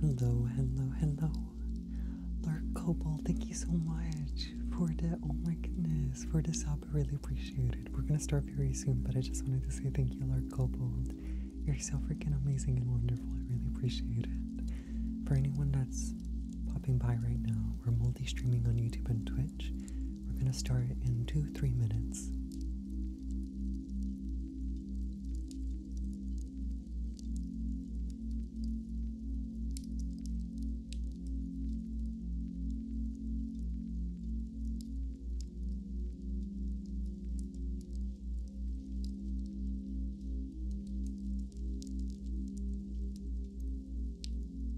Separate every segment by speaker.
Speaker 1: Hello, hello, hello. Lark Cobalt, thank you so much for the oh my goodness for this sub. I really appreciate it. We're gonna start very soon, but I just wanted to say thank you, Lark Cobalt. You're so freaking amazing and wonderful. I really appreciate it. For anyone that's popping by right now, we're multi-streaming on YouTube and Twitch we're going to start in two, three minutes.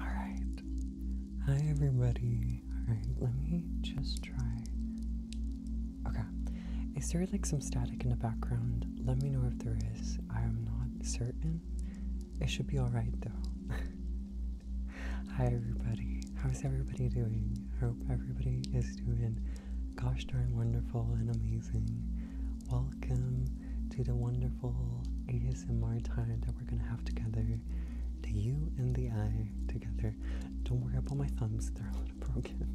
Speaker 1: All right. Hi, everybody. All right, let me just try Okay. Is there like some static in the background? Let me know if there is. I am not certain. It should be alright though. Hi everybody. How's everybody doing? I hope everybody is doing gosh darn wonderful and amazing. Welcome to the wonderful ASMR time that we're gonna have together. The you and the I together. Don't worry about my thumbs, they're broken.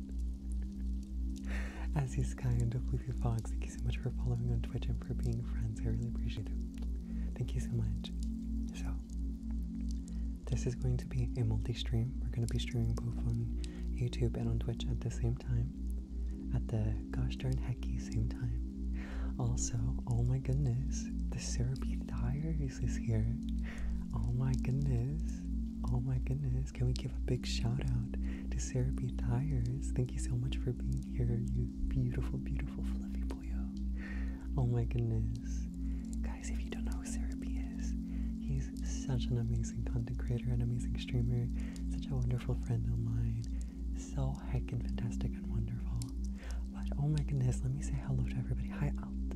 Speaker 1: As he's kind of Leafy Fox, thank you so much for following on Twitch and for being friends. I really appreciate it. Thank you so much. So, this is going to be a multi stream. We're going to be streaming both on YouTube and on Twitch at the same time. At the gosh darn hecky same time. Also, oh my goodness, the syrupy tires is here. Oh my goodness. Oh my goodness. Can we give a big shout out to Sarah B. Tires? Thank you so much for being here, you beautiful, beautiful fluffy boyo. Oh my goodness. Guys, if you don't know who Sarah B is, he's such an amazing content creator, an amazing streamer, such a wonderful friend of mine. So heckin' fantastic and wonderful. But oh my goodness, let me say hello to everybody. Hi, Alt.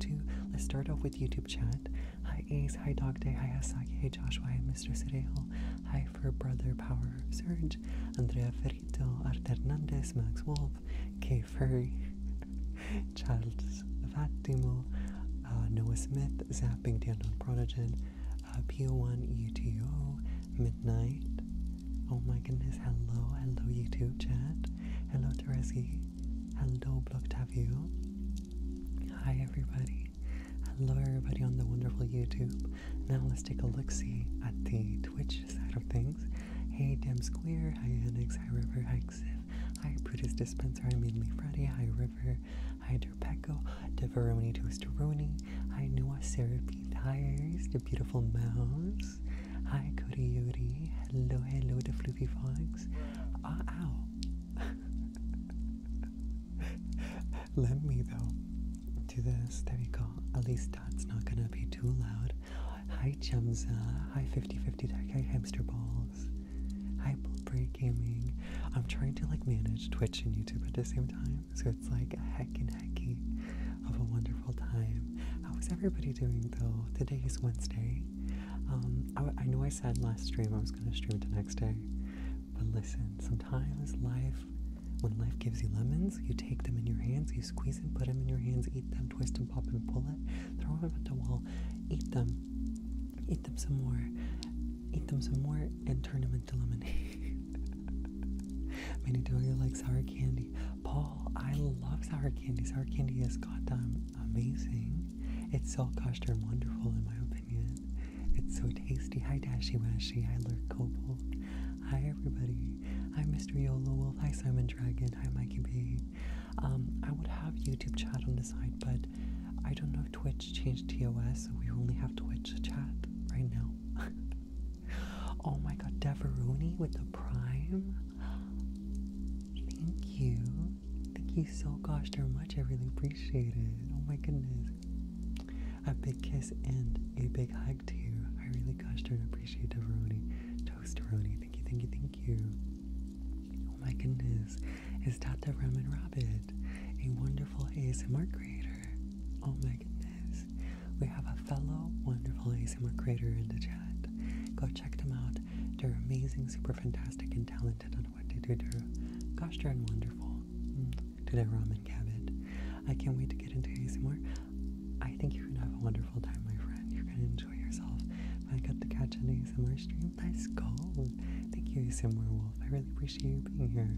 Speaker 1: O2. Let's start off with YouTube chat. Hi Ace, hi Dog Day, hi Asaki, hi Joshua, Mr. Cerejo, hi for Brother Power Surge, Andrea Ferrito, Art Hernandez, Max Wolf, K Furry, Charles Fatimo, uh, Noah Smith, Zapping the Unknown Protogen, uh, one eto Midnight, oh my goodness, hello, hello YouTube chat, hello Teresi, hello Blocktavio, hi everybody. Hello, everybody on the wonderful YouTube. Now let's take a look see at the Twitch side of things. Hey, Dem Square. Hi, Annex. Hi, River. Hi, Xif. Hi, Brutus Dispenser. Hi, Mainly Freddy, Hi, River. Hi, Derpeco. Deveroni Toasteroni. Hi, Noah Seraphine Tires. The Beautiful Mouse. Hi, Coyote. Hello, hello, the Floopy Fox. Ah, ow. Let me though to this. There we go. At least that's not gonna be too loud. Hi Chemza. Hi 5050 Deck. Hi Hamster Balls. Hi Bulbray Gaming. I'm trying to like manage Twitch and YouTube at the same time, so it's like heckin heck hecky of a wonderful time. How is everybody doing though? Today is Wednesday. Um, I know I said last stream I was gonna stream the next day, but listen, sometimes life, when life gives you lemons, you take them in your hands, you squeeze them, put them in your hands, eat them, twist and pop and pull it, throw them at the wall, eat them, eat them some more, eat them some more, and turn them into lemonade. Many do you like sour candy. Paul, I love sour candy. Sour candy is goddamn amazing. It's so gosh darn wonderful in my opinion. It's so tasty. Hi, Dashy Washy. Hi, Lurk Cobalt. Hi, everybody. Hi, Mr. Yolo Wolf. Hi, Simon Dragon. Hi, Mikey B. Um, I would have YouTube chat on the side, but I don't know if Twitch changed TOS, so we only have Twitch chat right now. oh my god, Deveruni with the Prime. Thank you. Thank you so gosh darn much. I really appreciate it. Oh my goodness. A big kiss and a big hug to you. I really gosh to appreciate Deveroni. Toasteroni. Thank you, thank you, thank you. Oh my goodness. Is Tata Ramen Rabbit a wonderful ASMR creator? Oh my goodness. We have a fellow wonderful ASMR creator in the chat. Go check them out. They're amazing, super fantastic, and talented Gosh, you are gosh wonderful. Mm. To their ramen cabbage. I can't wait to get into ASMR. I think you're gonna have a wonderful time, my friend. You're gonna enjoy yourself. If I got to catch an ASMR stream, let's go. Thank you, ASMR Wolf. I really appreciate you being here.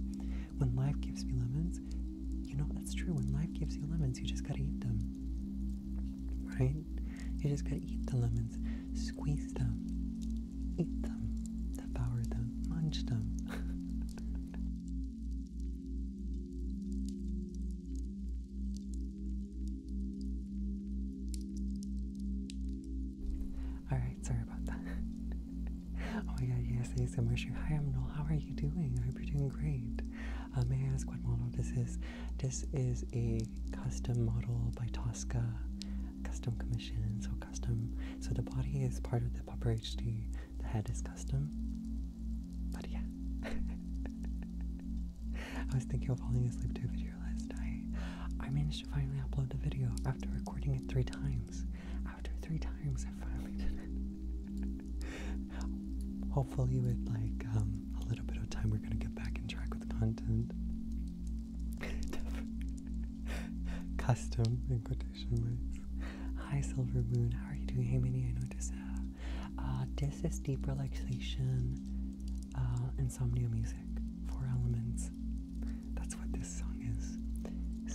Speaker 1: When life gives me lemons, you know that's true. When life gives you lemons, you just gotta eat them. Right? You just gotta eat the lemons, squeeze them, eat them, devour them, munch them. All right, sorry about that. oh my God, yes, ASMR show. Hi, I'm Noel. How are you doing? I hope you're doing great. Uh, may I ask what model this is? This is a custom model by Tosca, custom commission. So custom. So the body is part of the proper HD, the head is custom. But yeah. I was thinking of falling asleep to a video last night. I managed to finally upload the video after recording it three times. After three times, I finally did it. Hopefully, with like um, a little bit of time, we're gonna get back in track with content. Custom in quotation marks. Hi, Silver Moon. How are you doing? Hey, Minnie. I know uh, uh, this. is deep relaxation, uh, insomnia music. Four elements. That's what this song is.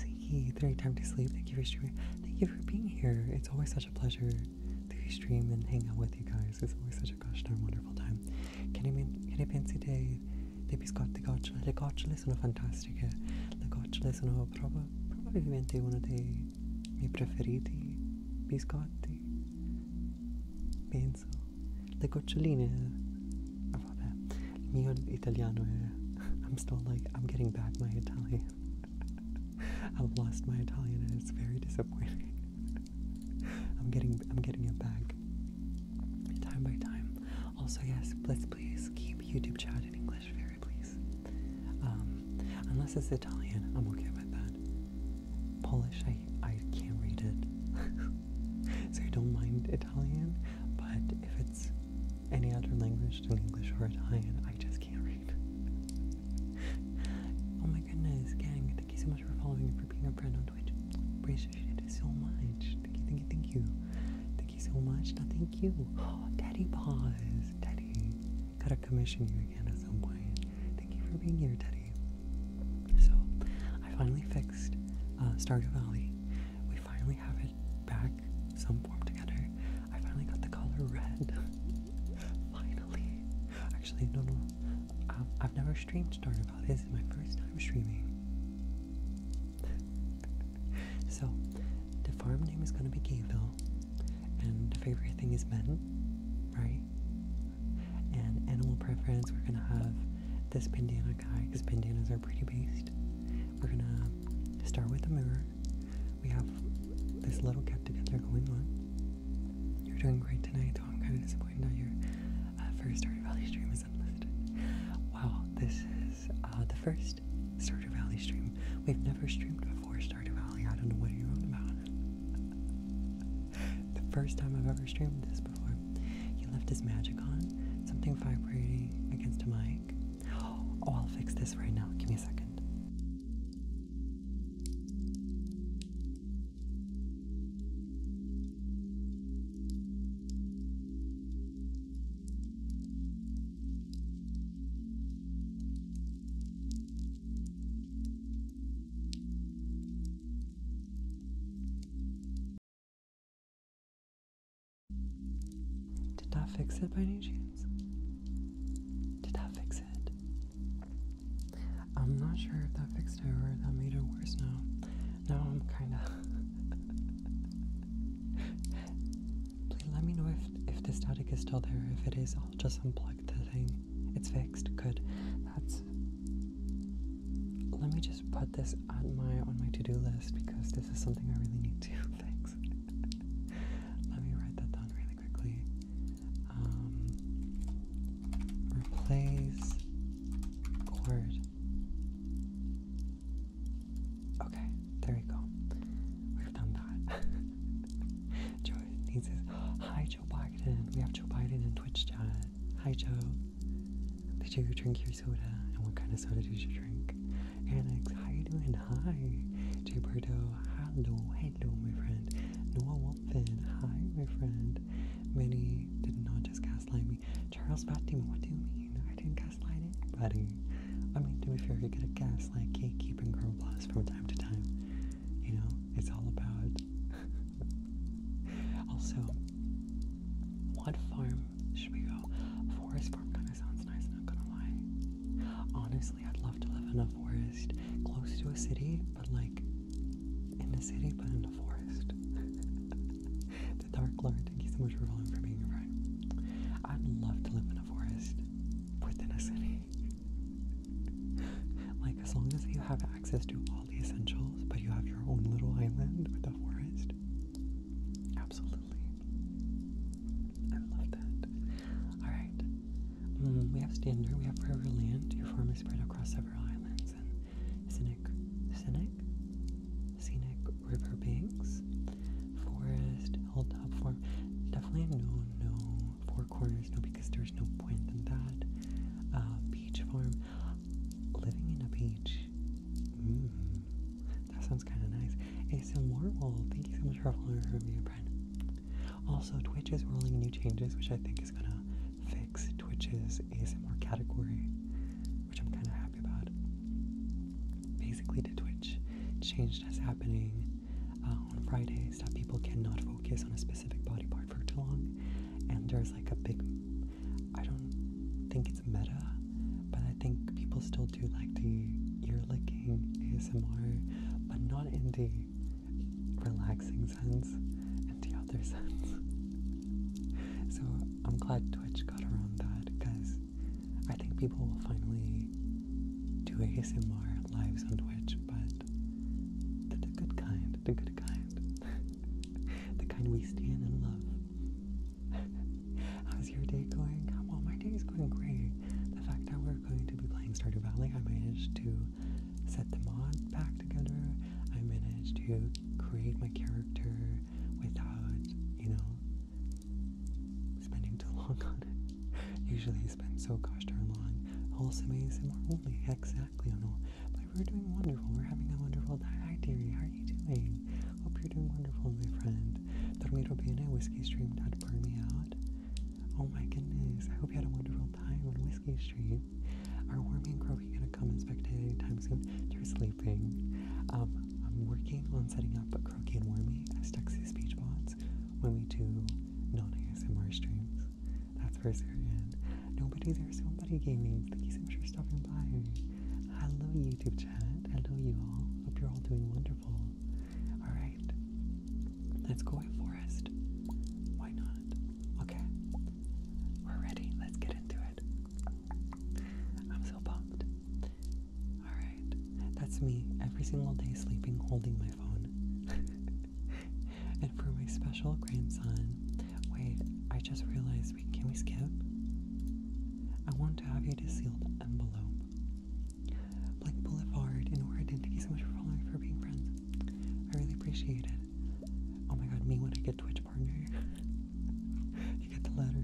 Speaker 1: Thank you three time to sleep. Thank you for streaming. Thank you for being here. It's always such a pleasure to stream and hang out with you guys. It's always such a gosh darn wonderful time. Can you mean? Can I fancy day? dei biscotti gocciole. Le gocciole sono fantastiche, le gocciole sono prob- probabilmente uno dei miei preferiti biscotti, penso. Le goccioline, oh, vabbè, il mio italiano è... I'm still like, I'm getting back my Italian. I've lost my Italian and it's very disappointing. I'm getting, I'm getting it back time by time. Also, yes, please, please keep YouTube chat in English, very please. Um, unless it's Italian, I'm okay with that. Polish, I I can't read it, so I don't mind Italian. But if it's any other language than English or Italian, I just can't read. oh my goodness, gang! Thank you so much for following and for being a friend on Twitch. Appreciate it so much. Thank you, thank you, thank you. Thank you so much. No, thank you. Oh, Daddy Paws. Daddy. Gotta commission you again at some point. Thank you for being here, Daddy. So, I finally fixed uh, Stardew Valley. We finally have it back, some form together. I finally got the color red. finally. Actually, no, no. Um, I've never streamed Stardew Valley. This is my first time streaming so, the farm name is going to be Gayville, and the favorite thing is men, right? And animal preference, we're going to have this bandana guy because bandanas are pretty beast. We're going to start with a mirror. We have this little get together going on. You're doing great tonight, though I'm kind of disappointed that your uh, first Stardew Valley stream is unlisted. Wow, this is uh, the first Stardew Valley stream. We've never streamed before Stardew Valley. I don't know what you're on about. the first time I've ever streamed this before. He left his magic on, something vibrating against a mic. Oh, I'll fix this right now. Give me a second. Did I fix it by any chance? Did I fix it? I'm not sure if that fixed it or that made it worse now. Now I'm kind of. Please let me know if if the static is still there. If it is, I'll just unplug the thing. It's fixed. Good. That's. Let me just put this on my on my to do list because this is something I really need to fix. let me write that down really quickly. Um, replace cord. Okay, there we go. We've done that. Joe needs his. Hi, Joe Biden. We have Joe Biden in Twitch chat. Hi, Joe. Did you drink your soda? And what kind of soda did you drink? Alex, how you doing? Hi. Jay Burdo. Hello, hello, my friend. Noah Wolfen. Hi, my friend. Many did not just gaslight me. Charles Batman, what do you mean? I didn't gaslighting, buddy. Um, I mean, to be fair, you get a gaslight, gatekeeping, girl boss from time to time. You know, it's all about. also, what farm should we go? Forest farm kind of sounds nice, not gonna lie. Honestly, I'd love to live in a forest close to a city, but like in the city, but in the forest. the Dark Lord, thank you so much for being a friend. I'd love to live in a forest within a city. like, as long as you have access to all the essentials, but you have your own little island with a forest. Absolutely. I love that. Alright. Mm, we have Standard, we have Forever Land. Your farm is spread across several islands and scenic, scenic, scenic river banks, forest, hilltop farm, Definitely no, no four corners, no, because there's no point in that. Uh, beach farm, living in a beach. Mm, that sounds kind of nice. ASM Warwall, thank you so much for following me, review, Brian. Also, Twitch is rolling new changes, which I think is gonna fix Twitch's ASMR category which I'm kind of happy about. Basically, the Twitch change that's happening uh, on Fridays that people cannot focus on a specific body part for too long, and there's like a big, I don't think it's meta, but I think people still do like the ear licking ASMR, but not in the relaxing sense and the other sense. so I'm glad Twitch got around that because I think people will finally do ASMR lives on Twitch, but that's a good kind, the good kind, the kind we stand in love. How's your day going? Well, my day is going great. The fact that we're going to be playing Stardew Valley, I managed to set the mod back together. I managed to create my character without, you know, spending too long on it. Usually I spend so gosh darn long. Wholesome ASMR only. Exactly, I know. But we're doing wonderful. We're having a wonderful time. Hi, dearie. How are you doing? Hope you're doing wonderful, my friend. Dormiro bene. Whiskey stream. Dad, burn me out. Oh my goodness. I hope you had a wonderful time on Whiskey Stream. Our warming crow, you gonna come and spectate anytime soon. Seriously, anything. Um, I'm working on setting up a Croaky and Wormy as Texas Beach Bots when we do non-ASMR streams. That's for certain. Nobody, there's somebody gaming. Thank you so much for stopping by. Hello YouTube chat. Hello you all. Hope you're all doing wonderful. Alright. Let's go at forest. Why not? Okay. We're ready. Let's get into it. I'm so pumped. Alright, that's me every single day sleeping holding my phone. and for my special grandson, wait, I just realized, can we skip? I want to have you to seal the envelope. Like Boulevard and thank you so much for following for being friends. I really appreciate it. Oh my god, me when I get Twitch partner. you get the letter.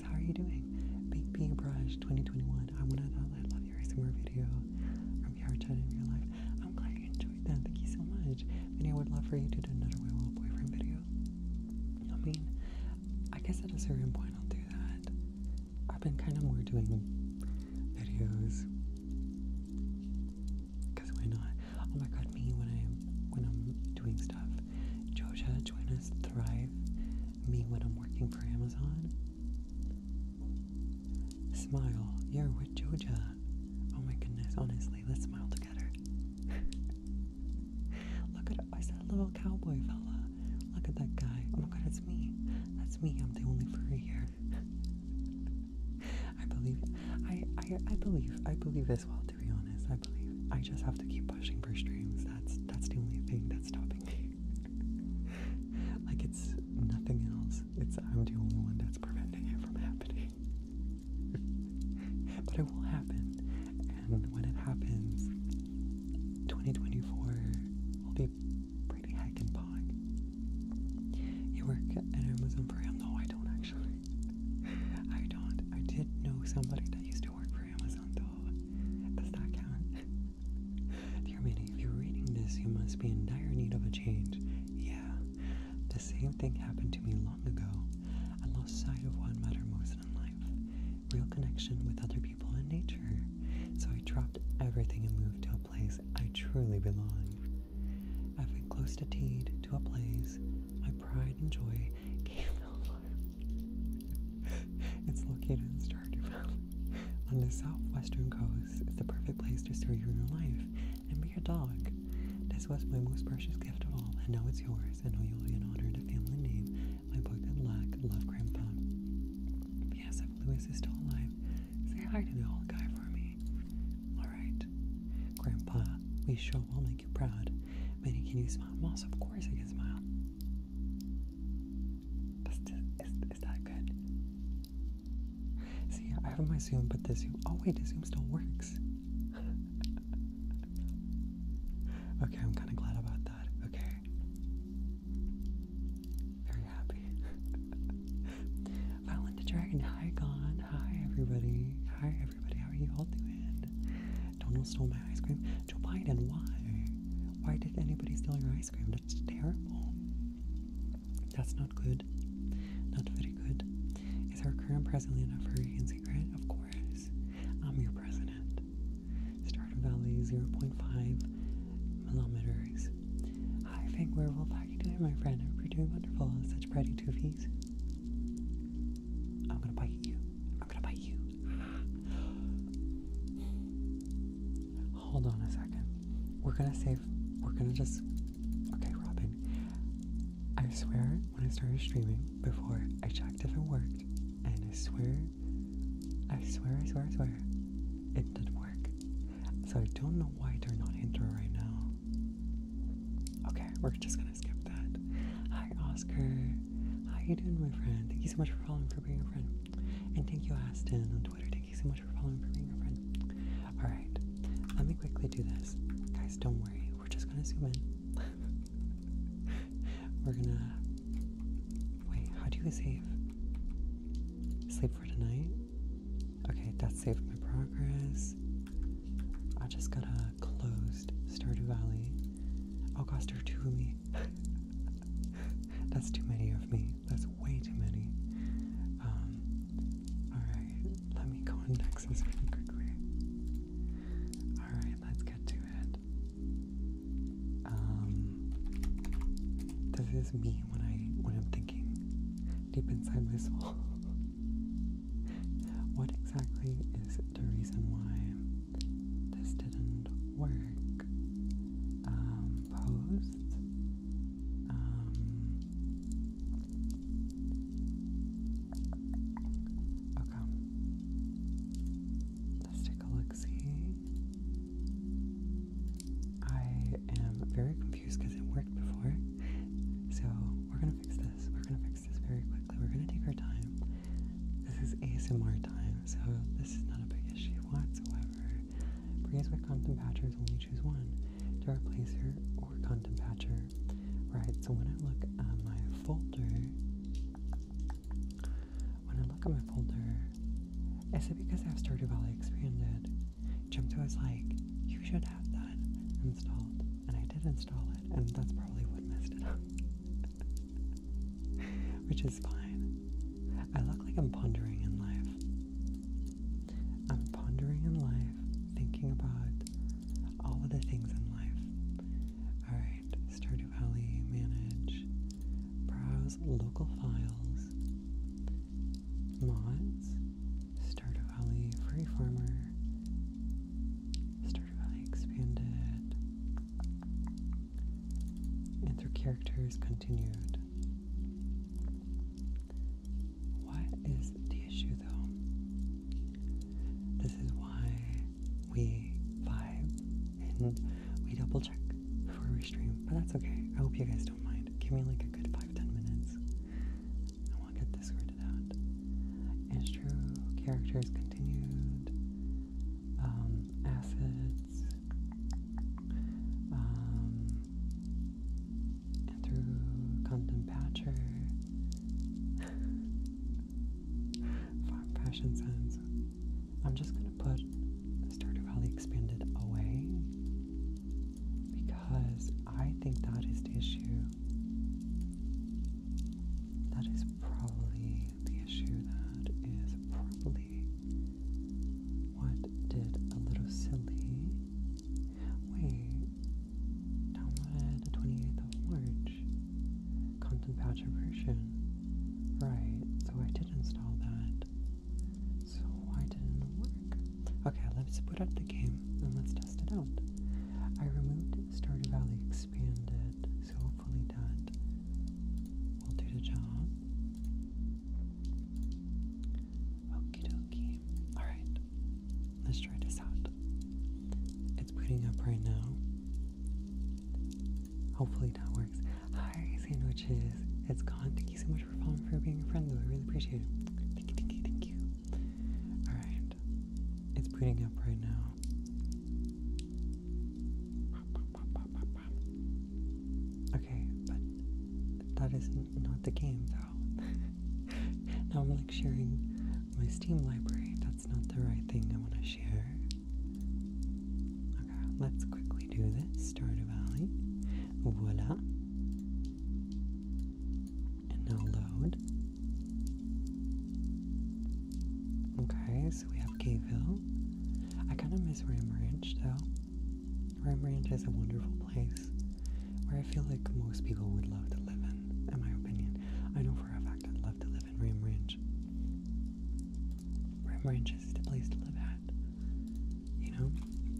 Speaker 1: how are you doing? Big B Brush 2021. I want to I love your ASMR video from your chat in your life. I'm glad you enjoyed that. Thank you so much. And I would love for you to do another Will Boyfriend video. I mean, I guess at a certain point I'll do that. I've been kind of more doing videos because why not? Oh my god, me when I'm when I'm doing stuff. Joja, join us, thrive. Me when I'm working for Amazon. Smile. You're with Jojo. Oh my goodness, honestly, let's smile together. Look at I little cowboy fella. Look at that guy. Oh my god, it's me. That's me. I'm the only furry here. I believe I, I I believe I believe as well to be honest. I believe. I just have to keep pushing for streams. That's that's the only thing that's stopping me. like it's nothing else. It's I'm the only one that's preventing it from happening. but it will happen. And when it happens, 2024 will be pretty heckin' pog. You work at Amazon for Prime? No, I don't actually. I don't. I did know somebody that used to work for Amazon though. Does that count? Dear Minnie, if you're reading this, you must be in dire need of a change. Yeah, the same thing happened to me long ago. I lost sight of what mattered most in life real connection with other people and nature. So I dropped everything and moved to a place I truly belong. I've been close to teed to a place my pride and joy came more. it's located in on the southwestern coast it's the perfect place to start your new life and be your dog. This was my most precious gift of all, and now it's yours. I know you'll be an honor to family name my book that lack love grandpa. Yes, if Lewis is still alive, say hi to the old guy for me. Alright. Grandpa, we sure will make you proud. Minnie, can you smile? Moss, of course I can smile. Is, that good? See, I have my Zoom, but the Zoom. Oh, wait, the Zoom still works. okay, I'm kind of glad about that. Okay. Very happy. Violent the Dragon, hi, Gon. Hi, everybody. Hi, everybody. How are you all doing? Donald stole my ice cream. Joe Biden, why? Why did anybody steal your ice cream? ice That's terrible. That's not good. Not very good. Is our current president enough for Hurricane Secret? Of course. I'm your president. Starter Valley 0.5 millimeters. Hi, Fang Werewolf. How you doing, my friend? I you're doing wonderful. Such pretty toofies. I'm gonna bite you. I'm gonna bite you. Hold on a second. We're gonna save. We're gonna just. Okay, Robin. I swear, when I started streaming before, I checked if it worked, and I swear, I swear, I swear, I swear, it did work. So I don't know why they're not into it right now. Okay, we're just gonna skip that. Hi, Oscar. How you doing, my friend? Thank you so much for following, for being a friend, and thank you, Aston, on Twitter. Thank you so much for following, for being a friend. All right, let me quickly do this, guys. Don't worry, we're just gonna zoom in. we're gonna wait. How do you save? Sleep for tonight. Okay, that saved my progress. I just got a closed Stardew Valley. Oh gosh, there are me. that's too many of me. That's way too many. Um, alright, let me go on Nexus really quickly. Alright, let's get to it. Um, this is me when I when I'm thinking deep inside my soul. what exactly is the reason why this didn't work? Um, pose. Um, okay. Let's take a I am very confused because it worked before. So we're gonna fix this. We're gonna fix this very quickly. We're gonna take our time. This is ASMR time, so this is not a big issue whatsoever. Brigades with Condom Patchers only choose one to replace her or Content Patcher. Right, so when I look at my folder, when I look at my folder, is it because I have Stardew Valley expanded? Jumped was like, you should have that installed. And I did install it, and that's probably what messed it up. Which is fine. I look like I'm pondering in life. I'm pondering in life, thinking about all of the things in life. Alright, Stardew Valley, manage, browse local files, mods, Stardew Valley, free farmer, Stardew Valley expanded, enter characters continued. What is the issue though? This is why we vibe and we double check before we stream, but that's okay. I hope you guys don't mind. Give me like a good five, ten minutes. I want to get this sorted out. And characters continued, um, assets, um, through Compton Farm Passion Sense. I'm just gonna put Stardew Valley Expanded away because I think that is the issue. That is probably the issue that is probably what did a little silly? Wait, downloaded the 28th of March. Content patcher version. Right, so I did install that. So why didn't it work? Okay, let's put up the game and let's test it out. I removed Stardew Valley Expanded, so hopefully that will do the job. Okie dokie. Alright, let's try this out. It's booting up right now. Hopefully that works. Hi, sandwiches. It's gone. Thank you so much for following, for being a friend, though. I really appreciate it. Thank you, thank you, thank you. Alright, it's booting up right now. Okay, but that isn't not the game though. now I'm like sharing my Steam library. That's not the right thing I want to share. Okay, let's quickly do this. Start a Valley. Voila. And now load. Okay, so we have Cave Hill. I kind of miss Ram Ranch though. Rim Ranch is a wonderful place where I feel like most people would love to live in, in my opinion. I know for a fact I'd love to live in Rim Ranch. Rim Ranch is the place to live at, you know?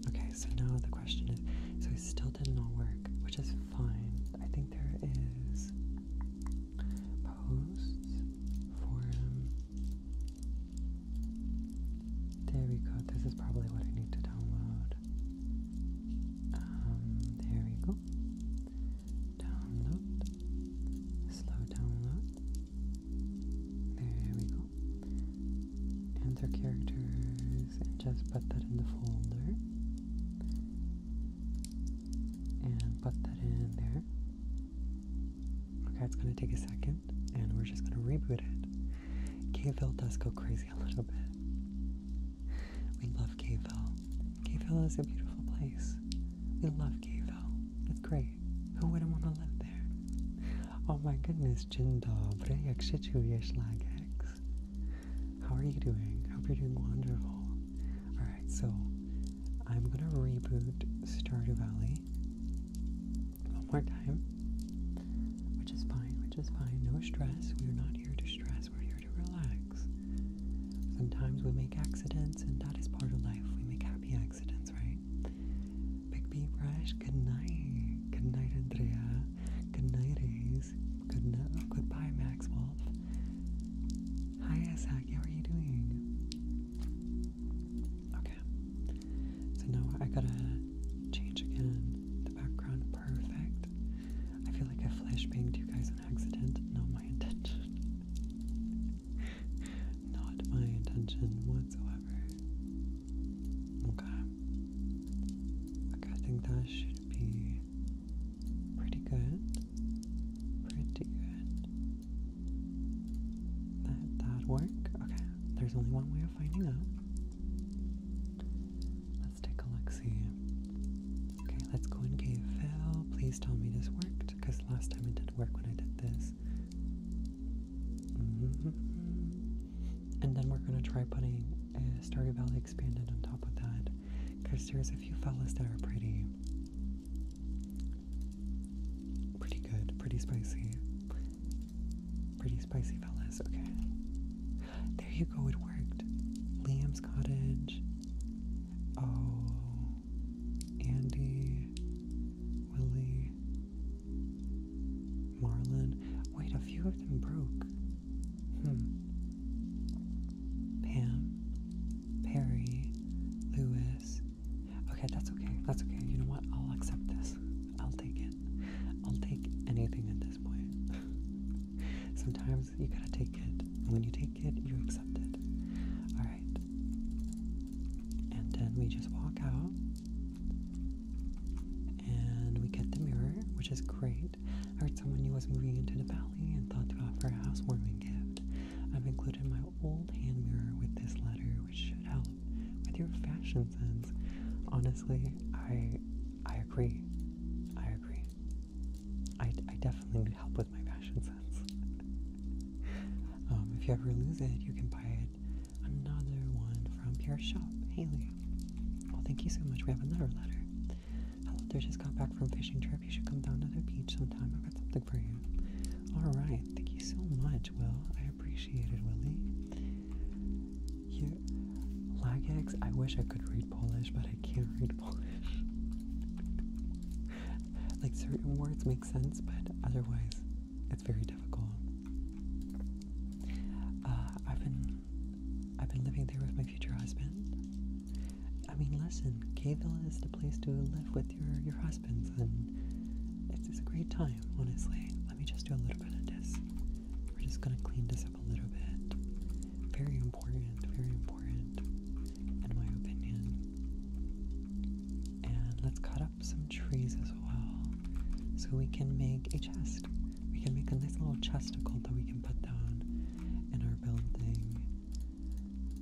Speaker 1: Okay, so now the question is so it still did not work, which is fine. I think there is posts, forum, there we go. This is probably what I need to download. Um, there we go. Download. Slow download. There we go. Enter characters and just put that in the folder. And put that in there. Okay, it's gonna take a second and we're just gonna reboot it. Caveville does go crazy a little bit. We love Caveville. Caveville is a beautiful place. We love Caveville. It's great. Who wouldn't want to live there? Oh my goodness, Dzień dobry, jak się Lagex? How are you doing? I Hope you're doing wonderful. Alright, so I'm gonna reboot Stardew Valley one more time, which is fine, which is fine. No stress. We're not here to stress, we're here to relax. Sometimes we make accidents, and that is part of life. We make happy accidents, right? Big B Fresh, good night. Good night, Andrea. Good night, Ace. Good night. Oh, goodbye, Max Wolf. Hi, Isaac. How are you doing? Okay. So now I gotta change again. The background perfect. I feel like I flashbanged you guys on accident. No, my intention. Not my intention whatsoever. Okay. Okay, I think that should be pretty good. Pretty good. That that work? Okay. There's only one way of finding out. Let's take a look see. Okay, let's go in cave fill. Please tell me this worked, because last time it did not work when I did this. Mm-hmm. And then we're gonna try putting a Starry Valley expanded on top of that. Because there's a few fellas that are pretty pretty good, pretty spicy. Pretty spicy, fellas. Okay. There you go. It worked. Liam's cottage. Oh. Andy. Willie. Marlon. Wait, a few of them broke. Hmm. Pam. Perry. Lewis. Okay, that's okay. That's okay. You know what? I'll accept this. I'll take it. I'll take anything at this point. Sometimes you gotta take it. And when you take it, you accept it. Alright. And then we just walk out. And we get the mirror, which is great. I heard someone who was moving into the valley and thought to offer a housewarming gift. I've included my old hand mirror with this letter, which should help with your fashion sense. Honestly, I I agree. I agree. I, I definitely need help with my fashion sense. Um, if you ever lose it, you can buy it another one from your shop, Haley. Well, thank you so much. We have another letter. Hello there, just got back from fishing trip. You should come down to the beach sometime. I've got something for you. All right, thank you so much, Will. I appreciated, Willie. Yeah, Lagex, I wish I could read Polish, but I can't read Polish. like, certain words make sense, but otherwise, it's very difficult. Uh, I've been, I've been living there with my future husband. I mean, listen, Kayville is the place to live with your your husbands, and it's a great time, honestly. Let me just do a little bit of this. We're just gonna clean this up a little bit. Very important, very important, in my opinion. And let's cut up some trees as well, so we can make a chest. We can make a nice little chesticle that we can put down in our building,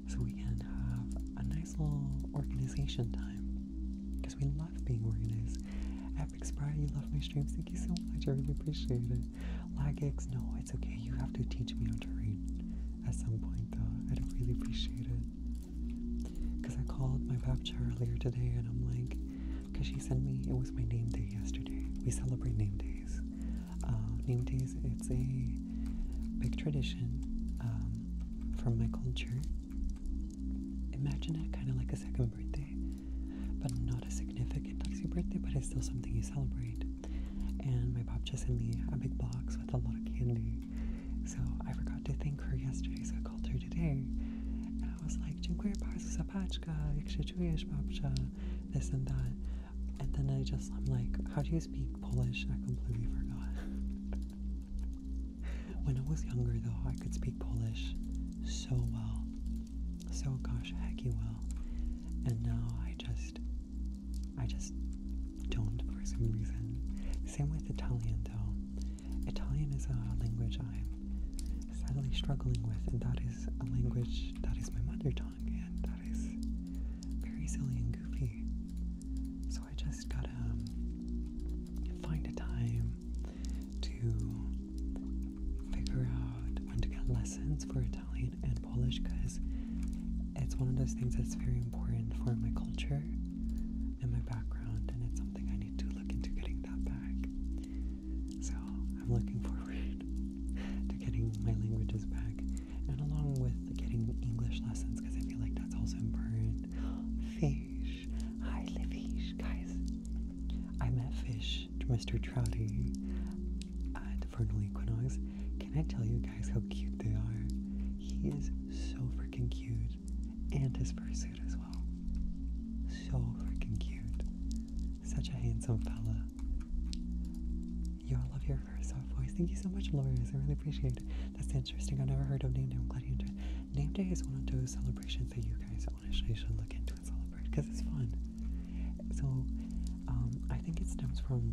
Speaker 1: so we can have a nice little organization time we love being organized. Epic Sprite, you love my streams. Thank you so much. I really appreciate it. Lagex, no, it's okay. You have to teach me how to read at some point, though. I'd really appreciate it. Because I called my babcha earlier today and I'm like, because she sent me, it was my name day yesterday. We celebrate name days. Uh, name days, it's a big tradition um, from my culture Imagine it kind of like a second birthday, but not a significant as birthday, but it's still something you celebrate. And my pop just sent me a big box with a lot of candy. So I forgot to thank her yesterday, so I called her today. And I was like, Dziękuję bardzo za paczka, jak się czujesz, babcia? This and that. And then I just, I'm like, how do you speak Polish? I completely forgot. when I was younger, though, I could speak Polish so well, so gosh hecky well, and now I just, I just don't for some reason. Same with Italian though. Italian is a language I'm sadly struggling with, and that is a language that is my mother tongue, and that is very silly and goofy. So I just gotta um, find a time to figure out when to get lessons for Italian and Polish because it's one of those things that's very important for my culture and my background, and it's something I need to look into getting that back. So I'm looking forward to getting my languages back, and along with getting English lessons because I feel like that's also important. Fish. Hi, Livish, guys. I met Fish, Mr. Trouty, at the vernal equinox. Can I tell you guys how cute they are? He is so freaking cute, and his fursuit as well. So freaking cute. Such a handsome fella. You all love your first soft voice. Thank you so much, Lawyers. I really appreciate it. That's interesting. I have never heard of Name Day. I'm glad you enjoyed Name Day is one of those celebrations that you guys one. I should, look into and celebrate because it's fun. So um, I think it stems from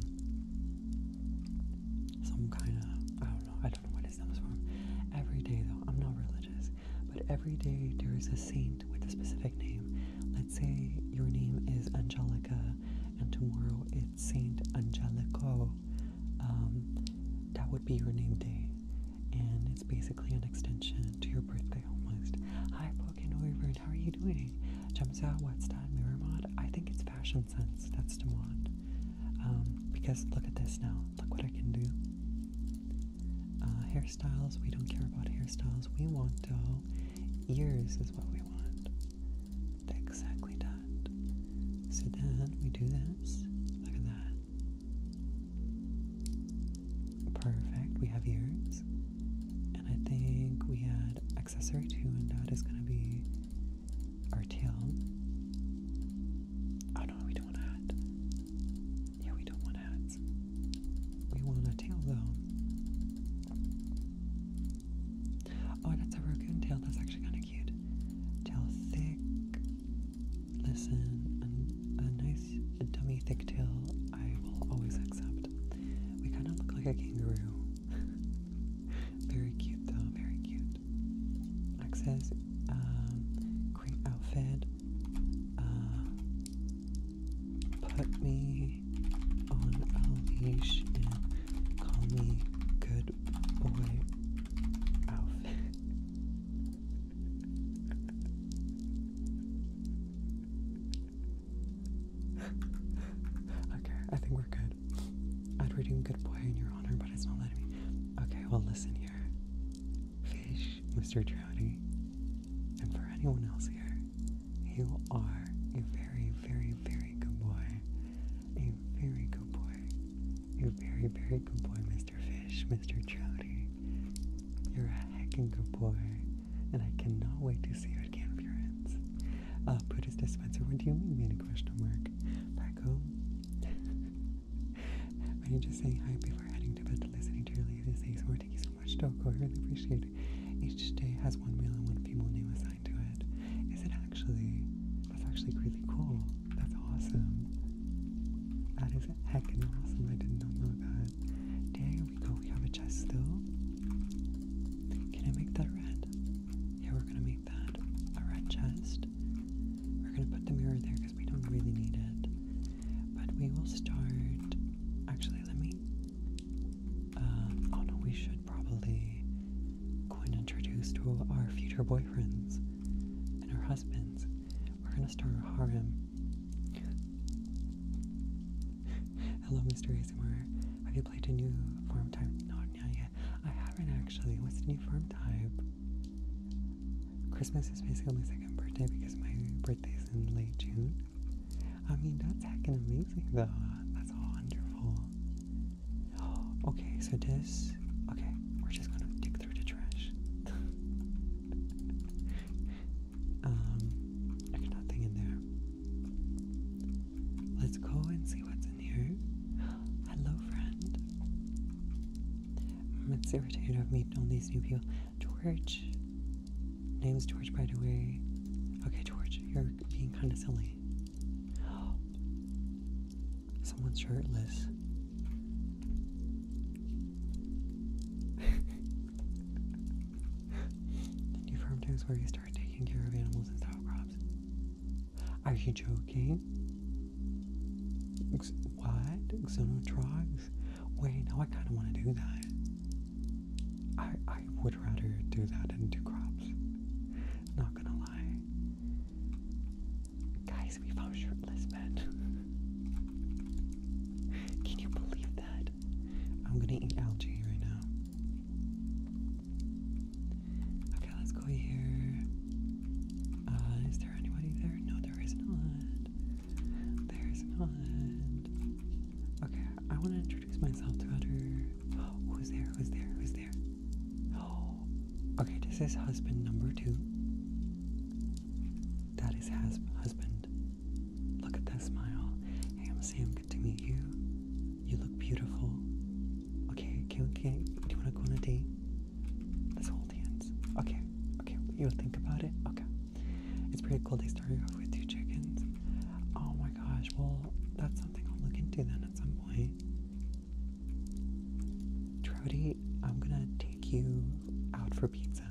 Speaker 1: some kind of I don't know. I don't know what it stems from. Every day though, I'm not religious, but every day there is a saint with a specific name. Let's say your name is Angelica, and tomorrow it's Saint Angelico. Um, that would be your name day and it's basically an extension to your birthday almost. Hi, Pokenweaver, how are you doing? Jamsa, what's that? Miramod? I think it's Fashion Sense. That's demand. Um, because look at this now. Look what I can do. Uh, hairstyles, we don't care about hairstyles. We want, though, ears is what we want. Exactly that. So then we do this. Look at that. Perfect. We have ears. And I think we add accessory two, and that is going to be our tail. Oh no, we don't want hat. Yeah, we don't want hats. We want a tail though. Oh, that's a raccoon tail. That's actually kind of cute. Tail thick. Listen, a, nice dummy thick tail I will always accept. We kind of look like a kangaroo. very cute though, very cute. Access, um, outfit. Uh, put me on a leash and call me good boy outfit. okay, I think we're good. I'd read him good boy in your honor, but it's not letting me. Okay, well, listen here. Fish, Mr. Trouty, and for anyone else here, you are a very, very, very good boy. A very good boy. A very, very good boy, man. Mr. Fish, Mr. Trouty, You're a heckin' good boy, and I cannot wait to see you at Confluence. Uh, put Buddha's dispenser, what do you mean, made a question mark? Back home? i you just saying hi before heading to bed to listening to your latest ASMR? Thank you so much, Doko. I really appreciate it. Each day has one meal and one people name assigned to it. Is it actually? That's actually really cool. That's awesome. That is heckin' awesome. I did not know that. There we go. We have a chest still. Can I make that red? Yeah, we're gonna make that a red chest. We're gonna put the mirror there because we don't really need it. But we will start. Actually, let me. Uh, oh no, we should probably go and introduce to our future boyfriends and our husbands. We're gonna start our harem. Hello, Mr. ASMR. Have you played a new farm type? Not yet, yet. I haven't actually. What's the new farm type? Christmas is basically my second birthday because my birthday is in late June. I mean, that's heckin' amazing though. That's wonderful. Okay, so this. Okay, we're just gonna dig through the trash. Um, there's nothing in there. Let's go and see what's in here. Hello, friend. it's irritating to meet all these new people. George. Name's George, by the way. Okay, George, you're being kind of silly. Someone's shirtless new farm is where you start taking care of animals and style crops. Are you joking? what? Xenotrogs? Wait, now I kind of want to do that. I, I would rather do that than do crops. Not gonna lie. Guys, we found shirtless men. Can you believe that? I'm gonna eat algae right now. Okay, let's go here. Uh, is there anybody there? No, there is not. There is not. Okay, I want to introduce myself to other. who's there? Who's there? Who's there? Oh, okay. This is husband number two. That is husband Look at that smile. Hey, I'm Sam. Good to meet you. You look beautiful. Okay, okay, okay. Do you want to go on a date? Let's hold hands. Okay, okay. You'll think about it. Okay. It's pretty cool. They started off with two chickens. Oh my gosh. Well, that's something I'll look into then at some point. Trouty, I'm gonna take you out for pizza.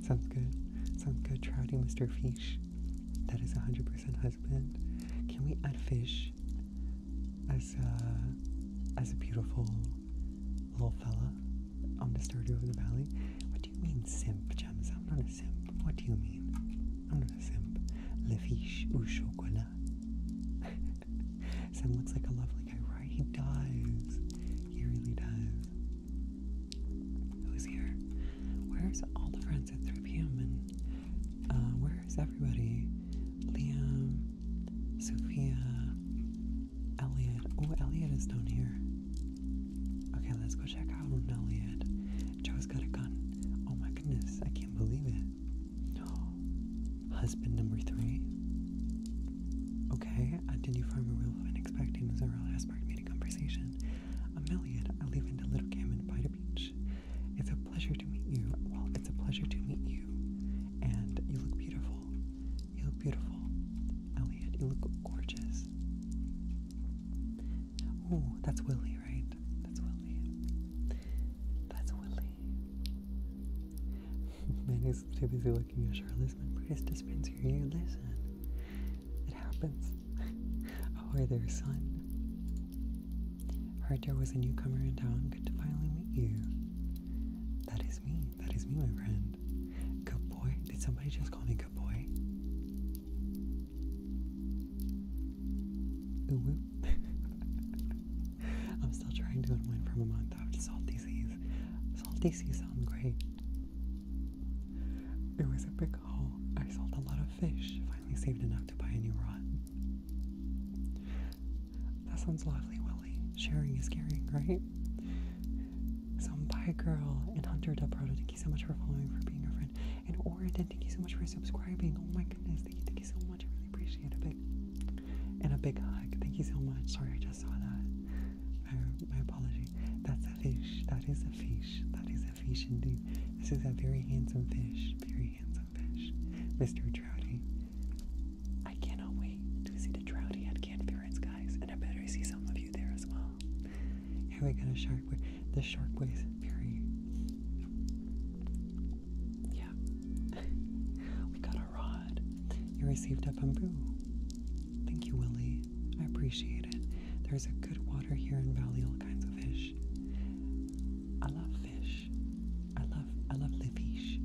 Speaker 1: Sounds good. Sounds good. Trouting Mr. Fish. That is 100% husband. Can we add fish as a, as a beautiful little fella on the story of the Valley? What do you mean simp, Gems? I'm not a simp. What do you mean? I'm not a simp. Le fish ou chocolat. Sam looks like a lovely he does. He really does. Who's here? Where's all the friends at 3 p.m. and uh, where's everybody? Liam, Sophia, Elliot. Oh, Elliot is down here. Okay, let's go check out Elliot. Joe's got a gun. Oh my goodness, I can't believe it. Husband number three. Okay, I uh, didn't you form a rule when expecting was a real aspect meeting conversation. I'm Elliot. I live in the little cabin by the beach. It's a pleasure to meet you. Well, it's a pleasure to meet you. And you look beautiful. You look beautiful. Elliot, you look gorgeous. Oh, that's Willie, right? That's Willie. That's Willie. Man is too busy looking at Charlotte's Membrace dispenser. You listen. It happens. Oh, there, son. Heard there was a newcomer in town. Good to finally meet you. That is me. That is me, my friend. Good boy. Did somebody just call me good boy? Ooh, I'm still trying to unwind from a month of salt disease. Salty sea sound great. It was a big haul. I sold a lot of fish. Finally saved enough to buy a new rod. That sounds lovely, Willy. Sharing is caring, right? So bye, girl. And Hunter Del thank you so much for following, for being a friend. And Oridan, thank you so much for subscribing. Oh my goodness, thank you, thank you so much. I really appreciate it. big and a big hug. Thank you so much. Sorry, I just saw that. My apology. That's a fish. That is a fish. That is a fish indeed. This is a very handsome fish. Very handsome fish. Mr. Trouty. I cannot wait to see the Trouty at Canference, guys. And I better see some of you there as well. Here we got a shark. The shark weighs very. Yeah. we got rod. You received a bamboo. Thank you, Willie. I appreciate it. There's a good water here in Valley, all kinds of fish. I love fish. I love I love the fish.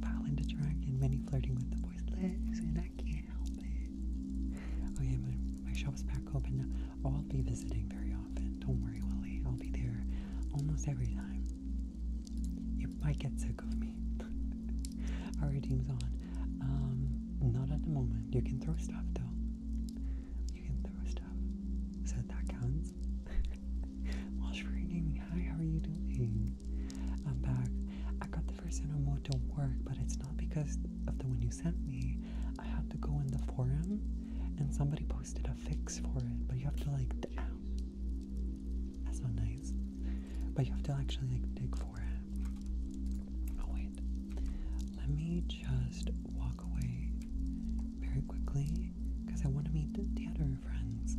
Speaker 1: Violent the dragon, many flirting with the boy's legs, and I can't help it. Okay, oh, my, my shop's back open oh, I'll be visiting very often. Don't worry, Willie. I'll be there almost every time. You might get sick sick of All right, team's on. Um, not at the moment. You can throw stuff though. You can throw stuff. So that that counts. Wash for gaming. Hi, how are you doing? I'm back. I got the first animal to work, but it's not because of the one you sent me. I had to go in the forum and somebody posted a fix for it, but you have to like. That's not nice but you have to actually like dig for it. Oh wait, let me just walk away very quickly because I want to meet the, other friends.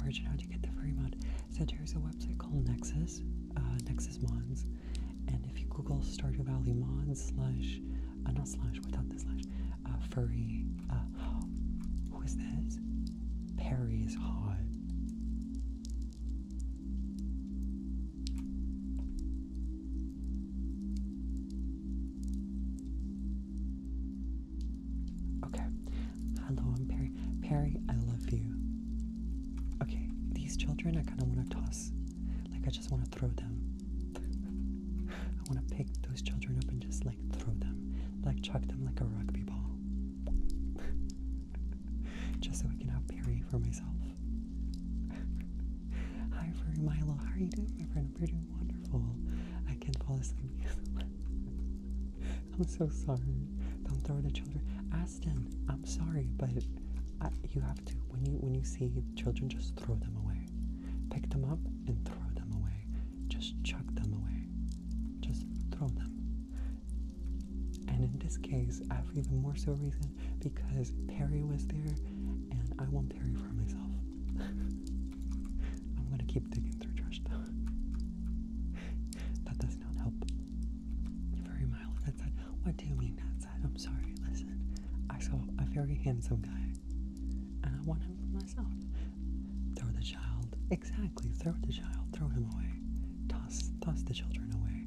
Speaker 1: Origin, how do you get the furry mod? So there's a website called Nexus, uh, Nexus Mods, and if you Google Stardew Valley mods slash, uh, not slash without the slash, uh, furry. who is this? Perry is hot. Okay. Hello, I'm Perry. Perry, I love you. Okay, these children, I kind of want to toss. Like, I just want to throw them. I want to pick those children up and just, like, throw them. Like, chuck them like a rugby ball. Just so I can have Perry for myself. Hi, Furry Milo. How are you doing, my friend? We're doing wonderful. I can fall asleep. I'm so sorry. Don't throw the children. Aston, I'm sorry, but you have to. When you when you see children, just throw them away. Pick them up and throw them away. Just chuck them away. Just throw them. And in this case, I have even more so reason because Perry was there and I want Perry for myself. I'm gonna keep digging through trash though. that does not help. Very mild on that do you mean that I'm sorry, listen. I saw a very handsome guy and I want him for myself. Throw the child. Exactly. Throw the child. Throw him away. Toss, toss the children away.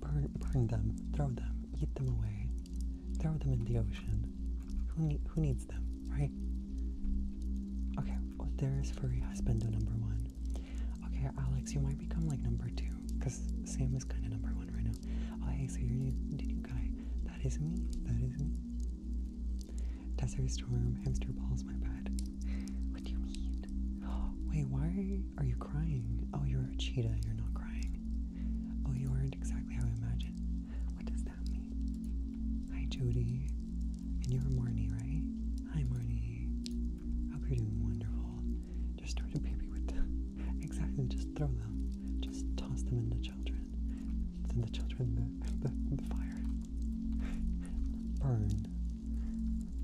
Speaker 1: Burn, burn them. Throw them. Eat them away. Throw them in the ocean. Who, need, who needs them, right? Okay. Well, there's furry husbando number one. Okay, Alex, you might become like number two, cause Sam is kind of number one right now. Oh, hey, so you're new, the new guy. That is me. That is me. Desert Storm, hamster balls my bed. What do you mean? Wait, why are you crying? Oh, you're a cheetah. You're not crying. Oh, you aren't exactly how I imagined. What does that mean? Hi, Jody. And you're Marnie, right? Hi, Marnie. Hope you're doing wonderful. Just throw your baby with exactly, just throw them. Just toss them into children. Send the children the, the fire. Burn.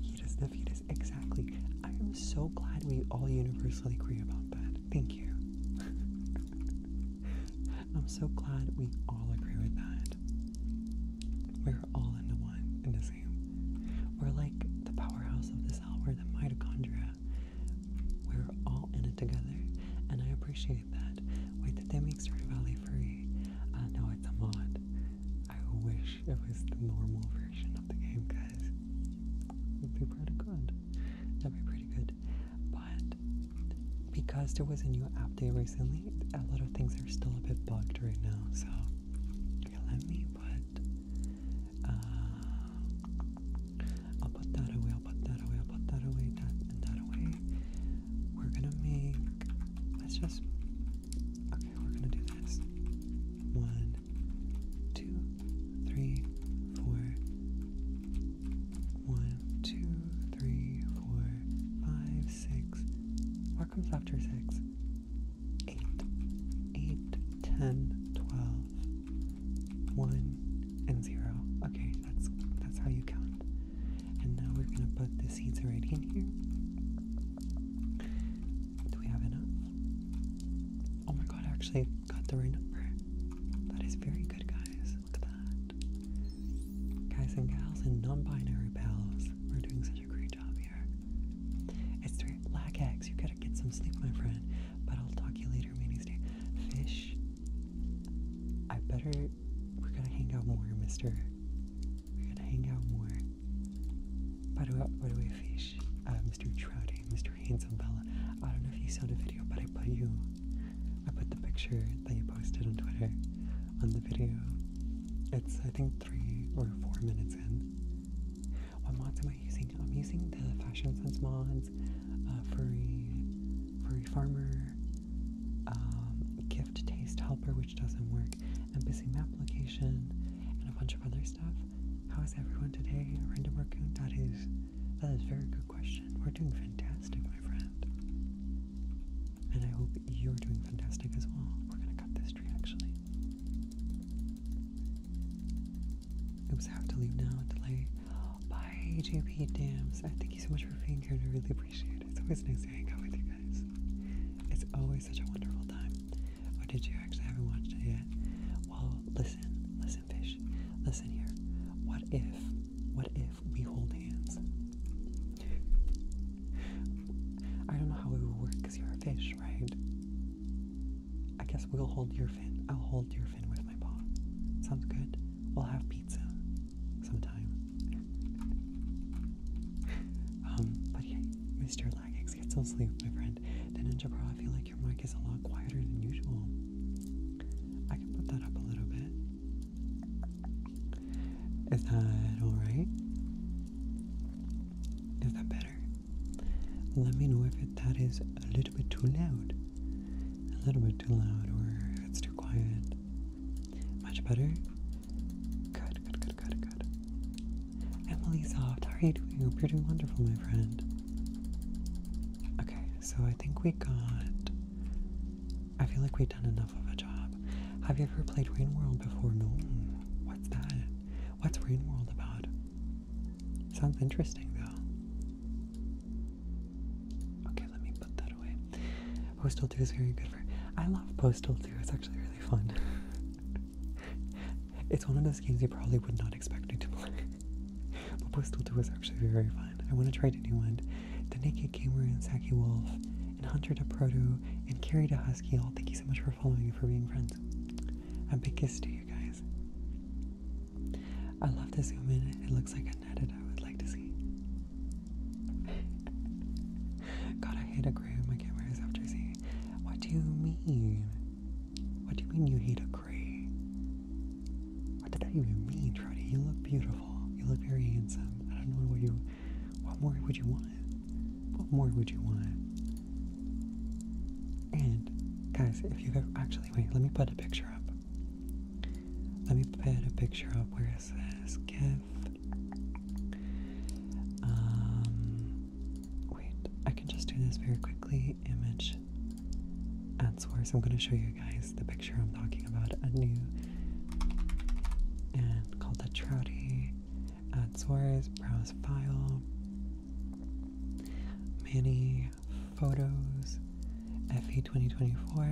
Speaker 1: He does the is Exactly. I am so glad we all universally agree about that. Thank you. I'm so glad we all agree with that. We're all in the one, in the same. We're like the powerhouse of the cell, we're the mitochondria. We're all in it together, and I appreciate that. Wait, that they make Stardew Valley free. I uh, know it's a mod. I wish it was the normal version of the game, guys. It would be pretty good. That'd be pretty good. But because there was a new update recently, a lot of things are still a bit bugged right now. So let me put. Uh, I'll put that away. I'll put that away. I'll put that away. That and that away. We're gonna make. Let's just Okay, we're gonna do this. One, two, three, four. One, two, three, four, five, six. What comes after six? Eight. Eight, ten, twelve. One and zero. Okay, that's that's how you count. And now we're gonna put the seeds right in here. Do we have enough? Oh my god, actually got the right number. That is very good, guys. Look at that. Guys and gals and non binary pals, we're doing such a great job here. It's three black eggs. You gotta get some sleep, my friend. But I'll talk to you later, Minnie's day. Fish. I better we're gonna hang out more, mister. We're gonna hang out more. By the way, by the way, fish, uh, Mr. Trouty, Mr. Handsome Bella. I don't know if you saw the video, but I put you, I put the picture that you posted on Twitter on the video. It's I think three or four minutes in. What mods am I using? I'm using the Fashion Sense mods, uh, furry, furry farmer, um, gift taste helper, which doesn't work, and busy map location, and a bunch of other stuff. How is everyone today? Random working. that is, that is a very good question. We're doing fantastic, my friend. And I hope you're doing fantastic as well. We're gonna cut this tree actually. Oops, was have to leave now. Delay. Bye, JP Dams. I thank you so much for being here and I really appreciate it. It's always nice to hang out with you guys. It's always such a wonderful time. Oh, did you actually haven't watched it yet? Well, listen, listen, fish, listen here. What if, what if we hold hands? I don't know how it would work because you're a fish, right? I guess we'll hold your fin. I'll hold your fin with my paw. Sounds good. We'll have pizza sometime um, but yeah, Mr. Laggix, get some sleep, my friend. The Ninja Bro, I feel like your mic is a lot quieter than usual. I can put that up a little bit. Is that alright? Is that better? Let me know if it, that is a little bit too loud. A little bit too loud, or it's too quiet. Much better? Good, good, good, good, good. Emily Soft, how are you doing? you're doing wonderful, my friend. Okay, so I think we got. I feel like we've done enough of a job. Have you ever played Rain World before? No. What's that? What's Rain World about? Sounds interesting, though. Okay, let me put that away. Postal 2 is very good for. I love Postal 2, it's actually really fun. it's one of those games you probably would not expect me to play. but Postal 2 is actually very fun. I want to try the new one. The Naked Gamer and Saki Wolf, and Hunter de Proto, and Carrie de Husky all. Thank you so much for following and for being friends. A big kiss to you guys. I love this zoom It looks like a net I would like to see. God, I hate a gram. I can't myself What do you mean? What do you mean you hate a gray? What did I even mean, Trudy? You look beautiful. You look very handsome. I don't know what you. What more would you want? What more would you want? And guys, if you've actually wait, let me put a picture up. Let me put a picture up. Where is this gif? Um, wait, I can just do this very quickly. Image at source. I'm going to show you guys the picture I'm talking about. A new and called the Trouty. At source, browse file, many photos, FE 2024.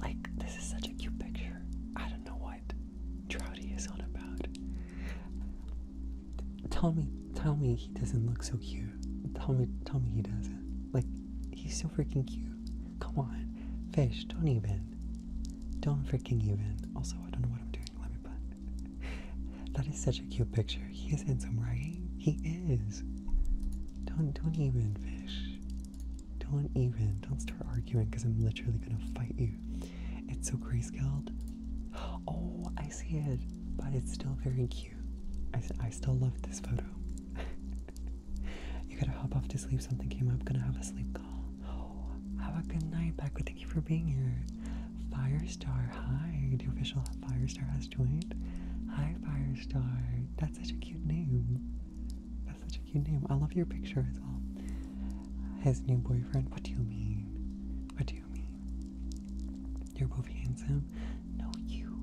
Speaker 1: Like, this is such a cute picture. I don't know what Trouty is on about. Tell me, tell me he doesn't look so cute. Tell me, tell me he doesn't. Like, he's so freaking cute. Come on, fish, don't even. Don't freaking even. Also, I don't know what I'm doing. Let me put. That is such a cute picture. He is handsome, right? He is. Don't, don't even, fish. Don't even. Don't start arguing because I'm literally gonna fight you. It's so grayscaled. Oh, I see it, but it's still very cute. I, I still love this photo. you gotta hop off to sleep. Something came up. Gonna have a sleep call. Oh, have a good night, Becca. Thank you for being here. Firestar, hi. The official Firestar has joined. Hi, Firestar. That's such a cute name. That's such a cute name. I love your picture as well. His new boyfriend. What do you mean? What do you mean? You're both handsome. No, you.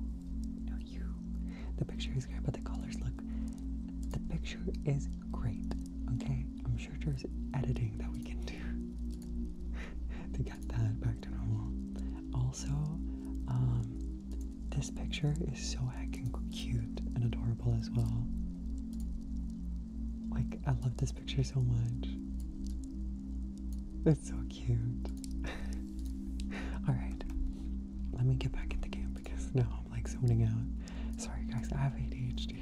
Speaker 1: No, you. The picture is great, but the colors look. The picture is great. Okay, I'm sure there's editing that we can do to get that back to normal. Also, um, this picture is so heckin' cute and adorable as well. Like, I love this picture so much. It's so cute. Alright, let me get back in the game because now I'm like zoning out. Sorry, guys, I have ADHD.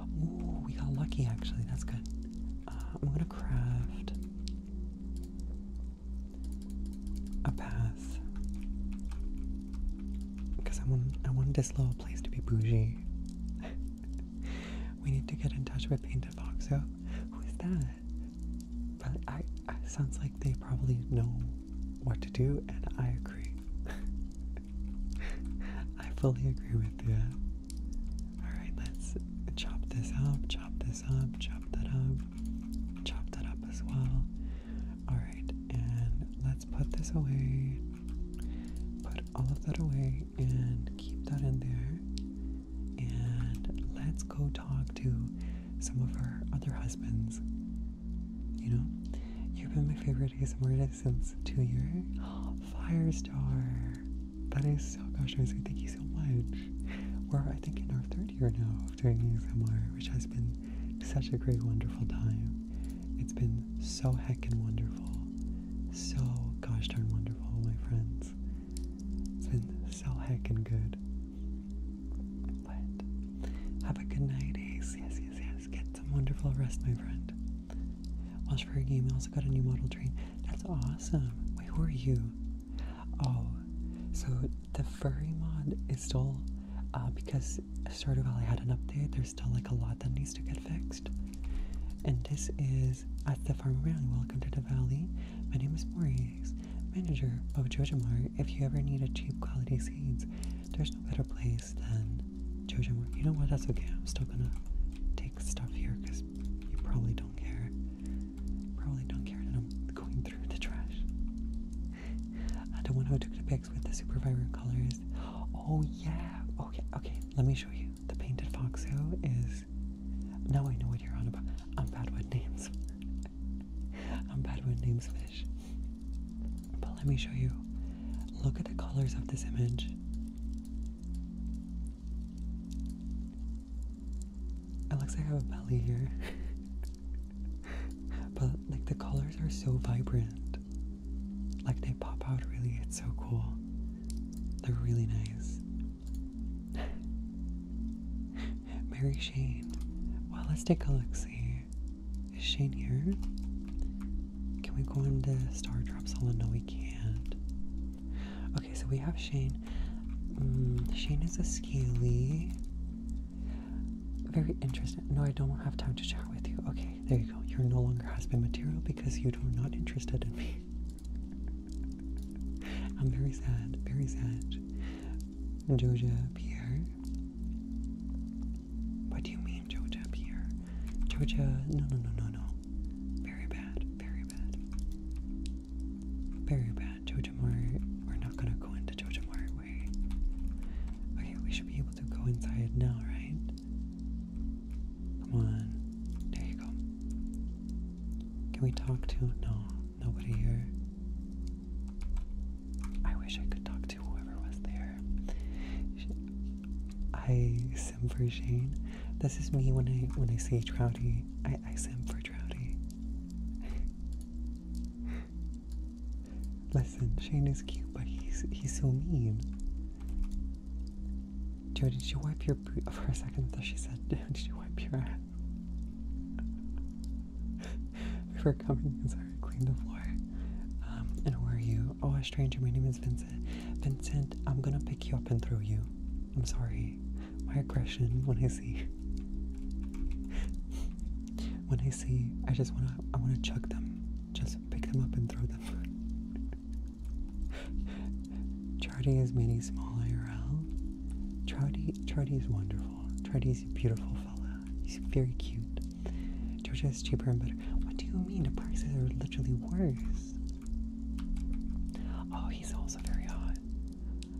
Speaker 1: Ooh, we got lucky actually, that's good. Uh, I'm gonna craft a path because I want I wanted this little place to be bougie. we need to get in touch with Painted Fox. who's that? But I sounds like they probably know what to do, and I agree. I fully agree with you. All right, let's chop this up, chop this up, chop that up, chop that up as well. Alright, and let's put this away. Put all of that away and keep that in there. And let's go talk to some of our other husbands. You know, you've been my favorite ASMR since two years. Oh, Firestar! That is so gosh, amazing. Thank you so much. We're, I think, in our third year now myself doing ASMR, which has been such a great, wonderful time. It's been so heckin' wonderful. So gosh darn wonderful, my friends. It's been so heckin' good.
Speaker 2: But
Speaker 1: have a good night, Ace. Yes, yes, yes. Get some wonderful rest, my friend. Watch for a game. I also got a new model train. That's awesome. Wait, who are you? Oh, so the furry mod is still uh, because Stardew Valley had an update. There's still like a lot that needs to get fixed. And this is at the farm around. Welcome to the valley. My name is Maurice, manager of Jojamar. If you ever need a cheap quality seeds, there's no better place than Jojamar. You know what? That's okay. I'm still gonna take stuff here because you probably don't care. Probably don't care that I'm going through the trash. The one who took the pics with the super vibrant colors. Oh yeah. Okay, oh, okay. Let me show you. The painted foxo is. Now I know what you're on about. I'm bad with names. I'm bad with names, fish. But let me show you. Look at the colors of this image. It looks like I have a belly here. but like the colors are so vibrant. Like they pop out really, it's so cool. They're really nice. Mary Shane. Well, let's take a look. See, is Shane here? Can we go into Star Drops? Salon? No, we can't. Okay, so we have Shane. Mm, Shane is a Scaly. Very interesting. No, I don't have time to chat with you. Okay, there you go. You're no longer husband material because you are not interested in me. I'm very sad, very sad. Joja Pierre. What do you mean, Joja Pierre? Joja, no, no, no, no, no. Very bad, very bad. Very bad. Jojo we're not gonna go into Jojo Mart, we Okay, we should be able to go inside now, right? Come on. There you go. Can we talk to no, nobody here? I wish I could talk to whoever was there. I sim for Shane. This is me when I when I see Trouty. I, I sim for Trouty. Listen, Shane is cute, but he's he's so mean. Joe, did you wipe your boot? For a second, I thought she said, "Did you wipe your ass?" Before coming, I'm sorry, clean the floor. Um, and who are you? Oh, a stranger. My name is Vincent. Vincent, I'm gonna pick you up and throw you. I'm sorry. My aggression when I see. when I see, I just wanna, I wanna chuck them, just pick them up and throw them. Chardy is meeting small IRL. Chardy, Chardy is wonderful. Chardy is a beautiful fella. He's very cute. Georgia is cheaper and better. What do you mean? The prices are literally worse. Oh, he's also very hot.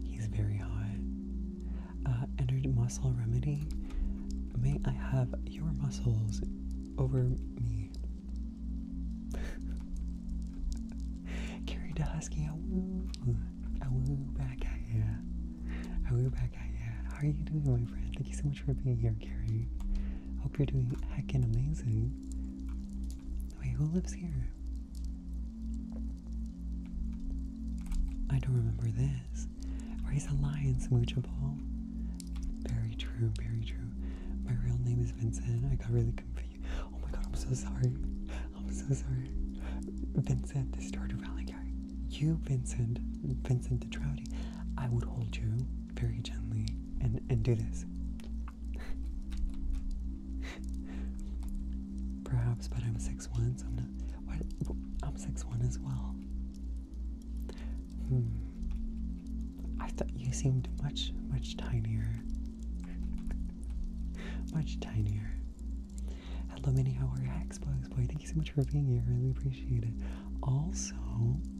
Speaker 1: He's very hot. Uh, entered muscle remedy. May I have your muscles over me. Carrie Dahusky, I awoo, back at ya. Awoo, back at ya. How are you doing, my friend? Thank you so much for being here, Carrie. Hope you're doing heckin' amazing. Wait, who lives here? I don't remember this. Raise a lion, smoochable. Very true, very true. My real name is Vincent. I got really confused. Oh my god, I'm so sorry. I'm so sorry. Vincent, the Stardew Valley guy. You, Vincent, Vincent the Trouty. I would hold you very gently and, and do this. Perhaps, but I'm 6'1, so i I'm six one as well. Hmm. I thought you seemed much, much tinier. much tinier. Hello, Minnie. How are you? Xbox boy. Thank you so much for being here. I Really appreciate it. Also,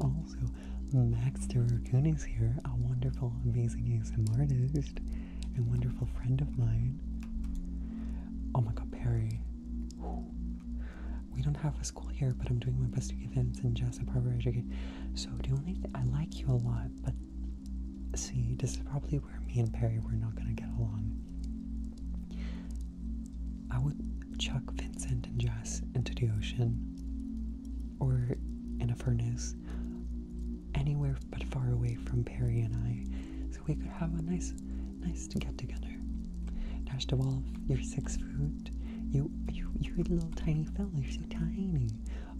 Speaker 1: also, Max de Raccoon is here, a wonderful, amazing ASM artist and wonderful friend of mine. Oh my god, Perry. We don't have a school here, but I'm doing my best to give hints and Jessup Harbor educate. So the only thing I like you a lot, but see, this is probably where me and Perry were not gonna get along. I would chuck Vincent and Jess into the ocean or in a furnace. Anywhere but far away from Perry and I. So we could have a nice Nice to get together. Dashta Wolf, you're six foot. You, you, you little tiny fellow. you're so tiny.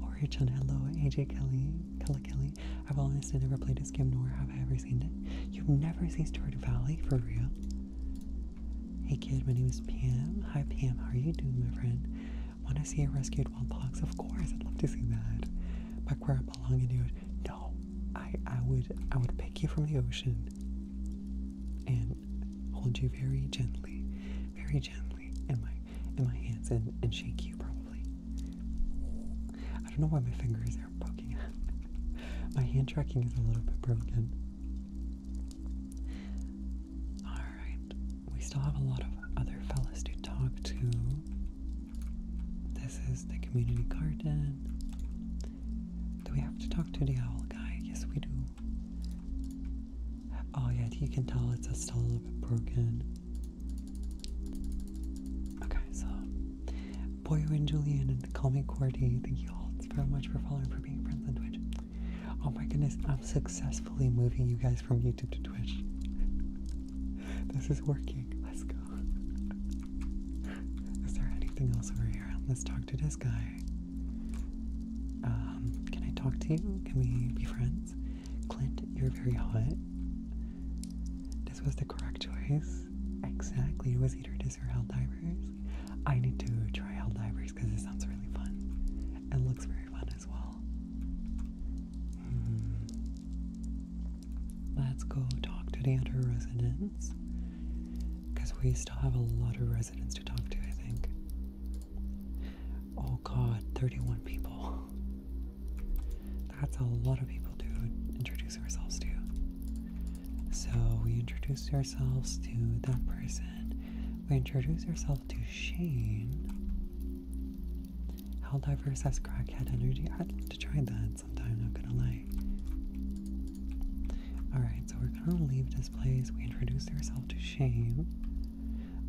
Speaker 1: Orich on Hello, AJ Kelly, Kelly Kelly. I've honestly never played this game, nor have I ever seen it. You've never seen Stardew Valley, for real? Hey kid, my name is Pam. Hi Pam, how are you doing, my friend? Want to see a rescued wild fox? Of course, I'd love to see that. But where I belong in the no, I I would I would pick you from the ocean and hold you very gently, very gently in my in my hands and, and shake you probably. I don't know why my fingers are poking out. my hand tracking is a little bit broken. Alright. We still have a lot of other fellas to talk to. This is the community garden. Do we have to talk to the owl guy? Yes, we do. Oh, yeah, you can tell it's still a little bit broken. Okay, so Boyo and Julian and the Comic Quarty, thank you all so much for following, for being friends on Twitch. Oh my goodness, I'm successfully moving you guys from YouTube to Twitch. this is working. Let's go. Is there anything else over here? Let's talk to this guy. Um, can I talk to you? Can we be friends? Clint, you're very hot. This was the correct choice. Exactly. It was either this or Helldivers. I need to try Helldivers because it sounds really fun. It looks very fun as well. Hmm. Let's go talk to the other residents. Because we still have a lot of residents to talk to, I think. Oh god, 31 people. That's a lot of people to introduce ourselves to. So we introduce ourselves to that person. We introduce ourselves to Shane. How diverse has crackhead energy? I'd love to try that sometimes, not gonna lie. Alright, so we're gonna leave this place. We introduce ourselves to Shane.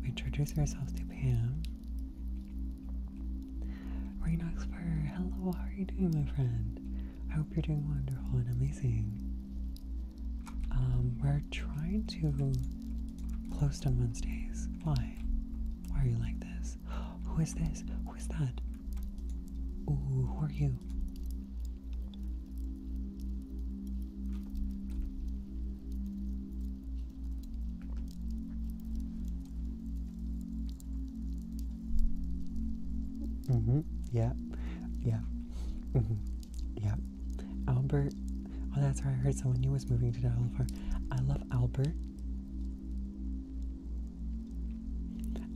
Speaker 1: We introduce ourselves to Pam. Rainoxfer, hello, how are you doing, my friend? I hope you're doing wonderful and amazing. Um, we're trying to post on Wednesdays. Why? Why are you like this? Who is this? Who is that? Ooh, who are you? Mm-hmm. Yeah. Yeah. hmm Yeah. Albert. Oh, that's where I heard someone new was moving to Delaware. I love Albert.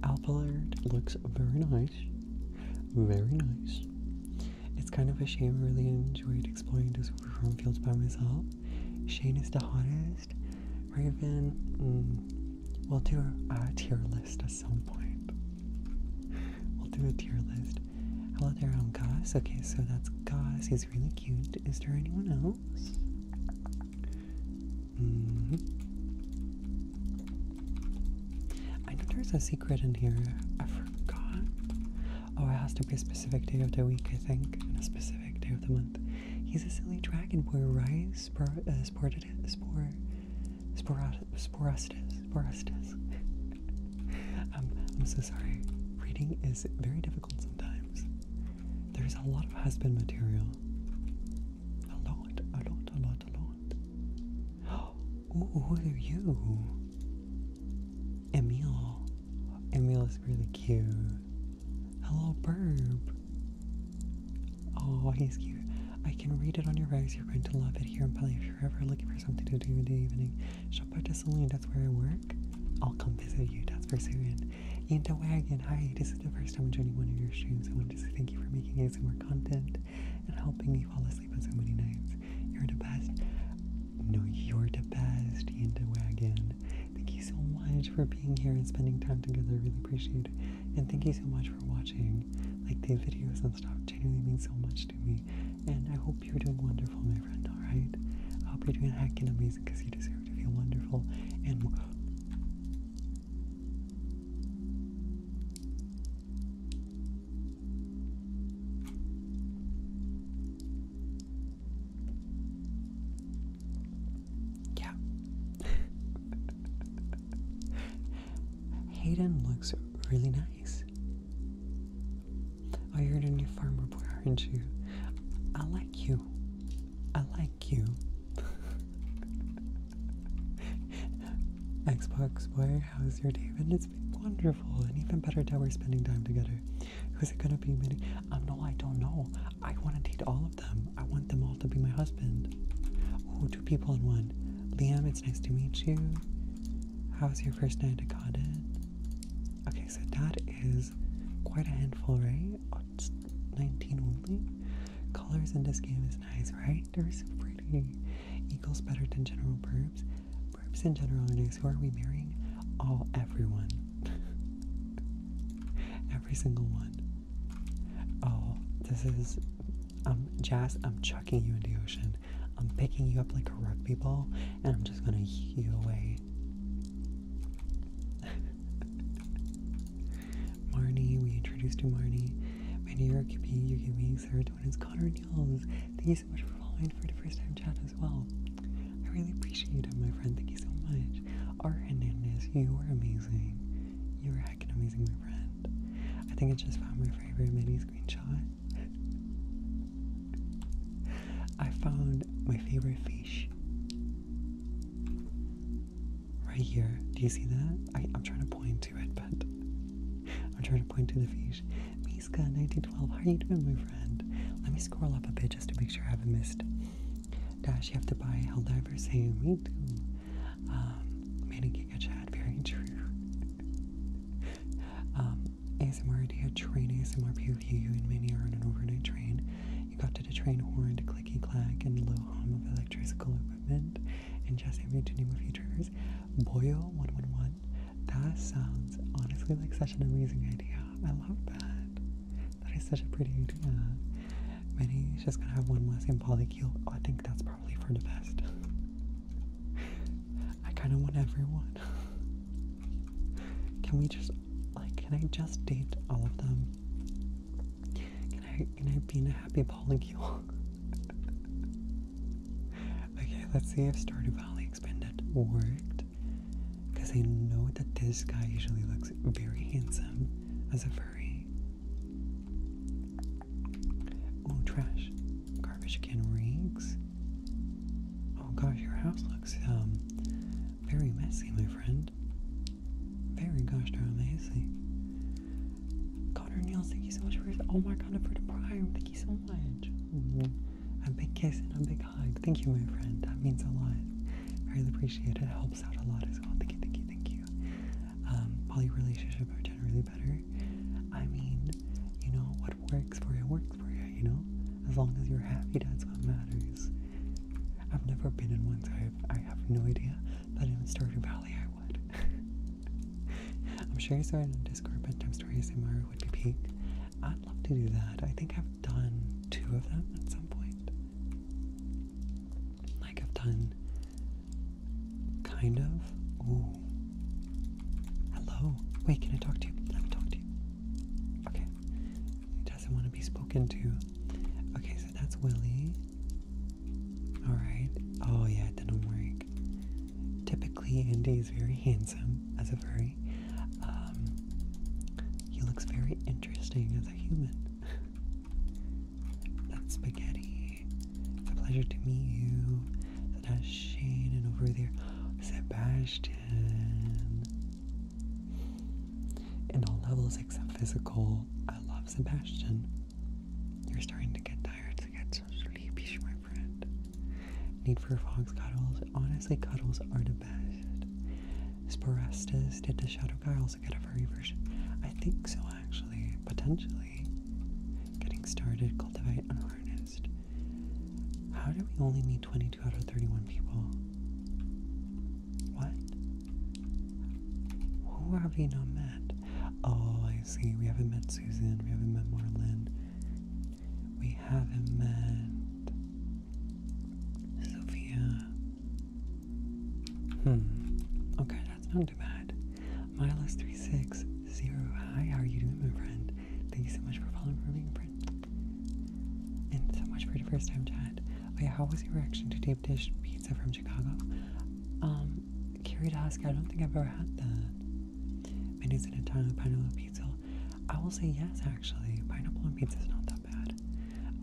Speaker 1: Alpha looks very nice. Very nice. It's kind of a shame I really enjoyed exploring the super chrome fields by myself. Shane is the hottest. Raven, mm, we'll do a, tier list at some point. We'll do a tier list. Hello there, I'm Gus. Okay, so that's Gus. He's really cute. Is there anyone else? -hmm. I know there's a secret in here. I forgot. Oh, it has to be a specific day of the week, I think, and a specific day of the month. He's a silly dragon boy, right? Spor, uh, sported, spor, sporastis, sporastis. sporastis. um, I'm so sorry. Reading is very difficult sometimes. There's a lot of husband material. A lot, a lot, a lot, a lot. Ooh, what are you? Emil. Emil is really cute. Hello, Burb. Oh, he's cute. I can read it on your eyes. You're going to love it here in If you're ever Looking for something to do in the evening. Shop at the That's where I work. I'll come visit you. That's for sure. In the wagon. hide this the first time I'm joining one of your streams, I want to say thank you for making more content and helping me fall asleep on so many nights. You're the best. No, you're the best, Yinta Wagon. Thank you so much for being here and spending time together. really appreciate it. And thank you so much for watching. Like the videos and stuff genuinely means so much to me. And I hope you're doing wonderful, my friend, alright? I hope you're doing hacking amazing because you deserve to feel wonderful and yeah. Hayden looks really nice. Oh, you're in a new farmer boy, aren't you? I like you. I like like you. Xbox Boy, how's your day And It's been wonderful, and even better that we're spending time together. Who's it gonna be? Meeting? Um, no, I don't know. I want to date all of them. I want them all to be my husband. Oh, two people in one. Liam, it's nice to meet you. How's your first night at Codden? Okay, so that is quite a handful, right? Oh, 19 only. Colors in this game is right? They're so pretty. Eagles better than general burbs. Burbs in general are nice. Who are we marrying? All, everyone. Every single one. Oh, this is, um, Jazz, I'm chucking you in the ocean. I'm picking you up like a rugby ball, and I'm just gonna hew away. Marnie, we introduced you, Marnie. When you're giving, you're giving serotonin. It's Connor Niels. Thank you so much for following for the first time chat as well. I really appreciate it, my friend. Thank you so much. R. Hernandez, you are amazing. You are heckin' amazing, my friend. I think I just found my favorite mini screenshot. I found my favorite fish right here. Do you see that? I, am trying to point to it, but I'm trying to point to the feet. Miska, 1912. How are you doing, my friend? Let me scroll up a bit just to make sure I haven't missed. Dash, you have to buy Heldiver saying me too. Um, Manning a chat, very true. um, ASMR idea, train ASMR POV, you and many are on an overnight train. You got to the train horn, clicky clack, and low hum of electrical equipment and just have your tuning movie triggers. Boyo 111. That sounds honestly like such an amazing idea. I love that. That is such a pretty idea. Maybe she's gonna have one less in polycule. Oh, I think that's probably for the best. I kind of want everyone. Can we just, like, can I just date all of them? Can I can I be in a happy polycule? okay, let's see if started Valley expanded worked. Because I know that this guy usually looks very handsome as a furry. Oh trash. Garbage can rigs. Oh gosh, your house looks um very messy, my friend. Very gosh darn lazy. Connor Niels, thank you so much for oh my god for the prime. Thank you so much. A big kiss and a big hug. Thank you, my friend. That means a lot. I really appreciate it. It helps out a lot as well. Thank you, thank you, thank you. Um, poly relationship are generally better. I mean, you know, what works for you works for you, you know? As long as you're happy, that's what matters. I've never been in one, type. I have, I have no idea. But in Stardew Valley, I would. I'm sure you saw it on Discord bedtime stories in Mario would be peak. I'd love to do that. I think I've done two of them at some point. Like I've done kind of. Ooh. Hello. Wait, can I talk to you? Let me talk to you. Okay. He doesn't want to be spoken to. Okay, so that's Willie. Alright. Oh, yeah, it didn't work. Typically, Andy is very handsome as a furry. Um, he looks very interesting as a human. That's spaghetti. It's a pleasure to meet you. So that's Shane, and over there, Sebastian. In all levels except physical, I love Sebastian. You're starting to get tired, to get so sleepy, my friend. Need for fogs cuddles? Honestly, cuddles are the best. Sporastas did the Shadow Guy also get a furry I think so, actually. Potentially. Getting started, cultivate unharnessed. How do we only need 22 out of 31 people? What? Who have we not met? Oh, see. We haven't met Susan. We haven't met Marlon. We haven't met Sophia. Hmm. Okay, that's not too bad. Miles360. Hi, how are you doing, my friend? Thank you so much for following for being a And so much for the first time chat. Oh yeah, how was your reaction to deep dish pizza from Chicago? Um, Carried ask, I don't think I've ever had that. Mayonnaise and Italian pineapple pizza. I will say yes, actually. Pineapple and pizza is not that bad.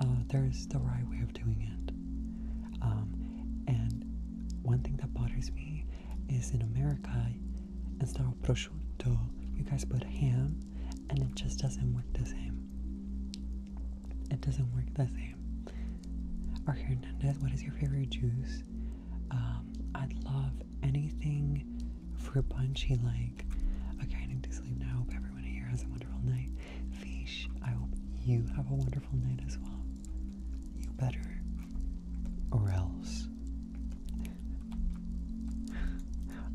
Speaker 1: Uh, there's the right way of doing it. Um, and one thing that bothers me is in America, instead of prosciutto, you guys put ham, and it just doesn't work the same. It doesn't work the same or Hernandez, what is your favorite juice? Um, I'd love anything fruit punchy like. Okay, I need to sleep now. I hope everyone here has a wonderful night. Fish, I hope you have a wonderful night as well. You better, or else.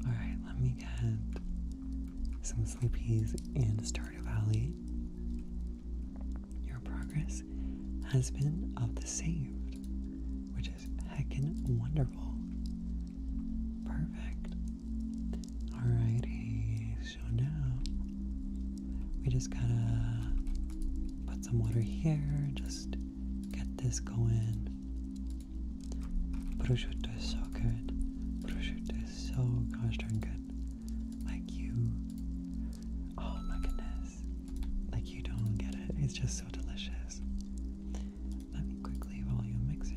Speaker 1: Alright, let me get some sleepies and start Stardew Valley. Your progress has been of the saved, which is heckin' wonderful. Perfect. Alrighty, so now we just gotta put some water here, just get this going. Prosciutto is so good. Prosciutto is so gosh darn good. Like you. Oh my goodness. Like you don't get it. It's just so delicious. Let me quickly volume mixer.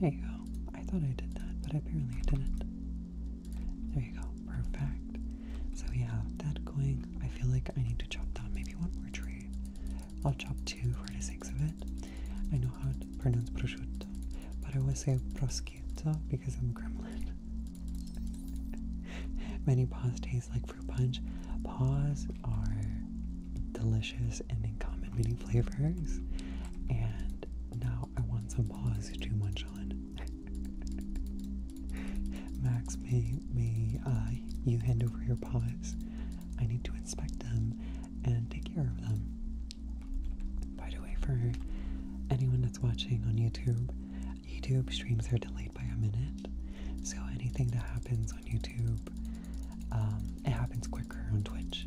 Speaker 1: There you go. I thought I did that, but apparently I didn't. There you go. Perfect. So we have that going. I feel like I need to chop down maybe one more tree. I'll chop two for the sake of it. I know how to pronounce prosciutto, but I always say prosciutto because I'm a gremlin. Many paws taste like fruit punch. Paws are delicious and in common many flavors. And now I want some paws to munch on. Max, may, may uh, you hand over your paws. I need to inspect them and take care of them. By the way, for anyone that's watching on YouTube, YouTube streams are delayed by a minute. So anything that happens on YouTube, um, it happens quicker on Twitch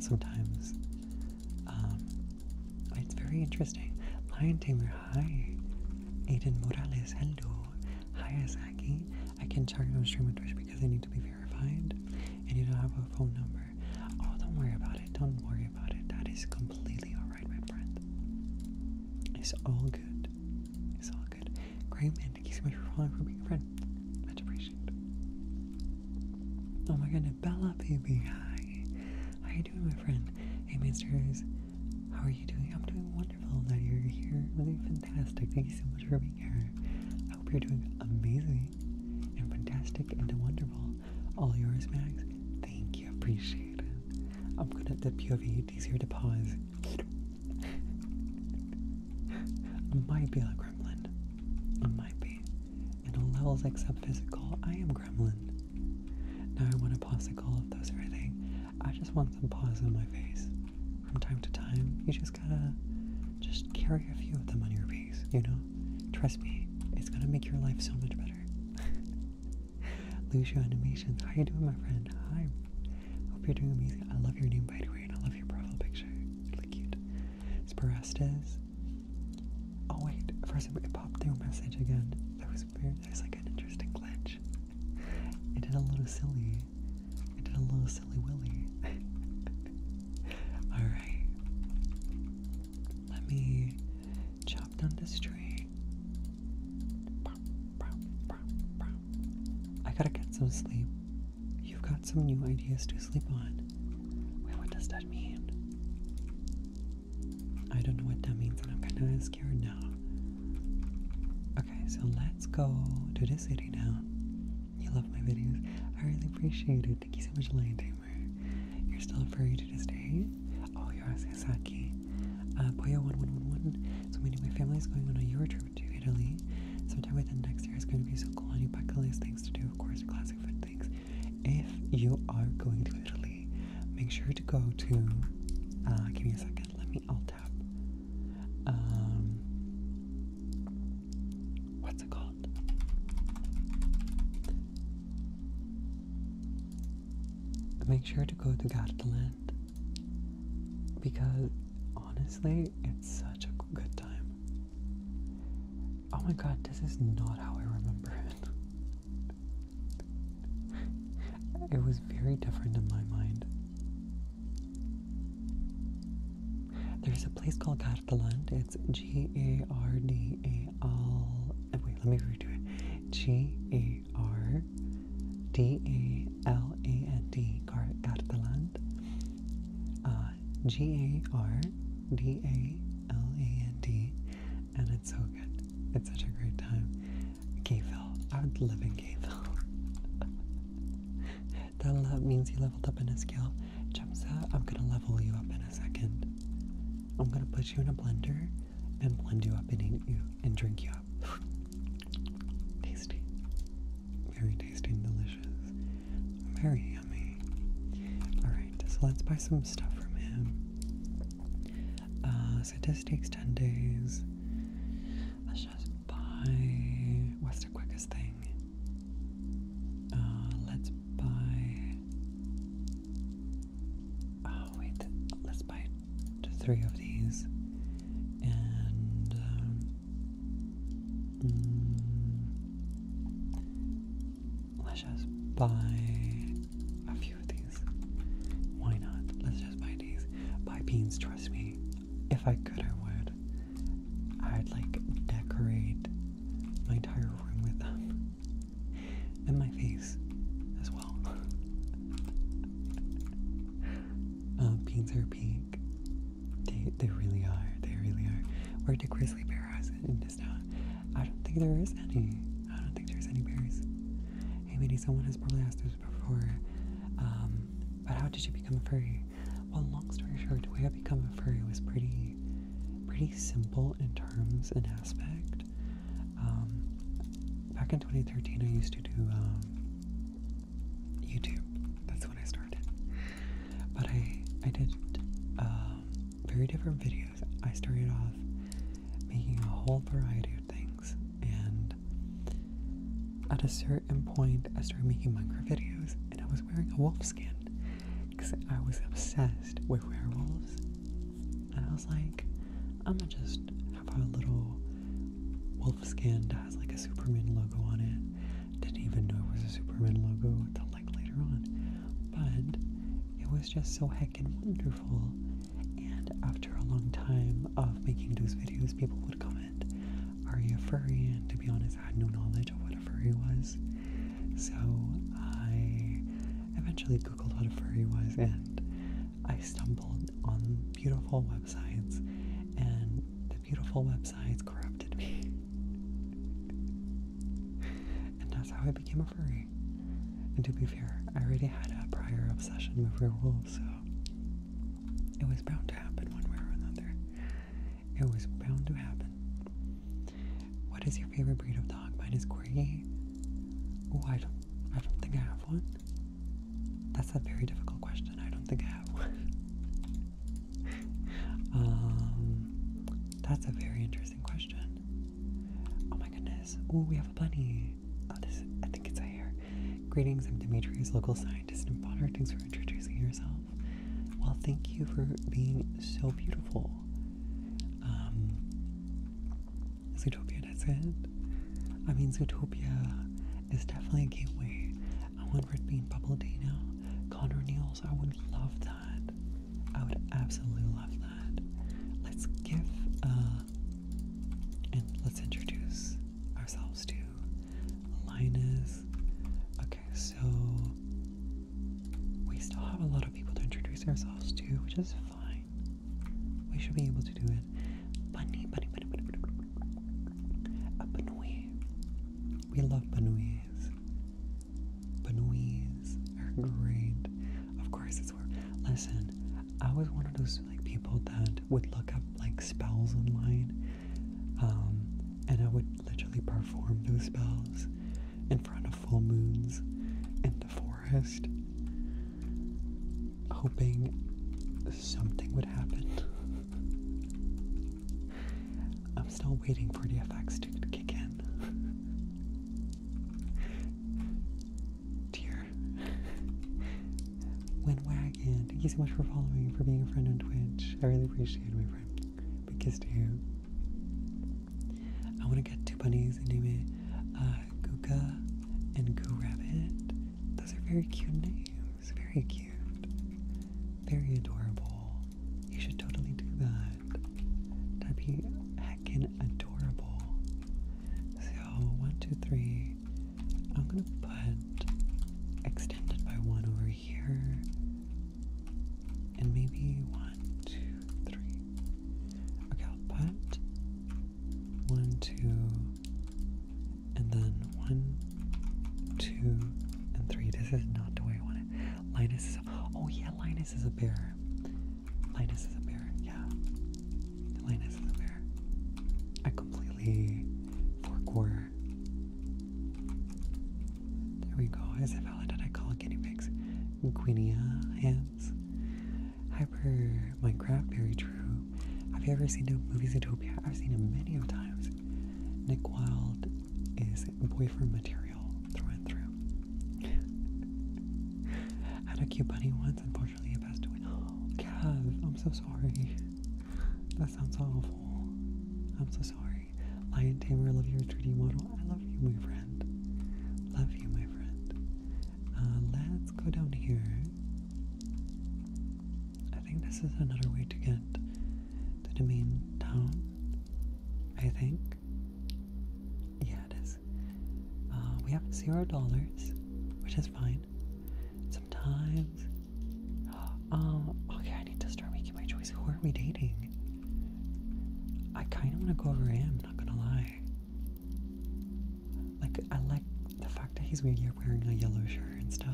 Speaker 1: sometimes. Um, it's very interesting. Lion Tamer, hi. Aiden Morales, hello. Hi, Asaki. I can not charge on stream on Twitch because I need to be verified. And you don't have a phone number. Oh, don't worry about it. Don't worry about it. That is completely alright, my friend. It's all good. It's all good. Great man, thank you so much for following for being a friend. Much appreciated. Oh my God, Bella baby, hi. How are you doing, my friend? Hey Masters, how are you doing? I'm doing wonderful that you're here. Really fantastic. Thank you so much for being here. I hope you're doing amazing and fantastic and wonderful. All yours, Max. Thank you. Appreciate it. I'm good at the POV. It's easier to pause. I might be a gremlin. I might be. In all levels except physical, I am gremlin. Now I want to pause if call are those everything. I just want some paws in my face. From time to time, you just gotta just carry a few of them on your face, you know? Trust me, it's gonna make your life so much better better. Lucio Animations, how you doing, my friend? Hi. Hope you're doing amazing. I love your name, by the way, I love your profile picture. It's really cute. Sporastes. Oh wait, first it popped through a message again. That was weird. There's like an interesting glitch. It did a little silly. It did a little silly willy. Alright. Let me chopped on the street. I gotta get some sleep. You've got some new ideas to sleep on. Wait, what does that mean? I don't know what that means, and I'm kinda scared now. Okay, so let's go to the city now. You love my videos. I really appreciate it. Thank you so much, Lion you're still free to just stay. Oh, Yorasaki. Uh, Poyo 1111. So, meaning my family is going on a Euro trip to Italy sometime within next year. is going to be so cool. On your bucket list, things to do, of course, classic food things. If you are going to Italy, make sure to go to. Uh, give me a second. Let me. I'll Um, what's it called? make sure to go to Gardaland because honestly, it's such a good time. Oh my god, this is not how I remember it. it was very different in my mind. There's a place called Gardaland. It's G A R D A L. Wait, let me redo it. G A R D A L A N D. Gardaland. Uh, G A R D A L A N D. And it's so good. It's such a great time. Gayville. I would live in Gayville. that means you leveled up in a skill. Jumsa, I'm gonna level you up in a second. I'm gonna put you in a blender and blend you up and eat you and drink you up. tasty. Very tasty and delicious. Very yummy. Alright, so let's buy some stuff from him. Uh, so this takes 10 days. Let's just buy. What's the quickest thing? Uh, let's buy Oh, wait, let's buy three of these. And, um, mm, let's just buy a few of these. Why not? Let's just buy these. Buy beans, trust me. If I could, I would. I'd like decorate my entire room with them and my face as well. uh, beans are pink. They they really are. They really are. Where did grizzly bear has it in this I don't think there is any. I don't think there's any bears. Hey, maybe someone has probably asked this before. Um, but how did you become a furry? Well, long story short, the way I became a furry was pretty, pretty simple in terms and aspect. Um, back in 2013, I used to do um, YouTube. That's when I started. But I I did um, very different videos. I started off making a whole variety of things, and at a certain point, I started making micro videos, and I was wearing a wolf skin because I was obsessed with werewolves and I was like, I'm gonna just have our little wolf skin that has like a Superman logo on it. Didn't even know it was a Superman logo until like later on. But it was just so heckin' wonderful. And after a long time of making those videos, people would comment, Are you a furry? And to be honest, I had no knowledge of what a furry was. So I eventually Googled what a furry was, and I stumbled on beautiful websites, and the beautiful websites corrupted me. and that's how I became a furry. And to be fair, I already had a prior obsession with werewolves, so it was bound to happen one way or another. It was bound to happen. What is your favorite breed of dog? Mine is Corgi. Oh, I don't. I don't think I have one. That's a very difficult question. I don't think I have one. um, that's a very interesting question. Oh my goodness. Oh, we have a bunny. Oh, this. I think it's a hare. Greetings. I'm Demetrius, local scientist and Bonner. Thanks for introducing yourself. Well, thank you for being so beautiful. Um, Zootopia, that's it. I mean, Zootopia is definitely a gateway. I want Red Bean Bubble Tea now. Connor Neals, I would love that. I would absolutely love that. Let's give, uh, and let's introduce ourselves to Linus. Okay, so we still have a lot of people to introduce ourselves to, which is fine. We should be able to do it. Bunny, bunny, bunny, bunny, bunny. A Banouille. We love Banouilles. Banouilles are great. Of course, it's where. Listen, I was one of those like people that would look up like spells online, um, and I would literally perform those spells in front of full moons in the forest hoping something would happen. I'm still waiting for the effects to kick in. Dear. Windwagon, thank you so much for following for being a friend on Twitch. I really appreciate my friend. Big kiss you. I want to get two bunnies and named uh, Guga and Goo Rabbit. Those are very cute names. Very cute. Very adorable. You should totally do that. That'd be heckin' adorable. So, one, two, three. I'm gonna put extended by one over here. And maybe one, two, three, Okay, i one, two, and then one, two, and three. This is not the way I want it. Linus is oh yeah, Linus is a bear. Linus is a bear, yeah. Linus is a bear. I completely forgot. There we go. Is Isabella, did I call guinea pigs? Guinea hens? Hyper Minecraft, very true. Have you ever seen the movie Zootopia? I've seen it many of times. Nick Wilde is boyfriend material through and through. I had a cute bunny once, unfortunately it passed away. Oh, Cav, I'm so sorry. That sounds awful. I'm so sorry. Lion Tamer, love your 3D model. I love you, my friend. Love you, my friend. Uh, let's go down here. I think this is another way to get to the main town. I think. Yeah, it is. Uh, we have zero dollars, which is fine. Sometimes. Um, okay, I need to start making my choice. Who are we dating? I kind of want to go over him, not gonna lie. Like, I like the fact that he's wearing a yellow shirt and stuff.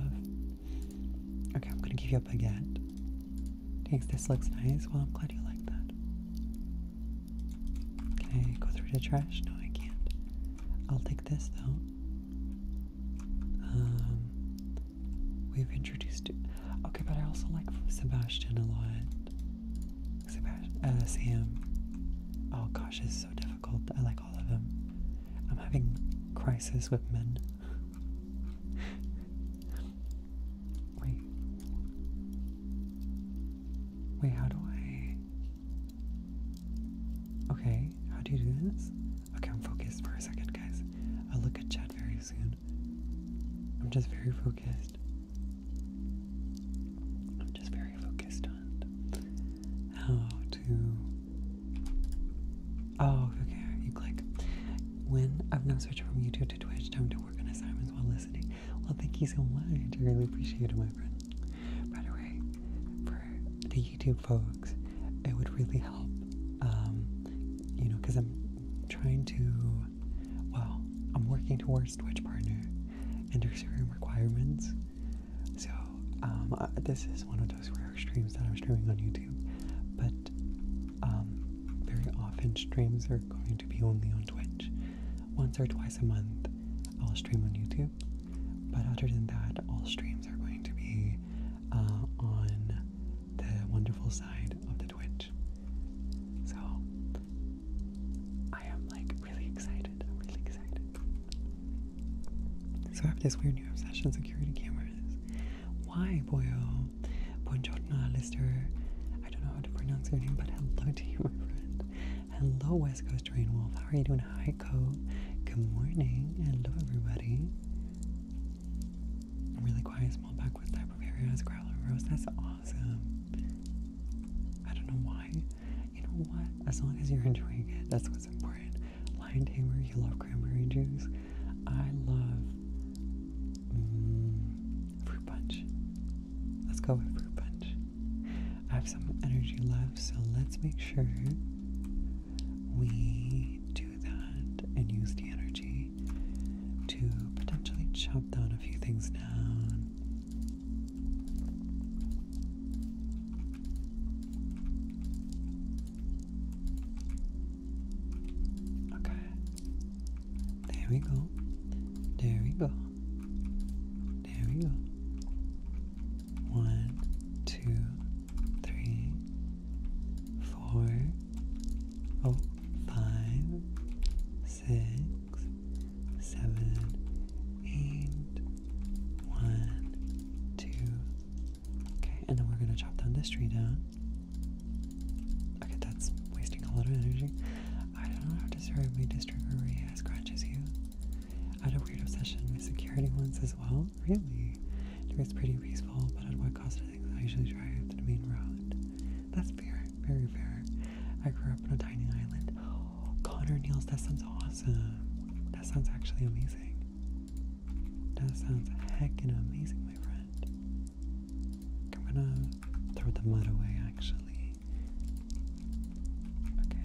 Speaker 1: Okay, I'm gonna give you a baguette. Thanks, this looks nice. Well, I'm glad you like that. Can I go through the trash? No, I can't. I'll take this though. Um, we've introduced. Okay, but I also like Sebastian a lot. Uh, Sam. Oh gosh, it's so difficult. I like all of them. I'm having crisis with men. Wait. Wait, how do I... Okay, how do you do this? Okay, I'm focused for a second, guys. I'll look at Chad very soon. I'm just very focused. I'm just very focused on how to. Oh, okay. You click. When I've now switched from YouTube to Twitch, time to work on assignments while listening. Well, thank you so much. I really appreciate it, my friend. By the for the YouTube folks, it would really help. Um, you know, because I'm trying to. Well, I'm working towards Twitch partner, and extreme requirements. So, um, uh, this is one of those rare streams that I'm streaming on YouTube, but um, very often streams are going to be only on Twitch. Once or twice a month, I'll stream on YouTube, but other than that, all streams are going to be uh, on the wonderful side of the Twitch. So, I am like really excited. I'm really excited. So I have this weird new obsession security cameras. Why, boyo? Buongiorno, Alistair. I don't know how to pronounce your name, but hello to you, my friend. Hello, West Coast Train Wolf. How are you doing? Hi, Good morning. Hello, everybody. really quiet, small backwoods type of area as Growler Rose. That's awesome. I don't know why you know what? As long as you're enjoying it, that's what's important. Lion tamer, you love cranberry juice. I love mm, fruit punch. Let's go with fruit punch. I have some energy left, so let's make sure we do that and use the energy to potentially chop down a few things down. Okay. There we go. There we go. There we go. One, two, three, four, oh, five, six seven, eight, one, two. Okay, and then we're gonna chop down this tree down. Okay, that's wasting a lot of energy. I don't know how disturbingly disturbing as you. I had a weird obsession with security once as well. Really? It was pretty peaceful, but at what cost I think I usually drive the main road. That's fair, very fair. I grew up on a tiny island. Connor Neals, that sounds awesome. That sounds actually amazing. That sounds heckin' amazing, my friend. I'm gonna throw the mud away, actually. Okay.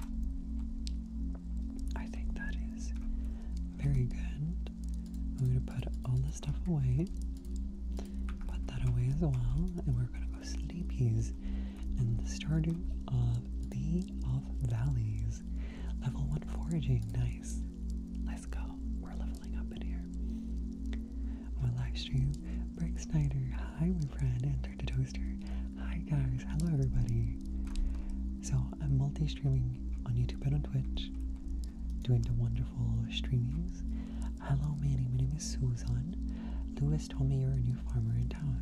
Speaker 1: I think that is very good. I'm gonna put all the stuff away. Put that away as well, and we're gonna go sleepies and the Stardew of the of Valleys. Level 1 foraging, nice. Let's go. We're leveling up in here. my live stream, Brick Snyder, hi my friend, entered the toaster. Hi guys, hello everybody. So I'm multi-streaming on YouTube and on Twitch, doing the wonderful streamings. Hello Manny, my name is Susan. Lewis told me you're a new farmer in town.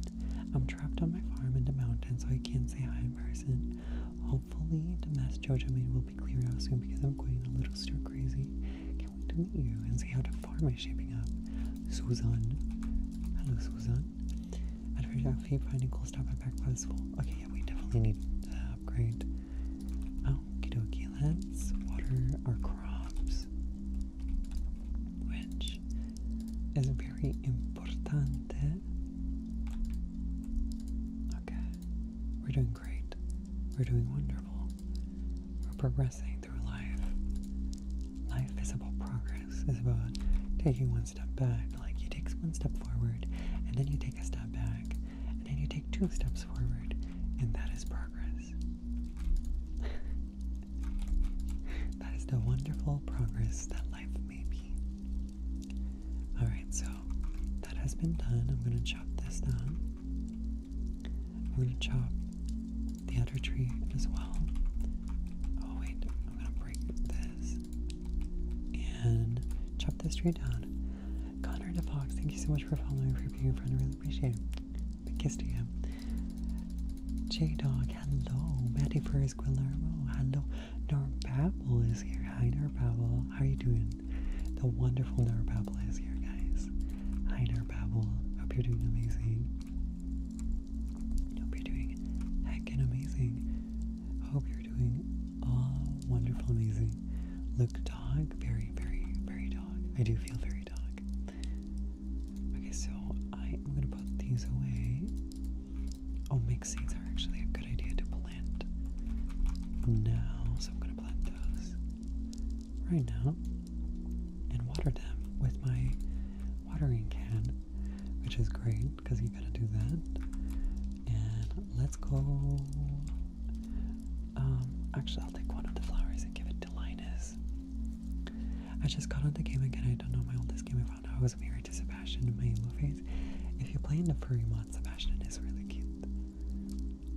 Speaker 1: I'm trapped on my farm in the mountains, so I can't say hi in person. Hopefully, the mess Jojo made will be cleared out soon because I'm going a little stir crazy. Can't wait to meet you and see how the farm is shaping up. Susan. Hello, Susan. I'd figure out keep finding cool stuff at Backpass full. Okay, yeah, we definitely need to upgrade. Oh, Okie dokie, let's water our crops which is very important. Okay, we're doing great. We're doing wonderful. We're progressing through life. Life is about progress is about taking one step back, like you take one step forward, and then you take a step back, and then you take two steps forward, and that is progress. That is the wonderful progress that life may be. Alright, so that has been done. I'm going to chop this down. I'm going to chop the other tree as well. Oh, wait, I'm going to break this and chop this tree down. Connor DeFox, thank you so much for following, for being a friend. I really appreciate it. Kiss to him. J Dog, hello. Matty Furs Guillermo, hello. Norbabble is here. Hi, Norbabble. How are you doing? The wonderful Norbabble is here, guys. Hi, Norbabble. Hope you're doing amazing. Hope you're doing heckin' amazing. Hope you're doing all wonderful, amazing. Look, dog, very, very, very dog. I do feel very dog. Okay, so I am gonna put these away. Oh, mix seeds are actually a good idea to plant now, so I'm gonna plant those right now and water them with my watering can, which is great because you gotta do that. And let's go. Um, actually, I'll take one of the flowers and give it to Linus. I just got on the game again. I don't know my oldest game. I found out I was married to Sebastian in my emo phase. If you play in the furry mod, Sebastian is really cute.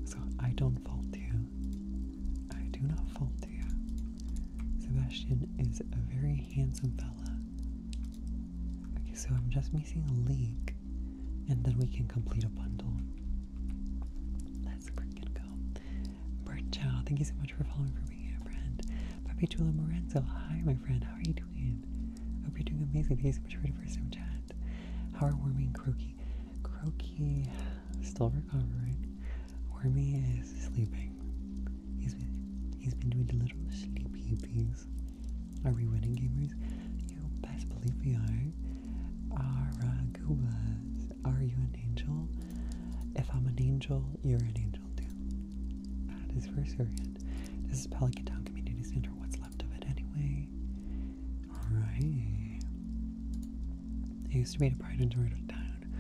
Speaker 1: So I don't fault you. I do not fault you. Sebastian is a very handsome fella. Okay, so I'm just missing a link and then we can complete a bundle. Let's freaking go. Bird thank you so much much for following for being a friend. Papitula Morenzo. hi my friend, how are you doing? Hope you're doing amazing. Thank you so much for the first chat. How are Wormy and Croaky? Croaky still recovering. Wormy is sleeping. He's been he's been doing the little sleepy peas. Are we winning gamers? You best believe we are. Aragubas, are you an angel? If I'm an angel, you're an angel too. That is for Syrian. This is Pelican Town Community Center. What's left of it anyway? Alright. It used to be the pride and joy of town,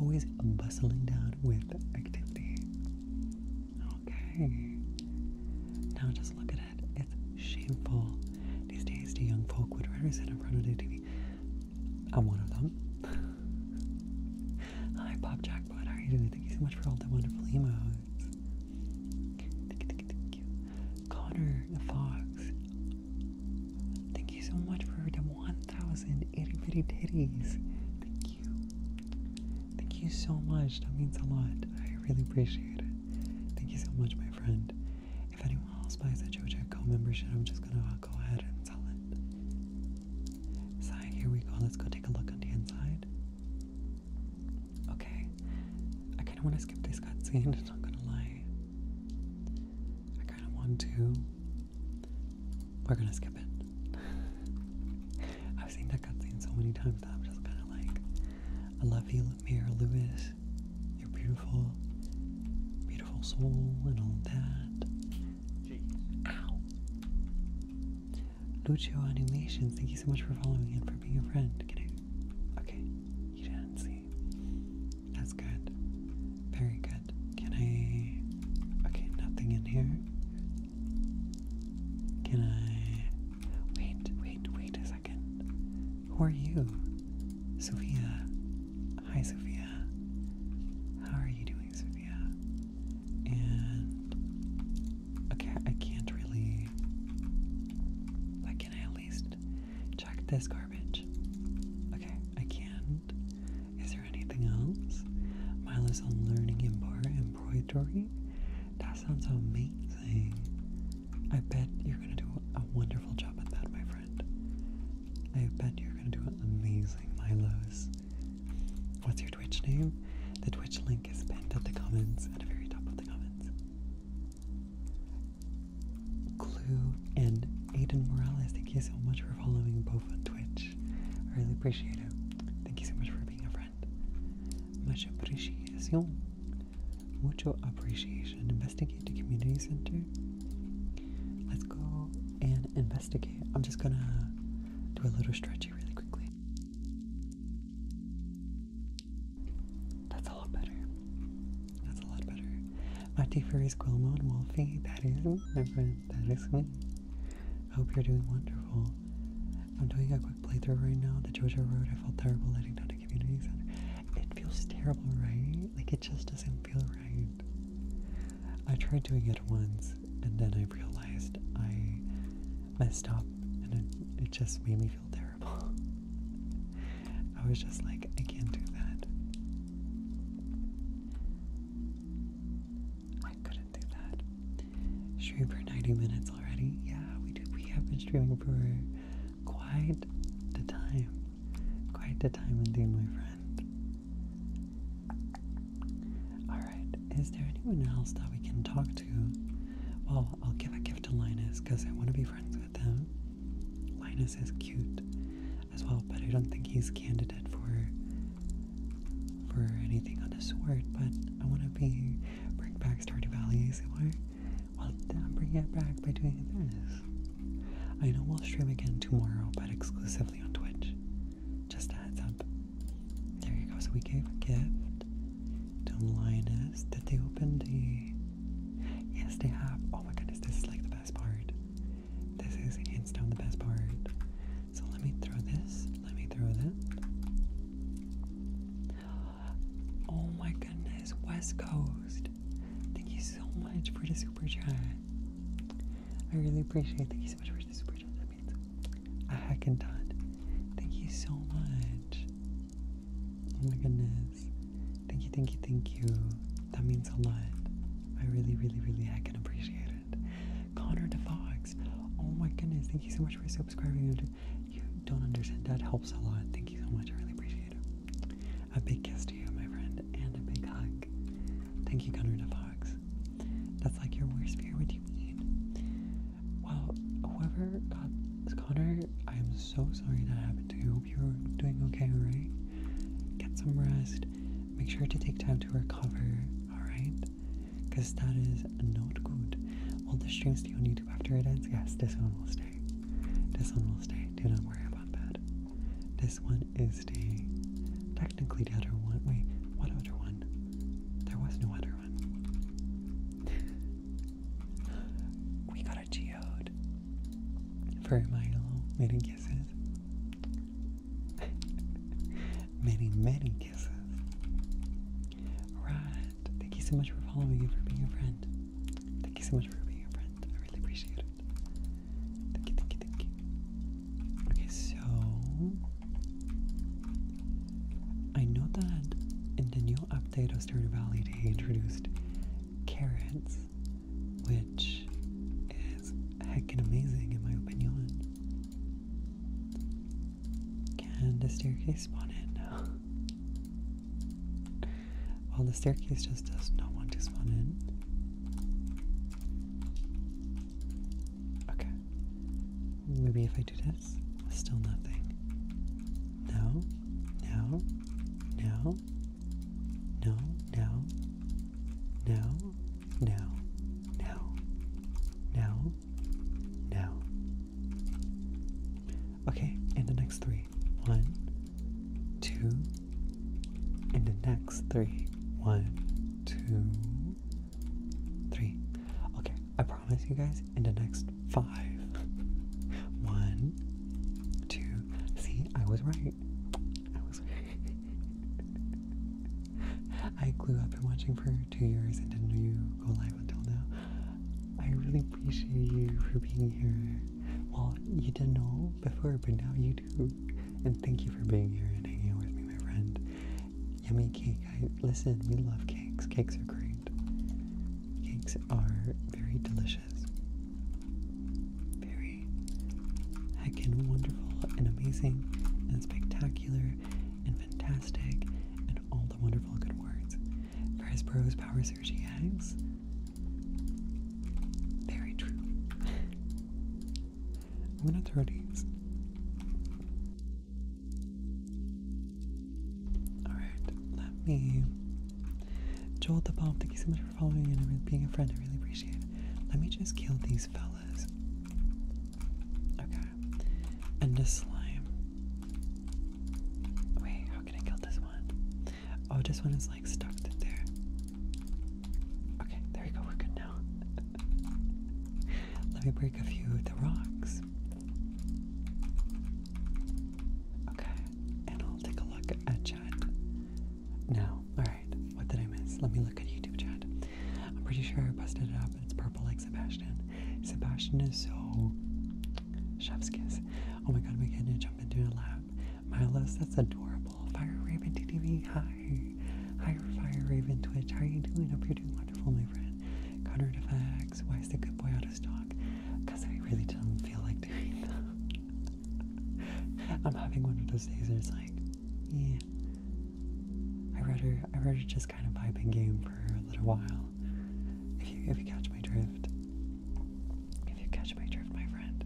Speaker 1: always bustling down with activity. Okay. Now just look at it. It's shameful. These days, the young folk would rather sit in front of the TV I'm one of them. Hi, Pop Jackpot. are you doing? Thank you so much for all the wonderful emotes. Thank you, Connor Fox. Thank you so much for the 1,000 itty bitty titties. Thank you. Thank you so much. That means a lot. I really appreciate it. Thank you so much, my friend. If anyone else buys a JoJo membership, I'm just gonna i uh, go ahead and sell it. Side, here we go. Let's go take a look on the inside. Okay. I kind of want to skip this cutscene, I'm not gonna lie. I kind of want to. We're gonna skip it. I've seen that cutscene so many times that I'm just kind of like, I love you, Mira Lewis. You're beautiful, beautiful soul, and all that. Lucio Animations, thank you so much for following and for being a friend. Okay, you didn't see. That's good. Very good. Can I? Okay, nothing in here. Can I? Wait, wait, wait a second. Who are you? Sophia. Hi, Sophia. How are you doing, Sophia? and okay, I can't really. But can I at least check this garbage? Okay, I can't. Is there anything else? Milo's on learning embroidery. That sounds amazing. I bet you're gonna do a wonderful job at that, my friend. I bet you're gonna do an amazing, Milo's. What's your Twitch name? The Twitch link is pinned at the comments, at the very top of the comments. Clue and Aiden Morales, thank you so much for following both on Twitch. I really appreciate it. Thank you so much for being a friend. Much appreciation. Mucho appreciation. Investigate the community center. Let's go and investigate. I'm just gonna do a little stretchy really quickly. That's a lot better. That's a lot better. My Mati Furries Quillmon Wolfie, that is my friend, that is me. I hope you're doing wonderful. I'm doing a quick playthrough right now. The Georgia Road, I felt terrible letting down the community center. It feels terrible, right? Like it just doesn't feel right. I tried doing it once and then I realized I messed up and it, just made me feel terrible. I was just like, I can't do that. I couldn't do that. Stream for 90 minutes already? Yeah, we did. We have been streaming for quite the time. Quite the time indeed, my friend. Alright, is there anyone else that we can talk to? Well, I'll give a gift to Linus because I want to be friends with him. Linus is cute as well, but I don't think he's candidate for for anything on the sort, but I want to be bring back Stardew Valley ASMR. Well, bring it back by doing this. I know we'll stream again tomorrow, but exclusively on Twitch. Just a heads up. There you go. So we gave a gift to Linus. Did they open the. Yes, they have. Oh my goodness, this is like the best part. This is hands down the best part. So let me throw this. Let me throw that. Oh my goodness, West Coast. Thank you so much for the super chat. I really appreciate it. Thank you so much for the super chat a hack and Thank you so much. Oh my goodness. Thank you, thank you, thank you. That means a lot. I really, really, really I can appreciate it. Connor the Fox. Oh my goodness. Thank you so much for subscribing. You don't understand. That helps a lot. Thank you so much. I really appreciate it. A big kiss to you, my friend, and a big hug. Thank you, Connor the Fox. That's like your worst fear. What do you mean? Well, whoever got Connor, I am so sorry that happened to you. Hope you're doing okay, alright? Get some rest. Make sure to take time to recover, alright? Because that is not good. All the stream stay on YouTube after it ends. Yes, this one will stay. This one will stay. Do not worry about that. This one is staying technically the other one. Wait, what other one? There was no other one. we got a geode for Milo. Many kisses. many, many kisses. Right. Thank you so much for following and for being a friend. Thank you so much for being a friend. I really appreciate it. Thank you, thank you, thank you. Okay, so I know that in the new update of Stardew Valley they introduced carrots, which is heckin' amazing in my opinion. Can the staircase spawn in now? well, the staircase just does not want to spawn in. Okay. Maybe if I do this, still nothing. No, no, no, no, no, no, no, no, no, Okay, and the next three, one, two. One, and the next three, one, two three. Okay, I promise you guys in the next five. One, two. See, I was right. I was right. I glue up been watching for two years and didn't know you go live until now. I really appreciate you for being here. Well, you didn't know before, but now you do. And thank you for being here and hanging out with me, my friend. Yummy cake. I listen, we love cakes. Cakes are great. Cakes are very delicious. Very heckin' wonderful and amazing and spectacular and fantastic and all the wonderful good words. Press prose, Power Surge eggs. Very true. I'm gonna throw these Alright, let me. Joel the Bomb, thank you so much for following and being a friend. I really appreciate it. Let me just kill these fellas. Okay. And a slime. Wait, how can I kill this one? Oh, this one is like stuck there. Okay, there we go. We're good now. Let me break a few of the rocks. Okay, and I'll take a look at Chad. No, alright, what did I miss? Let me look at YouTube chat. I'm pretty sure I busted it up. It's purple like Sebastian. Sebastian is so chef's kiss. Oh my god, we are getting to jump into a lab. Milos, that's adorable. Fire Raven TTV, hi. Hi, Fire Raven Twitch. How are you doing? Hope you're doing wonderful, my friend. Connor why is the good boy out of stock? Because I really don't feel like doing that. I'm having one of those days where it's like, yeah. I rather I rather just kind of vibe game for a little while. If you if you catch my drift. If you catch my drift, my friend.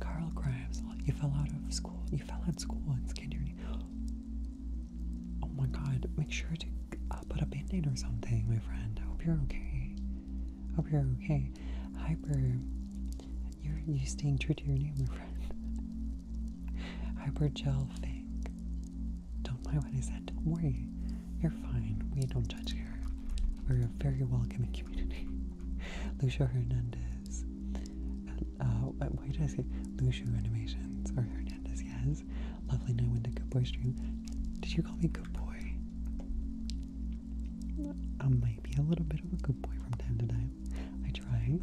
Speaker 1: Carl Grimes, you fell out of school. You fell out of school and skinned your knee. Oh my god, make sure to uh, put a bandaid or something, my friend. I hope you're okay. I hope you're okay. Hyper, you're, you staying true to your name, my friend. Hyper Gel Fink. Don't mind what I said, don't worry. You're fine. We don't judge here. We're a very welcoming community. Lucio Hernandez. Uh, uh, why did I say Lucio Animations or Hernandez? Yes lovely night when the good boy stream. Did you call me good boy? I might be a little bit of a good boy from time to time. I try.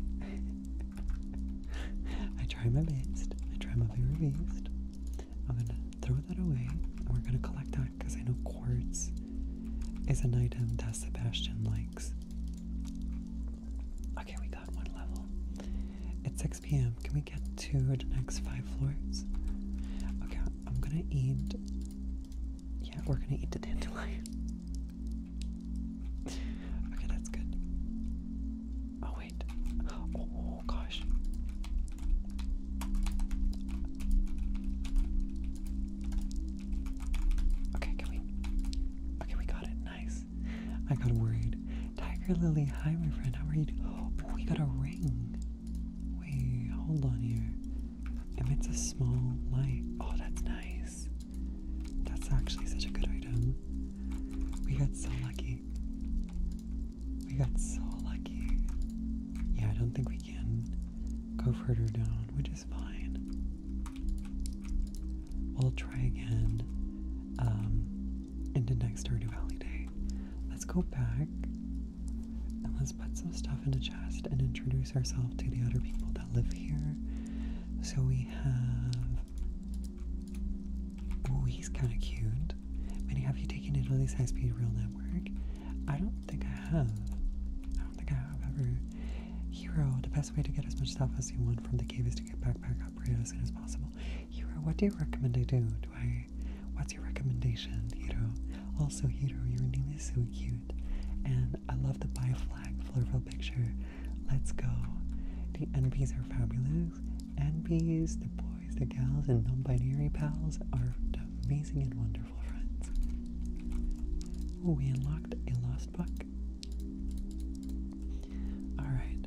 Speaker 1: I try my best. I try my very best. I'm gonna throw that away and we're gonna collect that because I know quartz is an item that Sebastian likes. Okay, we got one level. It's a p.m. Can we get to the next five floors? Okay, I'm gonna eat. Yeah, we're gonna eat the dandelion. okay, that's good. Oh, wait. oh gosh. Okay, can we? Okay, we got it. Nice. I got worried. Tiger Lily, hi my friend, how are you? Oh, we got a ring. Wait, hold on here. Emits a small light. Oh, that's nice. That's actually such a good item. We got so lucky. We got so lucky. Yeah, I don't think we can go further down, which is fine. We'll try again. Um, into next Stardew Valley Day. Let's go back and let's put some stuff in the chest and introduce ourselves to the other people that live here. So we have. Oh, he's kind of cute. Minnie, have you taken Italy's high speed rail network? I don't think I have. I don't think I have ever. Hero, the best way to get as much stuff as you want from the cave is to get backpack upgrade as soon as possible. Hero, what do you recommend I do? Do I what's your recommendation, Hero? Also, Hero, your name is so cute. And I love the buy flag floral picture. Let's go. The NPs are fabulous. NPs, the boys, the gals, and non-binary pals are amazing and wonderful friends. Ooh, we unlocked a lost book. All right,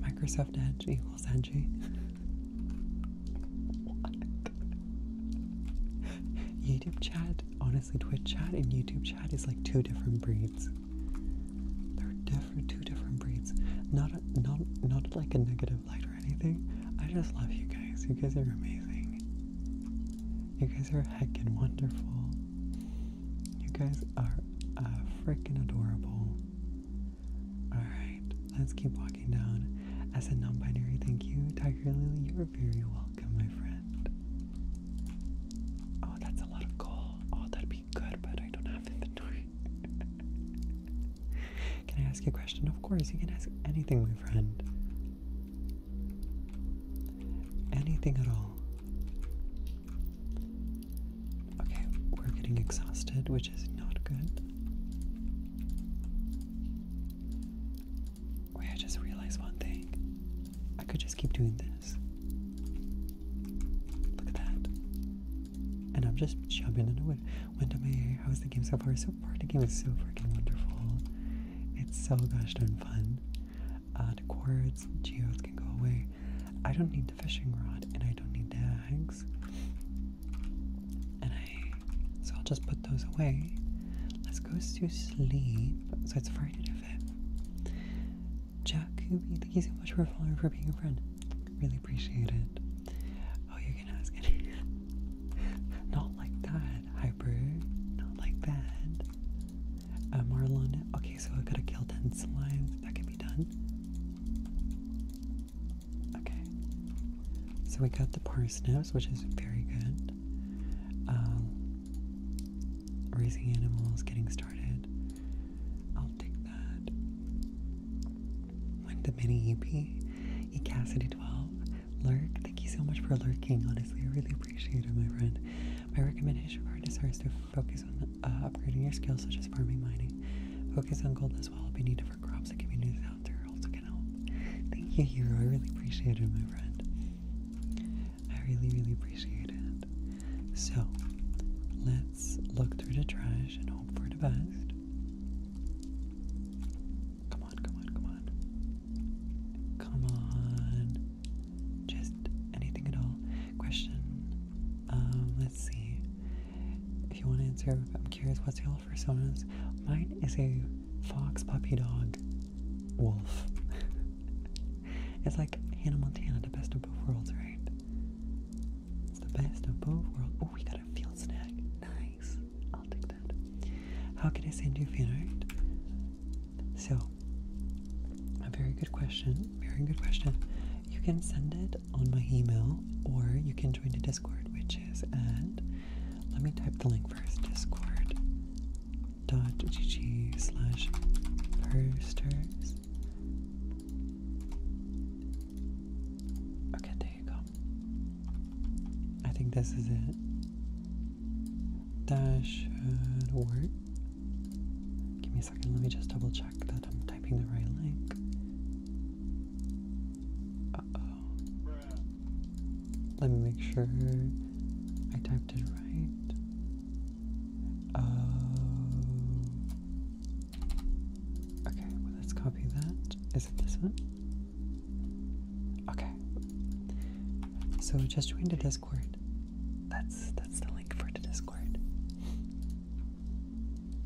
Speaker 1: Microsoft Edge equals edgy. YouTube chat, honestly, Twitch chat and YouTube chat is like two different breeds. They're different, two different breeds. Not, a, not, not like a negative light or anything. I just love you guys. You guys are amazing. You guys are heckin' wonderful. You guys are uh, freaking adorable. Alright, let's keep walking down. As a non binary, thank you, Tiger Lily. You're very welcome, my friend. Oh, that's a lot of coal. Oh, that'd be good, but I don't have inventory. can I ask you a question? Of course, you can ask anything, my friend. Anything at all. Okay, we're getting exhausted, which is not good. Wait, I just realized one thing. I could just keep doing this. Look at that. And I'm just chubbing into it. Wendell Mayer, how's the game so far? So far, the game is so freaking wonderful. It's so gosh darn fun. Uh, the quartz, geodes can go away. I don't need the fishing rod and I don't need the eggs. And I, so I'll just put those away. Let's go to sleep. So it's Friday the 5th. Jack Kubi, thank you so much for following for being a friend. Really appreciate it. Oh, you're ask it. Not like that, Hyper. Not like that. Uh, okay so i got to kill 10 slimes. That can be done. Okay. So we got the parsnips, which is very good. Um, raising animals, getting started. I'll take that. When the mini EP, E Cassidy 12, Lurk. Thank you so much for lurking. Honestly, I really appreciate it, my friend. My recommendation for artists is to focus on uh, upgrading your skills such as farming, mining. Focus on gold as well. If you need different crops and communities out there also can help. Thank you, Hero. I really appreciate it, my friend. I really, really appreciate it. So, let's look through the trash and hope for the best. Come on, come on, come on. Come on. Just anything at all. Question. Um, let's see. If you want to answer, I'm curious what's y'all personas. Mine is a fox, puppy, dog, wolf. it's like Hannah Montana, the best of both worlds, right? It's the best of both worlds. Oh, we got a field snack. Nice. I'll take that. How can I send you a art? So, a very good question. Very good question. You can send it on my email, or you can join the Discord, which is at let me type the link first discord.gg slash posters. Okay, there you go. I think this is it. That should uh, work. Give me a second, let me just double check that I'm typing the right link. Uh oh. Let me make sure I typed it right. Oh. Okay, well, let's copy that. Is it this one? Okay. So just join to Discord. That's that's the link for the Discord.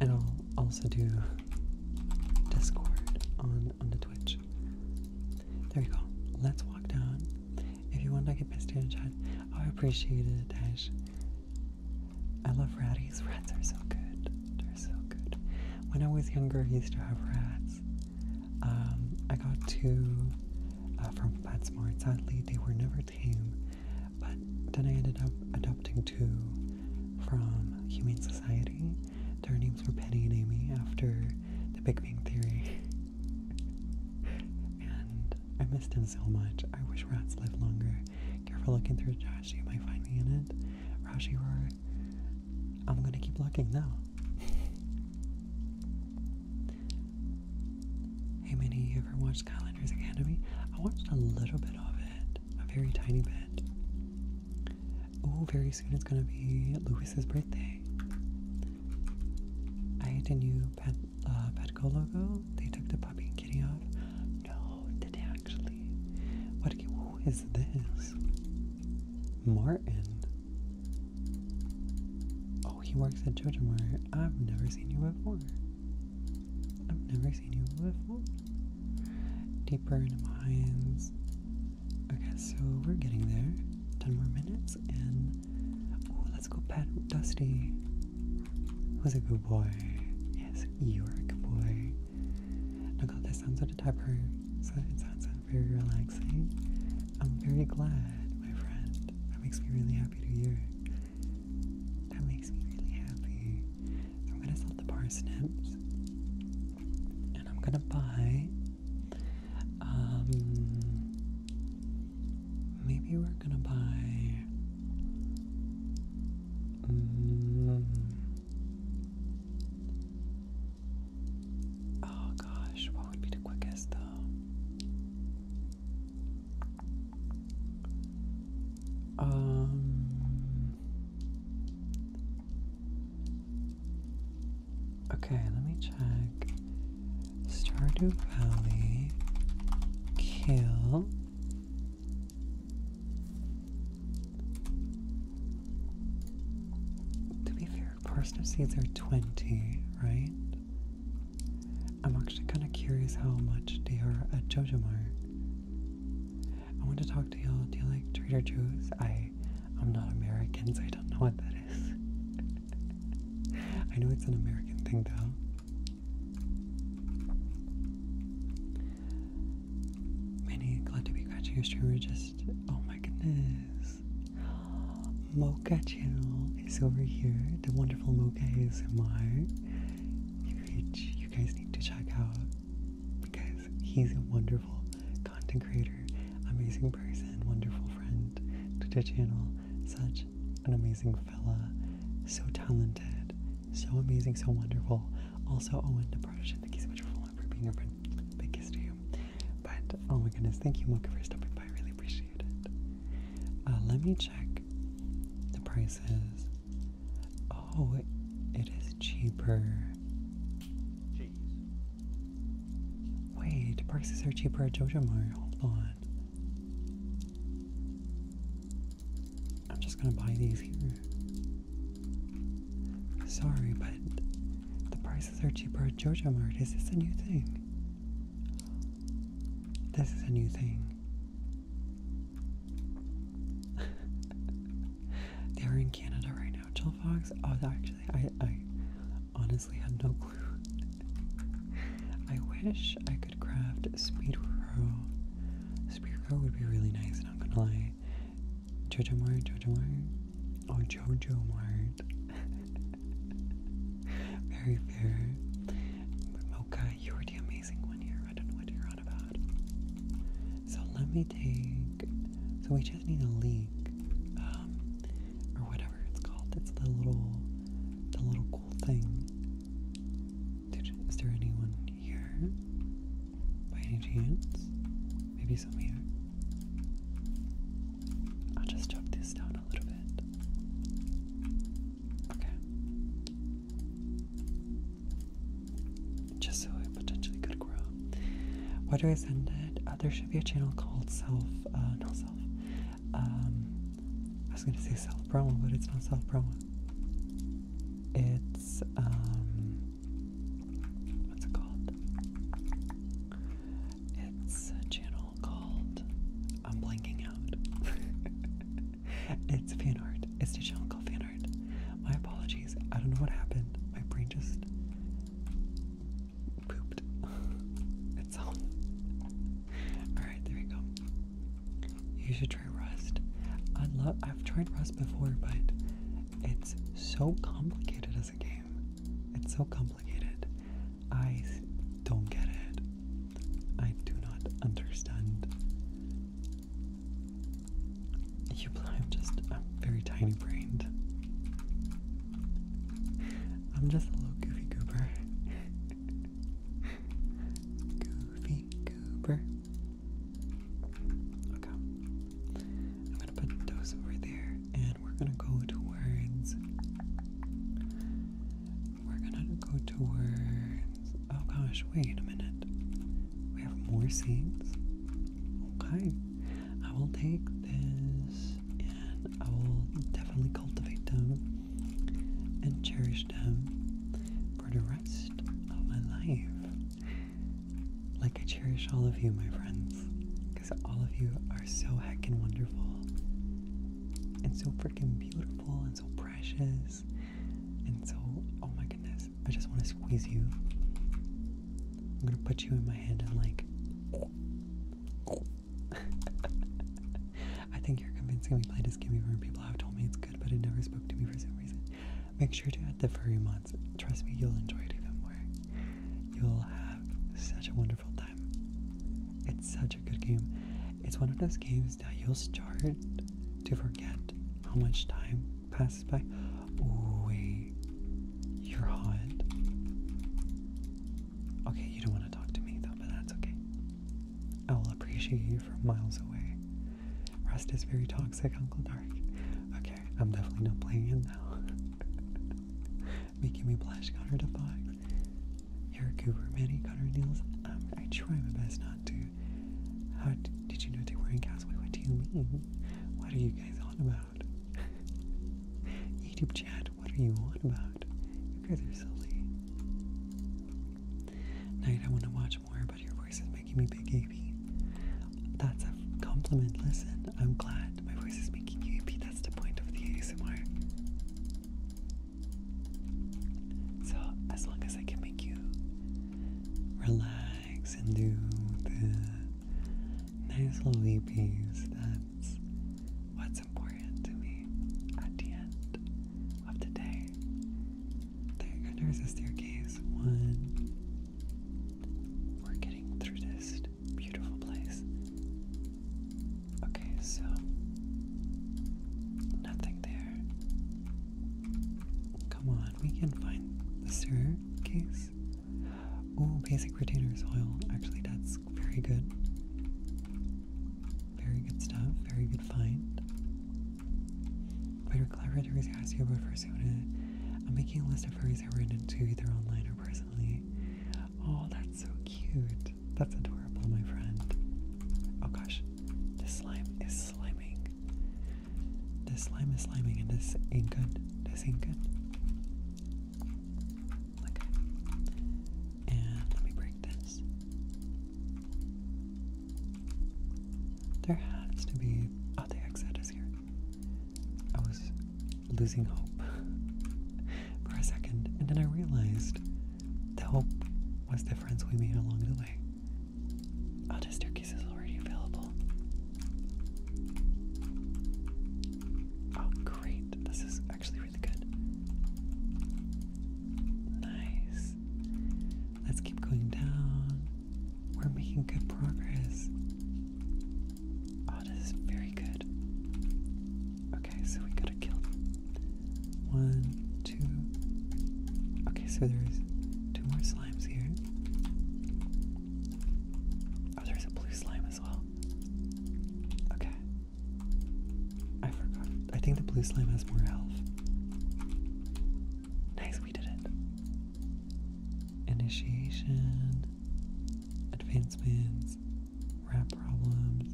Speaker 1: And I'll also do Discord on on the Twitch. There we go. Let's walk down. If you want to get pissed in the chat, I appreciate it, I love ratties. Rats are so good. They're so good. When I was younger, I used to have rats. Um, I got two uh, from PetSmart. Sadly, they were never tame. But then I ended up adopting two from Humane Society. Their names were Penny and Amy after the Big Bang Theory. and I missed them so much. I wish rats lived longer. Careful looking through trash, you might find me in it. Rashi Roar. I'm gonna keep looking now. hey Minnie, you ever watched Skylanders Academy? I watched a little bit of it a very tiny bed. Oh, very soon it's gonna be Louis's birthday. I had a new pet, uh, Petco logo. They took the puppy and kitty off. No, did they actually? What? this? Martin. Oh, he works at JoJo I've never seen you before. I've never seen you before deeper into my hands. Okay, so we're getting there. Ten more minutes, and oh, let's go pet Dusty. Who's a good boy? Yes, you're a good boy. Now, God, this sounds like a typer, so it sounds very relaxing. I'm very glad, my friend. That makes me really happy to hear. That makes me really happy. I'm gonna sell the parsnips. And I'm gonna buy. Um, maybe we're gonna buy. Mm, oh gosh, what would be the quickest though? Um, okay, let me check. Stardew Valley, kill. To be fair, parsnip seeds are 20, right? I'm actually kind of curious how much they are at Jojomar. I want to talk to y'all. Do you like Trader Joe's? I, I'm not American, so I don't know what that is. I know it's an American thing, though. Many glad to be catching your streamer. Just oh my goodness, Mocha Channel is over here. The wonderful Mocha ASMR. You you guys need to check out because he's a wonderful content creator, amazing person, wonderful friend to the channel, such an amazing fella, so talented, so amazing, so wonderful. Also, Owen Depression, thank you so much for being our friend. Big kiss to you. But oh my goodness, thank you, Mocha, for stopping by. I really appreciate it. Uh, let me check the prices Oh, it is cheaper. Cheese. Wait, prices are cheaper at Jojo Mart. Hold on. I'm just gonna buy these here. Sorry, but the prices are cheaper at Jojo Mart. Is this a new thing? This is a new thing. They're in Canada right now, chill Fox. Oh, actually, I, I honestly had no clue. I wish I could craft Speed Speedro Speed would be really nice, not gonna lie. Jojo Mart, Jojo Mart. Oh, Jojo Mart. Very fair. Mocha, you are the amazing one here. I don't know what you're so let me take. So we just need a leak, um, or whatever it's called. It's the little, the little cool thing. is there anyone here? By any chance? Maybe some here. I'll just chop this down a little bit. Okay just so it potentially could grow. Where do I send it? Uh, there should be a channel called Self, uh, No Self. Um, I was gonna say Self Promo, but it's not Self Promo. It's, um, what's it called? It's a channel called, I'm blanking out. it's fan art. It's digital fan art. My apologies. I don't know what happened. My brain just pooped itself. Alright, there we go. You should try Rust. I love I've tried Rust before, but it's so complicated as a game. It's so complicated. I don't get it. I do not understand you I'm just I'm very tiny brained. I'm just a little goofy goober. goofy goober. Okay. I'm gonna put those over there and we're gonna go towards we're gonna go towards Oh gosh, wait a minute. We have more seeds. Okay. I will take this and I will definitely cultivate them and cherish them for the rest of my life. Like I cherish all of you, my friends, because all of you are so heckin' wonderful and so freaking beautiful and so precious and so, oh my goodness. I just want to squeeze you. I'm gonna put you in my hand and like. I think you're convincing me Play Kimmy Burn. People have told me it's good, but it never spoke to me for some reason. Make sure to add the furry mods. Trust me, you'll enjoy it even more. You'll have such a wonderful time. It's such a good game. It's one of those games that you'll start to forget how much time passes by. wait. You're hot. Okay, you don't want to talk to me though, but that's okay. I will appreciate you from miles away. Rust is very toxic, Uncle Dark. Okay, I'm definitely not playing it now. Making me blush, Connor the Fox. You're a goober, Manny, Connor Nielsen. Um, I try my best not to. How did you know they were in Castaway? What do you mean? What are you guys on about? YouTube chat, what are you on about? You guys are silly. Night, I want to watch more, but your voice is making me big AP. That's a compliment. Listen, I'm glad my voice is making you AP. That's the point of the ASMR. So, as long as I can make you relax and do the nice little piece. That's what's important to me at the end of the day. there's a staircase. One. We're getting through this beautiful place. Okay, so nothing there. Come on on. We can find the staircase. Oh, basic retainer soil. Actually, that's very good. Very good stuff. Very good find. Better to ask you about persona. I'm making a list of furries I into either online or personally. Oh, that's so cute. That's adorable, my friend. Oh gosh, this slime is slimming. This slime is sliming and this ain't good. This ain't good. Okay. And let break this. There has to be. Oh, the exit is here. I was losing hope for a second, and then I realized the hope was the friends we made along the way. Oh, this turkeys is already available. Oh, great. This is actually really good. Nice. Let's keep going down. We're making good progress. Oh, this is very good. Okay, so we gotta kill one, two. Okay, so there's two more slots. Oh, there's a blue slime as well. Okay. I forgot. I think the blue slime has more health. Nice, we did it. Initiation, advancements, rap problems,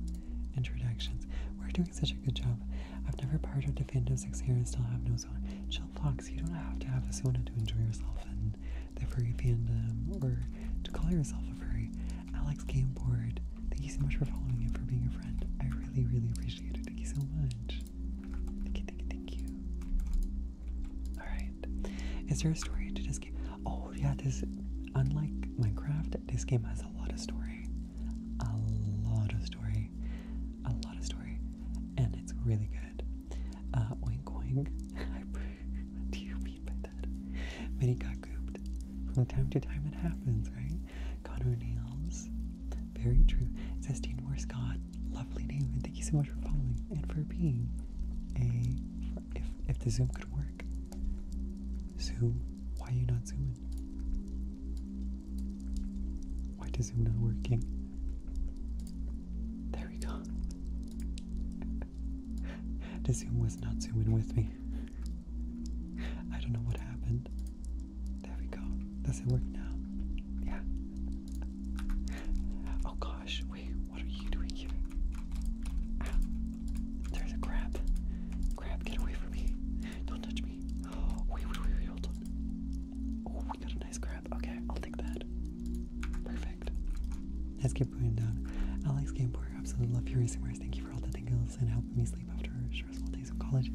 Speaker 1: introductions. We're doing such a good job. I've never powered up if the end of six years still have no sauna, chill fox, you don't have to have a sauna to enjoy yourself in the furry fandom or to call yourself a furry. Alex Game Board, thank you so much for following and for being a friend. I really, really appreciate it. Thank you so much. Thank you, thank you, thank you. Alright. Is there a story to this game? Oh yeah, this unlike Minecraft, this game has a lot of story. A lot of story. A lot of story. And it's really good. Uh, oink oink. what do you mean by that? Many got gooped. From time to time it happens, right? Connor Nails. Very true. It says Dean Moore Scott. Lovely name. And thank you so much for following and for being a. For if, if the Zoom could work. Zoom. Why are you not zooming? Why does Zoom not working? There we go. the Zoom was not zooming with me. I don't know what happened. There we go. Does it work now? Yeah. Oh gosh, wait, what are you doing here? Ow. There's a crab. Crab, get away from me. Don't touch me. wait, wait, wait, hold we got a nice crab. Okay, I'll take that. Perfect. As keep going down. Alex Gameboy, absolutely love your racing wars. Thank you for all the tingles and helping me sleep after stressful days in college.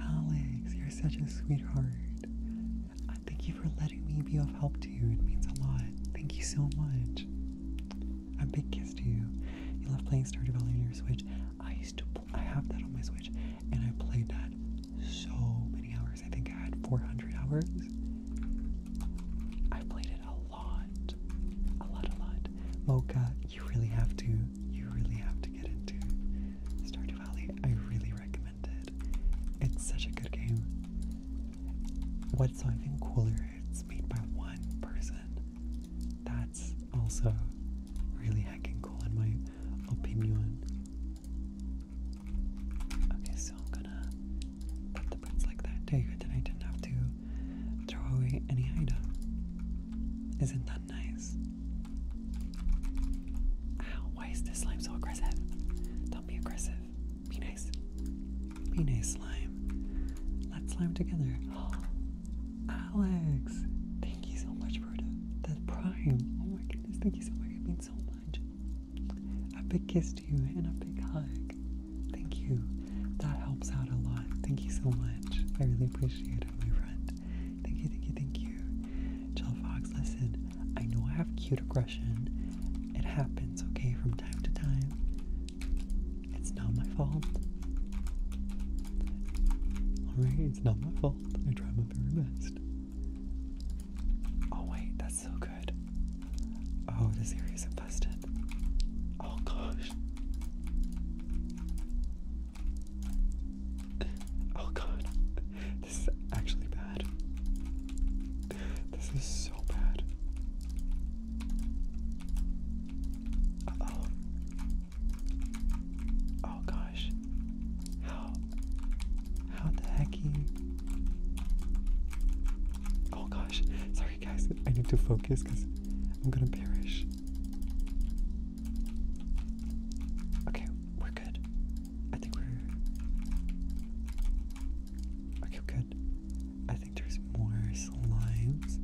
Speaker 1: Alex, you're such a sweetheart. Uh, thank you for letting me be of help to you. It means a lot. Thank you so much. A big kiss to you. You love playing Star Valley on your Switch. I used to. I have that on my Switch, and I played that so many hours. I think I had 400 hours. I played it a lot, a lot, a lot. Mocha, you really have to, you really have to get into Stardew Valley. I really recommend it. It's such a good game. What's even cooler? It's made by one person. That's also really heckin' cool in my opinion so I'm gonna put the prints like that there, then I didn't have to throw away any item. Isn't that nice? Ow, why is this slime so aggressive? Don't be aggressive. Be nice. Be nice, slime. Let's slime together. Alex, thank you so much for the, prime. Oh my goodness, thank you so much. It means so much a big kiss to you and a big hug. Thank you. That helps out a lot. Thank you so much. I really appreciate it, my friend. Thank you, thank you, thank you. Jill Fox, listen, I know I have cute aggression. It happens, okay, from time to time. It's not my fault. Alright, it's not my fault. I try my very best. Oh wait, that's so good. Oh, this area isn't busted. Oh gosh. Oh god. This is actually bad. This is so bad. oh. Oh gosh. How? How the heck? Oh gosh, sorry guys, I need to focus because I'm gonna perish. Okay, we're good. I think we're. Okay, good. I think there's more slimes.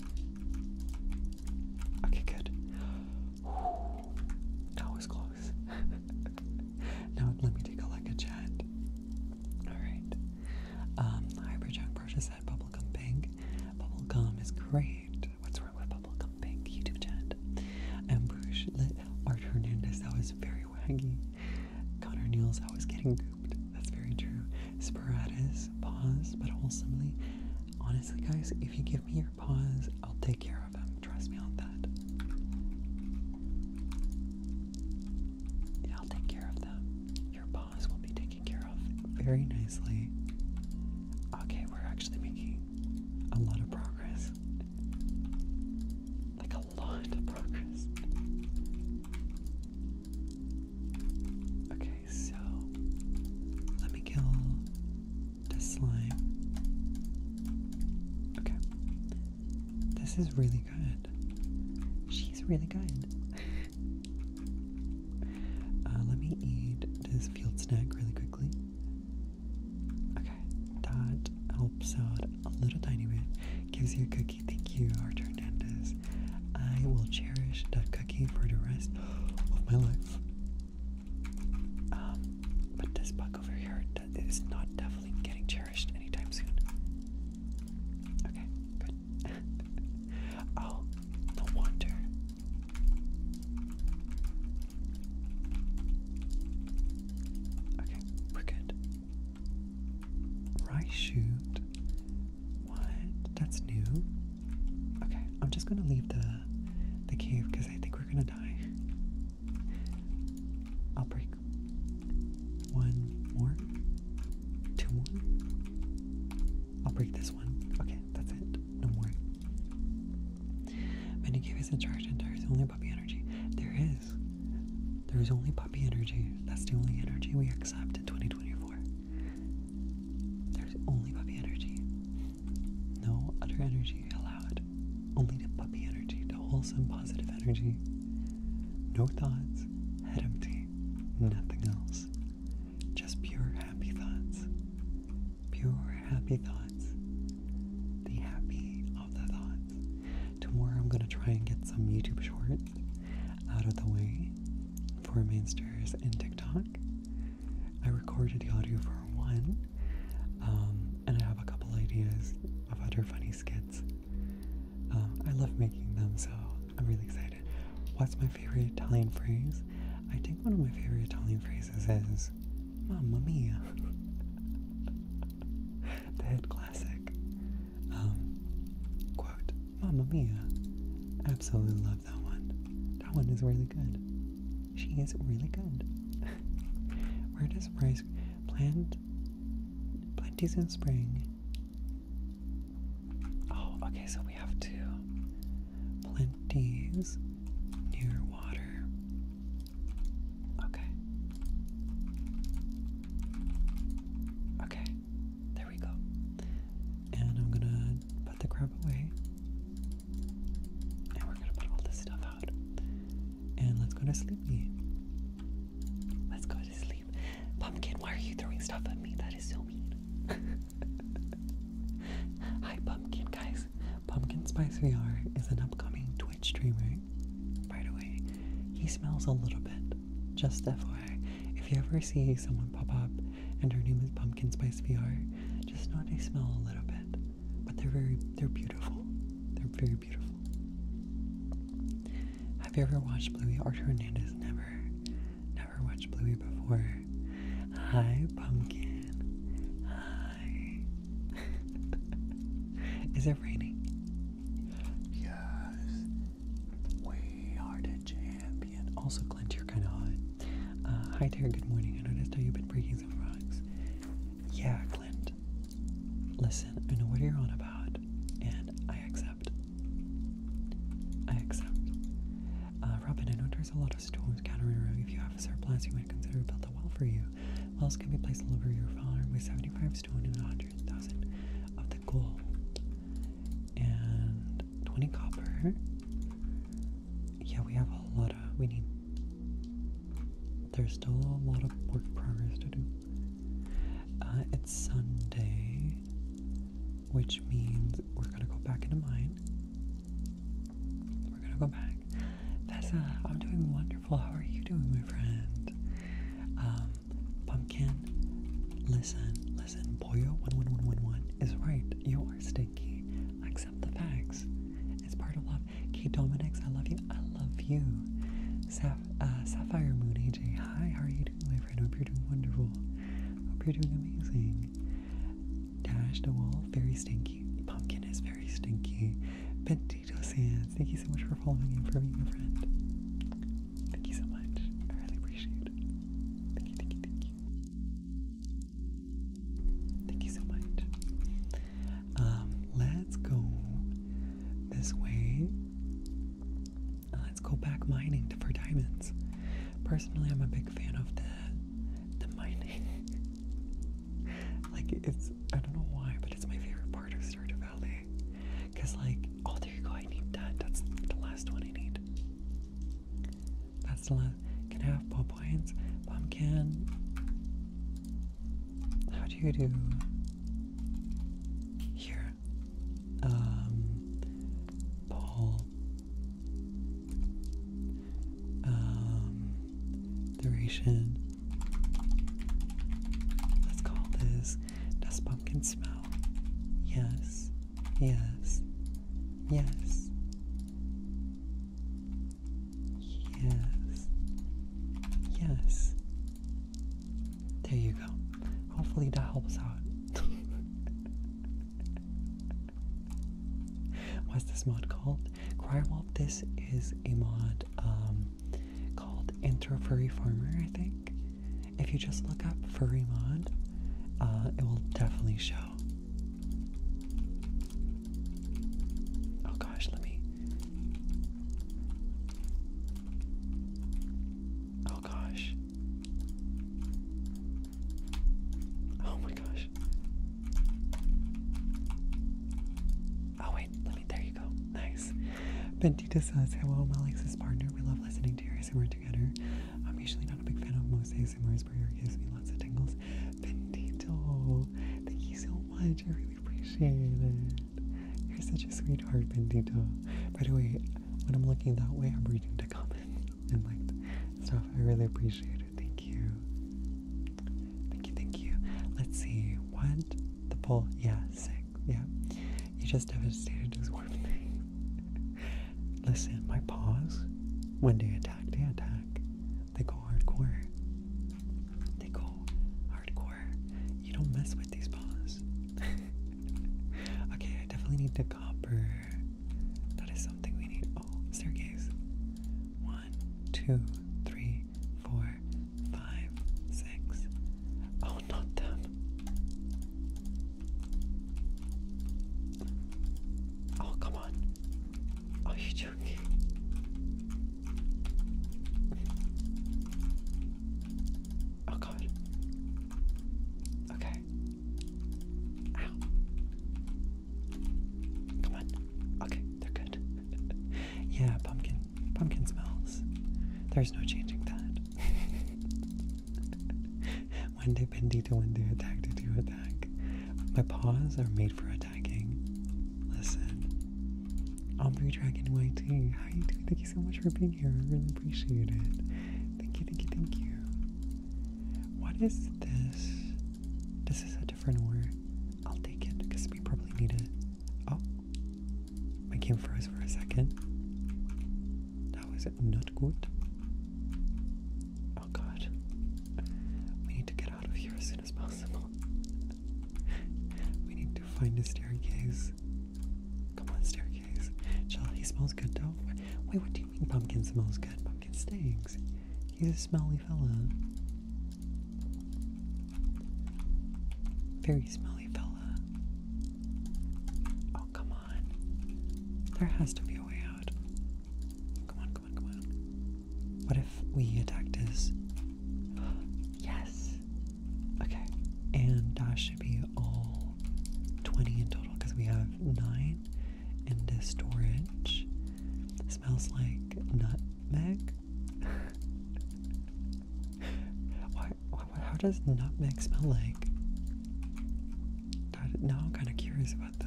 Speaker 1: Okay, good. That was close. now let me take a look at chat. Alright. Um, Hyperjunk Brosha bubblegum pink. Bubblegum is great. What's wrong with bubblegum pink? YouTube chat. Ambush lit Art Hernandez, that was very waggy. Connor Niels, I was getting gooped. That's very true. Sporadis, pause, but wholesomely. Honestly, guys, if you give me your pause, I'll take take care of him. Trust me on that. I'll take care of them. Your boss will be taken care of very nicely. Okay, we're actually making a lot of progress. Like a lot of progress. Okay, so let me kill this slime. Okay, this is really good. She's really good. Uh, let me eat this field snack really quickly. Okay, that helps out a little tiny bit. Gives you a cookie. Thank you, Arthur Hernandez. I will cherish that cookie for the rest of my life. Um, but this bug over here is not definitely getting cherished anytime soon. Okay, good. oh, no wonder. Okay, we're good. Right shoot. What? That's new. Okay, I'm just gonna leave the the cave because I think we're gonna die. I'll break one more, two more. I'll break this one. Okay, that's it. No more. Minikave is in charge and there is only puppy energy. There is. There is only puppy energy. That's the only energy we accept in 2024. There's only puppy energy. No other energy. allowed only to puppy energy, to wholesome positive energy. No thoughts, head empty, nothing else. Just pure happy thoughts. Pure happy thoughts. The happy of the thoughts. Tomorrow I'm gonna try and get some YouTube shorts out of the way for Mainsters and TikTok. I recorded the audio for one, um, and I have a couple ideas of other funny skits um, I love making them, so I'm really excited. What's my favorite Italian phrase? I think one of my favorite Italian phrases is Mamma Mia. the head classic. Um, quote, Mamma Mia. Absolutely love that one. That one is really good. She is really good. Where does rice plant Plenty's in spring. Oh, okay, so we have two. Plenty's near water. Okay. Okay, there we go. And I'm gonna put the crab away. And we're gonna put all this stuff out. And let's go to sleepy. Let's go to sleep. Pumpkin, why are you throwing stuff at me? That is so mean. Hi, Pumpkin, guys. Pumpkin Spice VR is an upcoming Twitch streamer. By the way, he smells a little bit. Just FYI, if you ever see someone pop up and her name is Pumpkin Spice VR, just know they smell a little bit. But they're very, they're beautiful. They're very beautiful. Have you ever watched Bluey? Art Hernandez never, never watched Bluey before. Hi, pumpkin. Hi. Is it raining? Yes. We are the champion. Also, Clint, you're kind of hot. Uh, hi there, good morning. I noticed how you've been breaking some frogs. Yeah, Clint listen, I know what you're on about, and I accept. I accept. Uh, Robin, I know there's a lot of storms gathering around. If you have a surplus, you might consider build a well for you. Wells can be placed all over your farm with 75 stone and 100,000 of the gold. And 20 copper. Yeah, we have a lot of. We need there's still a lot of work progress to do. Uh, it's Sunday, which means we're gonna go back into mine. We're gonna go back. Tessa, I'm doing wonderful. How are you doing, my friend? Um, pumpkin, listen, listen. Boyo 11111 is right. You are stinky. Accept the facts. It's part of love. Key Dominix, I love you. I love you. Uh, Sapphire Moon AJ, hi, how are you doing, my friend? Hope you're doing wonderful. Hope you're doing amazing. Dash the wall, very stinky. Pumpkin is very stinky. Pentito Sands, thank you so much for following and for being a friend. Thank you so much. I really appreciate it. Thank you, thank you, thank you. Thank you so much. Um, let's go this way, uh, let's go back mining for diamonds. Personally, I'm a big fan of the the mining. like it's I don't know why, but it's my favorite part of Stardew Valley. Cause like all oh, there you go, I need that. That's the last one I need. That's the last. Can I have pawpines? Pumpkin. How do you do? here. Um, Paul. Um, duration. Let's call this. Does pumpkin smell? Yes. Yes. Yes. Yes. Yes. There you go. Hopefully that helps out. What's this mod called? Crywolf, this is a mod um, called Intro Furry Farmer, I think. If you just look up Furry Mod, uh, it will definitely show. Oh gosh, let me. Oh gosh. Oh my gosh. Oh wait, let me there you go. Nice. Bentita says, Hello, I'm is partner. We love listening to we're together. I'm usually not a big fan of most ASMRs, but your gives me lots of tingles. Bentito, thank you so much. I really appreciate it. You're such a sweetheart, Bendito. By the way, when I'm looking that way, I'm reading the comments and like stuff. I really appreciate it. Thank you. Thank you, thank you. Let's see. What? The poll. Yeah, sick. Yeah. You just devastated this one Listen, my paws, when they attack, they attack. They go hardcore. They go hardcore. You don't mess with these paws. okay, I definitely need the copper. That is something we need. Oh, staircase. One, two, three, four, five, six. Oh, not them. Oh, come on. Are you joking? Oh god. Okay. Ow. Come on. Okay, they're good. yeah, pumpkin. Pumpkin smells. There's no changing that. one day bendy to one day attack to attack. My paws are made for attacking. Listen. I'm Ombre Dragon YT, how you doing? so much for being here. I really appreciate it. Thank you, thank you, thank you. What is this? This is a different ore. I'll take it because we probably need it. Oh, my game froze for a second. That was not good. Oh god. We need to get out of here as soon as possible. we need to find a staircase. Come on, staircase. Jelani smells good though. Wait, what do you mean pumpkin smells good? Pumpkin stinks. He's a smelly fella. Very smelly fella. Oh, come on. There has to be a way out. Come on, come on, come on. What if we attack this? yes! Okay, and that should be all 20 in total because we have 9 in this storage. It smells like nutmeg. why, how does nutmeg smell like? That, now I'm kind of curious about that.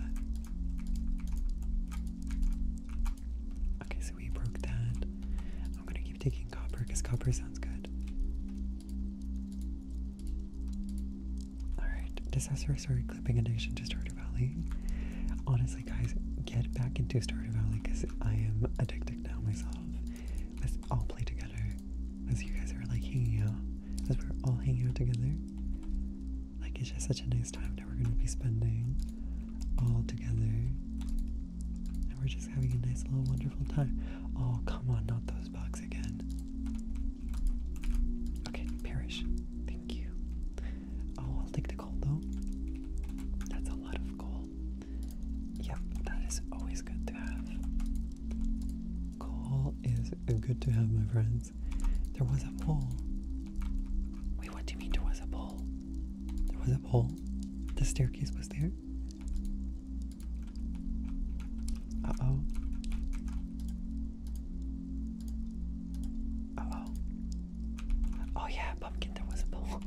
Speaker 1: Okay, so we broke that. I'm gonna keep taking copper because copper sounds good. Alright, disaster story clipping addiction to Stardew Valley. Honestly, guys, get back into Stardew Valley because I am addicted now myself. let all play together as you guys are like hanging out, as we're all hanging out together. Like, it's just such a nice time that we're gonna be spending all together and we're just having a nice little wonderful time. Oh, come on, not those bugs again. Okay, perish. Thank you. Oh, I'll take the gold though. That's a lot of gold. Yep, that is always good to have. Coal is good to have, my friends. There was a pole. Wait, what do you mean there was a pole? There was a pole? The staircase was there? Uh oh. Uh oh. Oh yeah, pumpkin. There was a poll.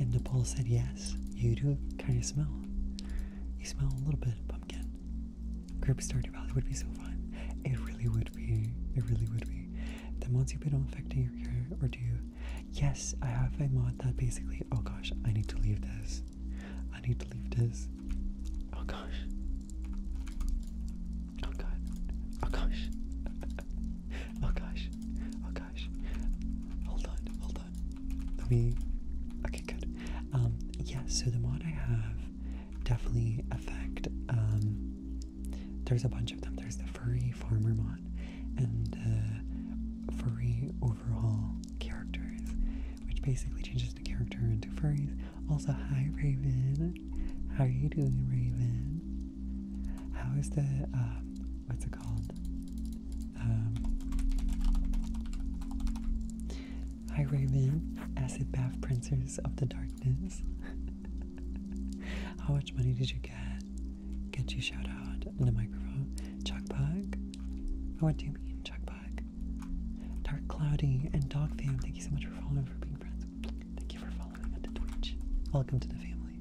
Speaker 1: and the poll said yes. You do kind of smell. You smell a little bit pumpkin. Group Stardew Valley would be so fun. It really would be. It really would be. Then once you've been affecting your hair, or do you Yes, I have a mod that basically. Oh gosh, I need to leave this. I need to leave this. Oh gosh. Oh god. Oh gosh. oh gosh. Oh gosh. Hold on, hold on. Let me. Okay, good. Um, yeah, so the mod I have definitely affect. Um, there's a bunch of them. There's the furry farmer mod and uh, furry overhaul characters, which basically changes the character into furries. Also, hi Raven, how are you doing, Raven? How is the um, what's it called? Um, hi Raven, acid bath princess of the darkness. how much money did you get? Get you shout out in the microphone. Chuck Pug. Oh, what do you mean, Chuck Pug? Dark Cloudy and Dog Fam. Thank you so much for following for being friends. Thank you for following on Twitch. Welcome to the family.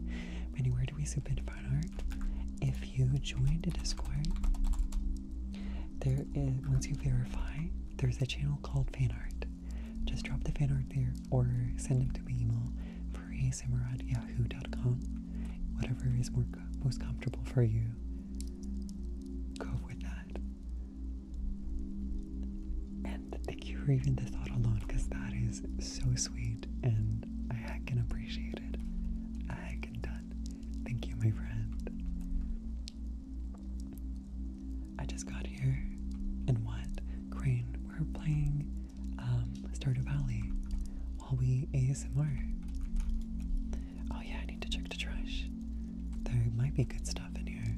Speaker 1: Manny, where do we submit fan art? If you join the Discord, there is once you verify, there's a channel called fan art. Just drop the fan art there or send them to me email ASMR at yahoo.com. Whatever is more most comfortable for you, go with that. And thank you for even the thought alone, because that is so sweet, and I can appreciate it. I can done. Thank you, my friend. I just got here, and what? Crane, we're playing um, Start a Valley while we ASMR. Oh, yeah, I need to check the trash. There might be good stuff in here.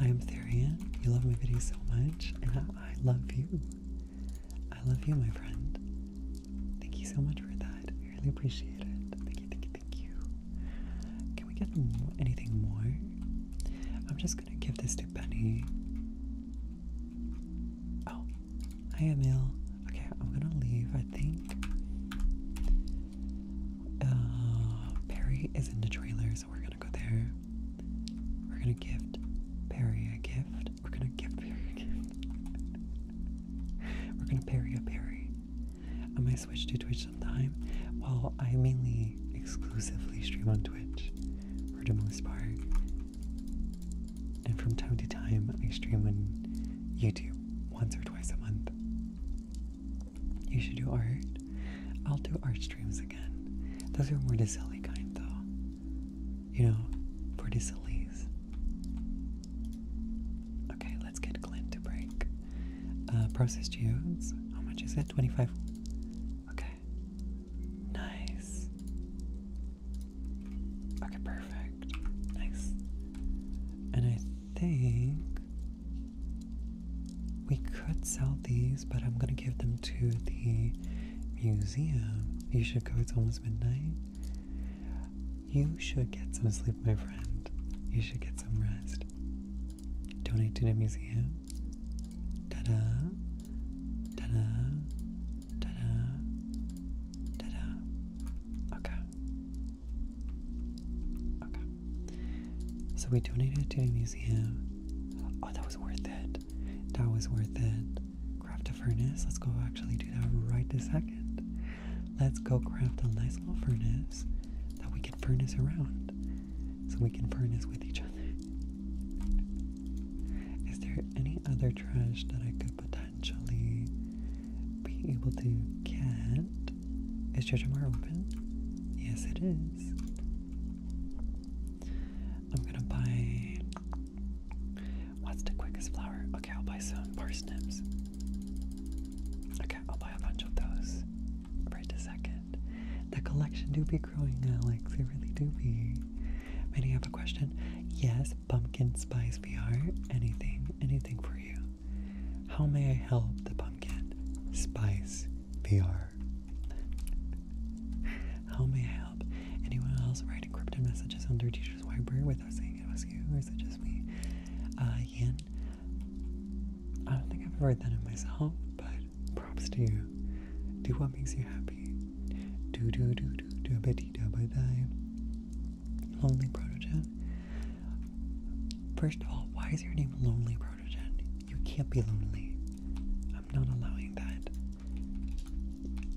Speaker 1: I am Therian. You love my video so much, and I, I love you. I love you, my friend. Thank you so much for that. I really appreciate it. Thank you, thank you, thank you. Can we get anything more? I'm just gonna give this to Penny. Oh, hi Emil. Okay, I'm gonna leave, I think. Uh, Perry is in the trailer, so we're gonna go there. We're gonna gift Perry a gift. We're gonna give Perry a gift. we're gonna Perry a Perry. I might switch to Twitch sometime. Well, I mainly exclusively stream on Twitch for the most part. And from time to time, I stream on YouTube once or twice a month. You should do art. I'll do art streams again. Those are more the kind, though. You know, for the Okay, let's get Clint to break. Uh, processed geodes. How much is it? 25? Okay. Nice. Okay, perfect. Nice. And I think we could sell these, but I'm gonna give them to the museum. You should go, it's almost midnight. You should get some sleep, my friend. You should get some rest. Donate to the museum. Ta da! Ta da! Ta-da. Ta-da. Okay. Okay. So we donated to a museum. Oh, that was worth it. That was worth it. Craft a furnace. Let's go actually do that right this second. Let's go craft a nice little furnace that we can furnace around. So we can furnace with each other. Is there any other trash that I could potentially be able to get? Is your more open? Yes, it is. I'm gonna buy. What's the quickest flower? Okay, I'll buy some parsnips. Okay, I'll buy a bunch of those right a second. The collection do be growing, Alex. They really do be. May I have a question? Yes, pumpkin spice VR, anything, anything for you. How may I help the pumpkin spice VR? How may I help? Anyone else write encrypted messages on their teacher's whiteboard without saying it was you, or is it just me? Uh, Yin, I don't think I've ever done it myself, but props to you. Do what makes you happy. Do do do do do badida badai. Lonely Protogen. First of all, why is your name Lonely Protogen? You can't be lonely. I'm not allowing that.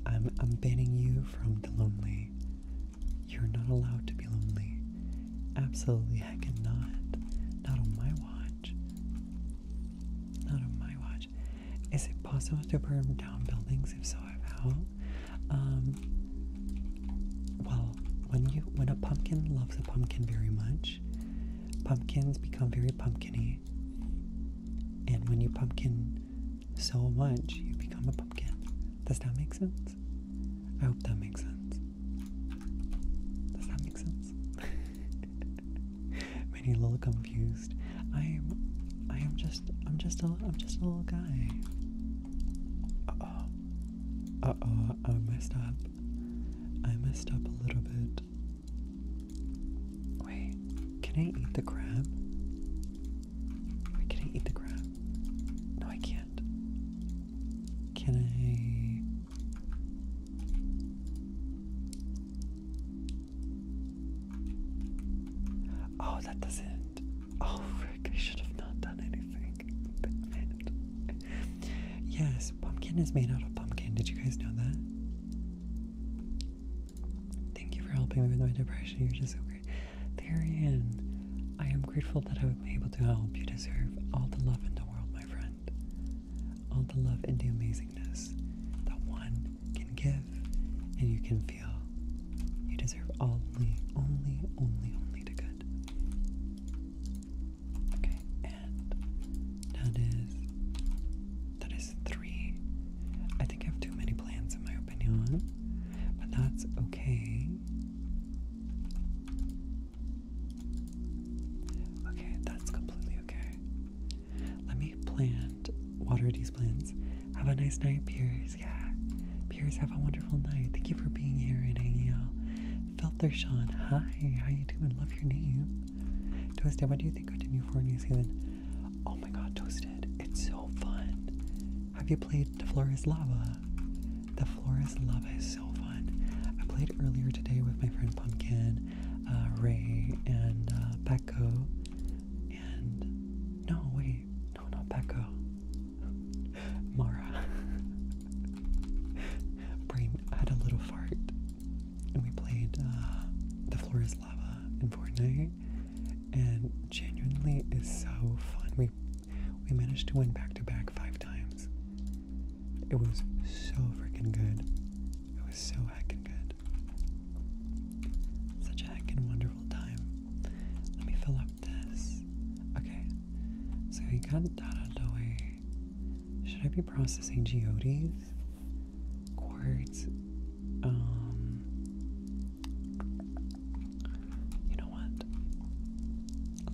Speaker 1: I'm I'm banning you from the lonely. You're not allowed to be lonely. Absolutely heck and not. Not on my watch. Not on my watch. Is it possible to burn down buildings? If so, how? Um, well, when you when a pumpkin loves a pumpkin very much, pumpkins become very pumpkiny. And when you pumpkin so much, you become a pumpkin. Does that make sense? I hope that makes sense. Does that make sense? Many a little confused. I'm I am just I'm just a I'm just a little guy. Uh-oh. Uh-oh, I messed up. I messed up a little bit. Wait, can I eat the crab? can I eat the crab? No, I can't. Can I Oh, that doesn't. Oh, I should have not done anything. yes, pumpkin is made out of pumpkin. Did you guys know that? Thank you for helping me with my depression. You're just so great. Therian, I am grateful that I was able to help. You deserve all the love in the world, my friend. All the love and the amazingness. The one can give and you can feel you deserve only, only, only, only the good. Okay, and that is that is three. I think I have too many plans in my opinion, but that's okay. Okay, that's completely okay. Let me plan water these plants. Have a nice night, Piers. Yeah. Piers, have a wonderful night. Thank you for being here and hanging out. Filter Sean, hi, how you doing? Love your name. Toasted, what do you think of New New Zealand? Oh my god, Toasted, it's so fun. Have you played The Floor Lava? The Flores Lava is so fun. I played earlier today with my friend Pumpkin, uh, Ray, and uh, Paco no, wait, no, not Becca. Mara. Brain had a little fart, and we played uh, The Floor is Lava in Fortnite, and genuinely is so fun. We we managed to win back to back five times. It was so freaking good. It was so heckin' good good. Such a heckin' wonderful time. Let me fill up this. Okay, so we got that out Should I be processing geodes? Quartz? Um. You know what?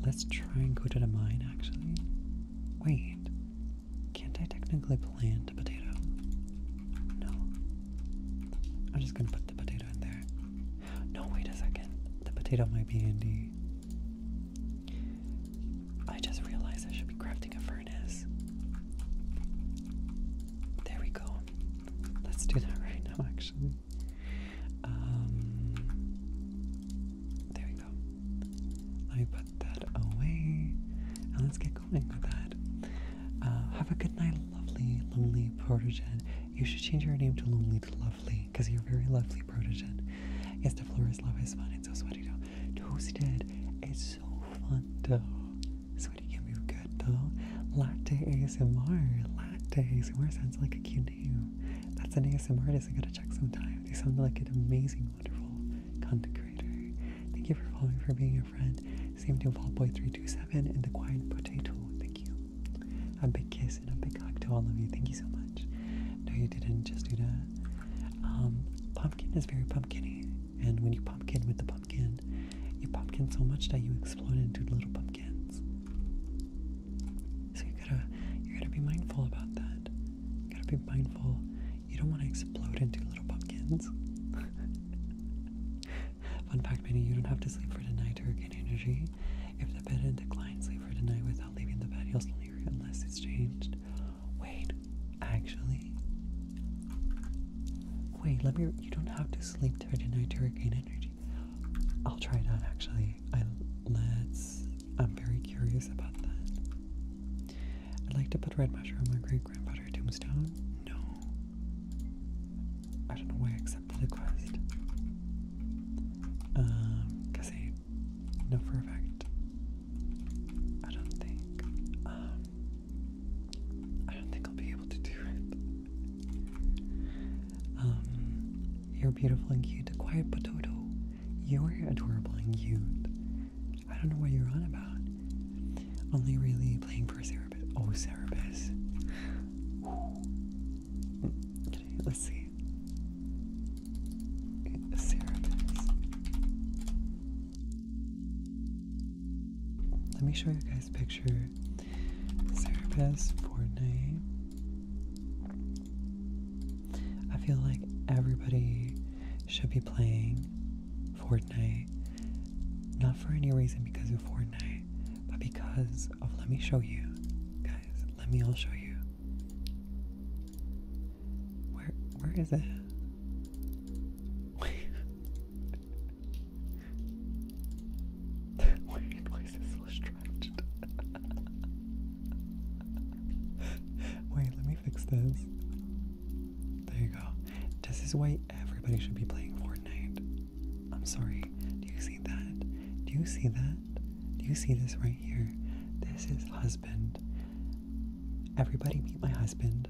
Speaker 1: Let's try and go to the mine actually. Wait. Can't I technically plant a potato? No. I'm just gonna put the potato in there. No, wait a second. The potato might be handy. I just realized I should be crafting a furnace. There we go. Let's do that right now, actually. Um, there we go. Let me put that away. And let's get going with that. Uh, have a good night, lovely, lonely protogen. You should change your name to Lonely to Lovely, because you're very lovely protogen. Yes, the floor is lava is fun. It's so sweaty though. Toasted. It's so fun though. Sweaty can be good though. Latte ASMR. Latte ASMR sounds like a cute name. That's an ASMR artist I gotta check sometime. They sound like an amazing, wonderful content creator. Thank you for following for being your friend. Same to Ballboy327 and the Quiet Potato. Thank you. A big kiss and a big hug to all of you. Thank you so much. No, you didn't just do that. Um, pumpkin is very pumpkiny, and when you pumpkin with the pumpkin, you pumpkin so much that you explode into little pumpkins. So you gotta, you gotta be mindful about that. You gotta be mindful. You don't want to explode into little pumpkins. Fun fact, Minnie, you don't have to sleep for tonight to regain energy. If the bed and the client sleep for tonight without leaving the bed, you'll sleep unless it's changed. Wait, actually. Wait, let me. You don't have to sleep for tonight to regain energy. I'll try that actually. I let's. I'm very curious about that. I'd like to put red mushroom on my great grandfather tombstone. No, I don't know why I accepted the quest. Um, because I I don't think. Um, I don't think I'll be able to do it. Um, you're beautiful and cute, a quiet potato. You're adorable and cute. I don't know what you're on about. Only really playing for zero Oh, Cerebus. Okay, let's see. Cerebus. Let me show you guys a picture. Cerebus Fortnite. I feel like everybody should be playing Fortnite not for any reason because of Fortnite, but because of let me show you. Guys, let me all show you. Where where is it? Wait. Wait, why is this distracted? Wait, let me fix this. There you go. This is why everybody should be playing Fortnite. I'm sorry. Do you see that? Do you see that? Do you see this right here? This is husband. Everybody meet my husband.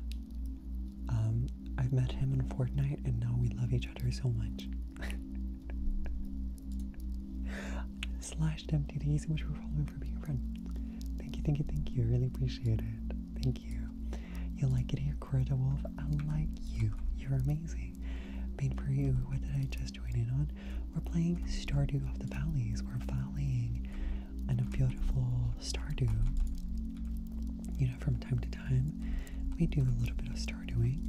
Speaker 1: Um, I've met him in Fortnite and now we love each other so much. Slash Dem, thank you so much for following for being a friend. Thank you, thank you, thank you. I really appreciate it. Thank you. You like it here, Wolf. I like you. You're amazing. Made for you. What did I just join in on? We're playing Stardew of the Valleys. We're volleying And a beautiful Stardew. You know, from time to time, we do a little bit of Stardewing.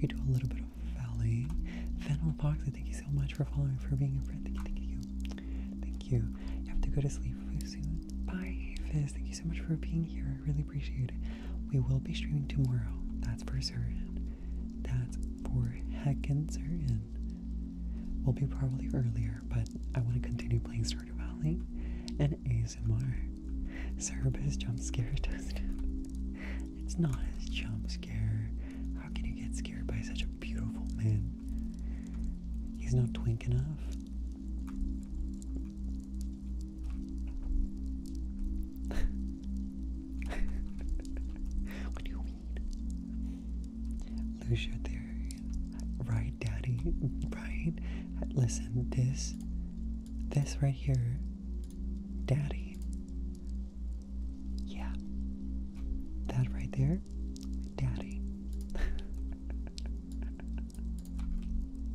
Speaker 1: We do a little bit of volleying. Fennel Fox, thank you so much for following, for being a friend. Thank you, thank you. Thank you. You have to go to sleep soon. Bye, Fizz. Thank you so much for being here. I really appreciate it. We will be streaming tomorrow. That's for certain. That's for heckin' certain. We'll be probably earlier, but I want to continue playing Stardew Valley and ASMR. Cerebus jump scare test. It's not as jump scare. How can you get scared by such a beautiful man? He's not twink enough. what do you mean? Lose your theory. Right, Daddy? Right? Listen, this. This right here. Daddy. Yeah. That right there. Daddy.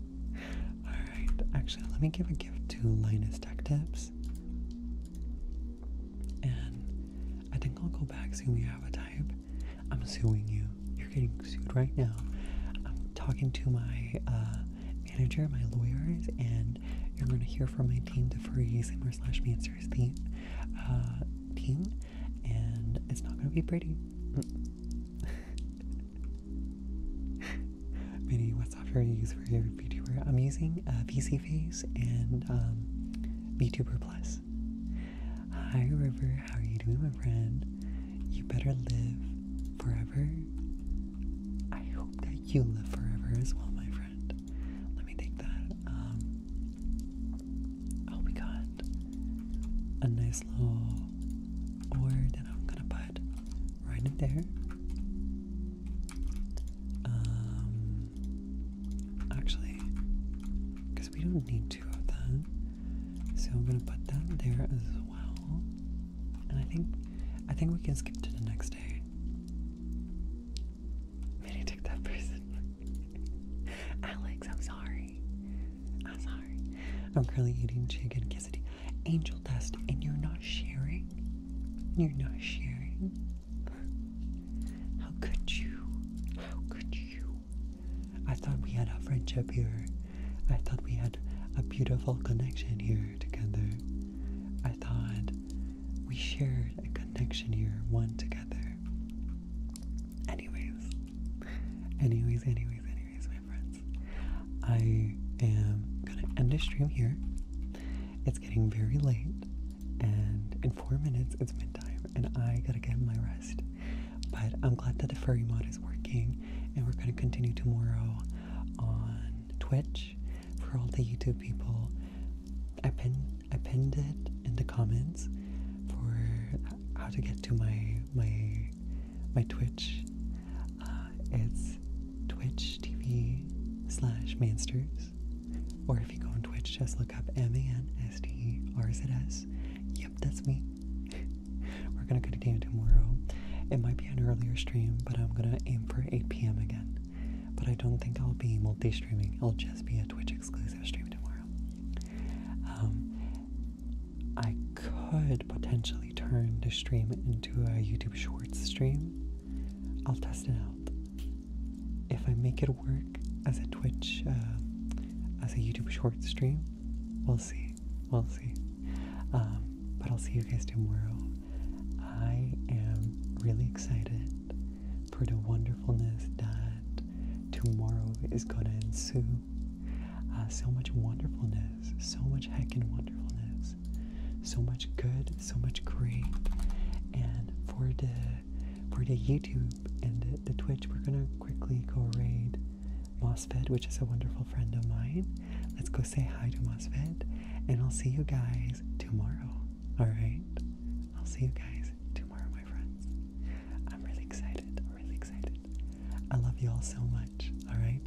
Speaker 1: Alright, actually, let me give a gift to Linus Tech Tips. And I think I'll go back soon. You have a type. I'm suing you. You're getting sued right now. I'm talking to my uh, manager, my lawyers, and you're going to hear from my team, the Free Simmer slash Mancers team, uh, team. And it's not going to be pretty. Many what software do you use for your VTuber? I'm using uh, VCFace and um, Plus. Hi, River. How are you doing, my friend? You better live forever. I hope that you live forever as well, my friend. Let me take that. Um, oh, we got a nice little ore that I'm gonna buy Right in there. Um actually because we don't need two of them. So I'm gonna put that there as well. And I think I think we can skip to the next day. Maybe took that person. Alex, I'm sorry. I'm sorry. I'm currently eating chicken quesadilla angel dust and you're not sharing? You're not sharing? How could you? How could you? I thought we had a friendship here. I thought we had a beautiful connection here together. I thought we shared a connection here, one together. Anyways, anyways, anyways, anyways, my friend. I am gonna end this stream here. It's getting very late, and in four minutes it's midtime, and I gotta get my rest. But I'm glad that the furry mod is working, and we're gonna continue tomorrow on Twitch for all the YouTube people. I pinned I pinned it in the comments for how to get to my my my Twitch. Uh, it's Twitch TV slash Mansters. Or if you go on Twitch, just look up M A N S T E R Z S. Yep, that's me. We're gonna go continue tomorrow. It might be an earlier stream, but I'm gonna aim for 8 p.m. again. But I don't think I'll be multi streaming, I'll just be a Twitch exclusive stream tomorrow. Um, I could potentially turn the stream into a YouTube short stream. I'll test it out. If I make it work as a Twitch, uh, as a YouTube short stream, we'll see. We'll see. Um, but I'll see you guys tomorrow. I am really excited for the wonderfulness that tomorrow is gonna ensue. Uh, so much wonderfulness, so much heckin' wonderfulness. So much good, so much great. And for the for the YouTube and the, Twitch, we're gonna quickly go raid MOSFET, which is a wonderful friend of mine. Let's go say hi to MOSFET, and I'll see you guys tomorrow. Alright? I'll see you guys tomorrow, my friends. I'm really excited. I'm really excited. I love you all so much. Alright?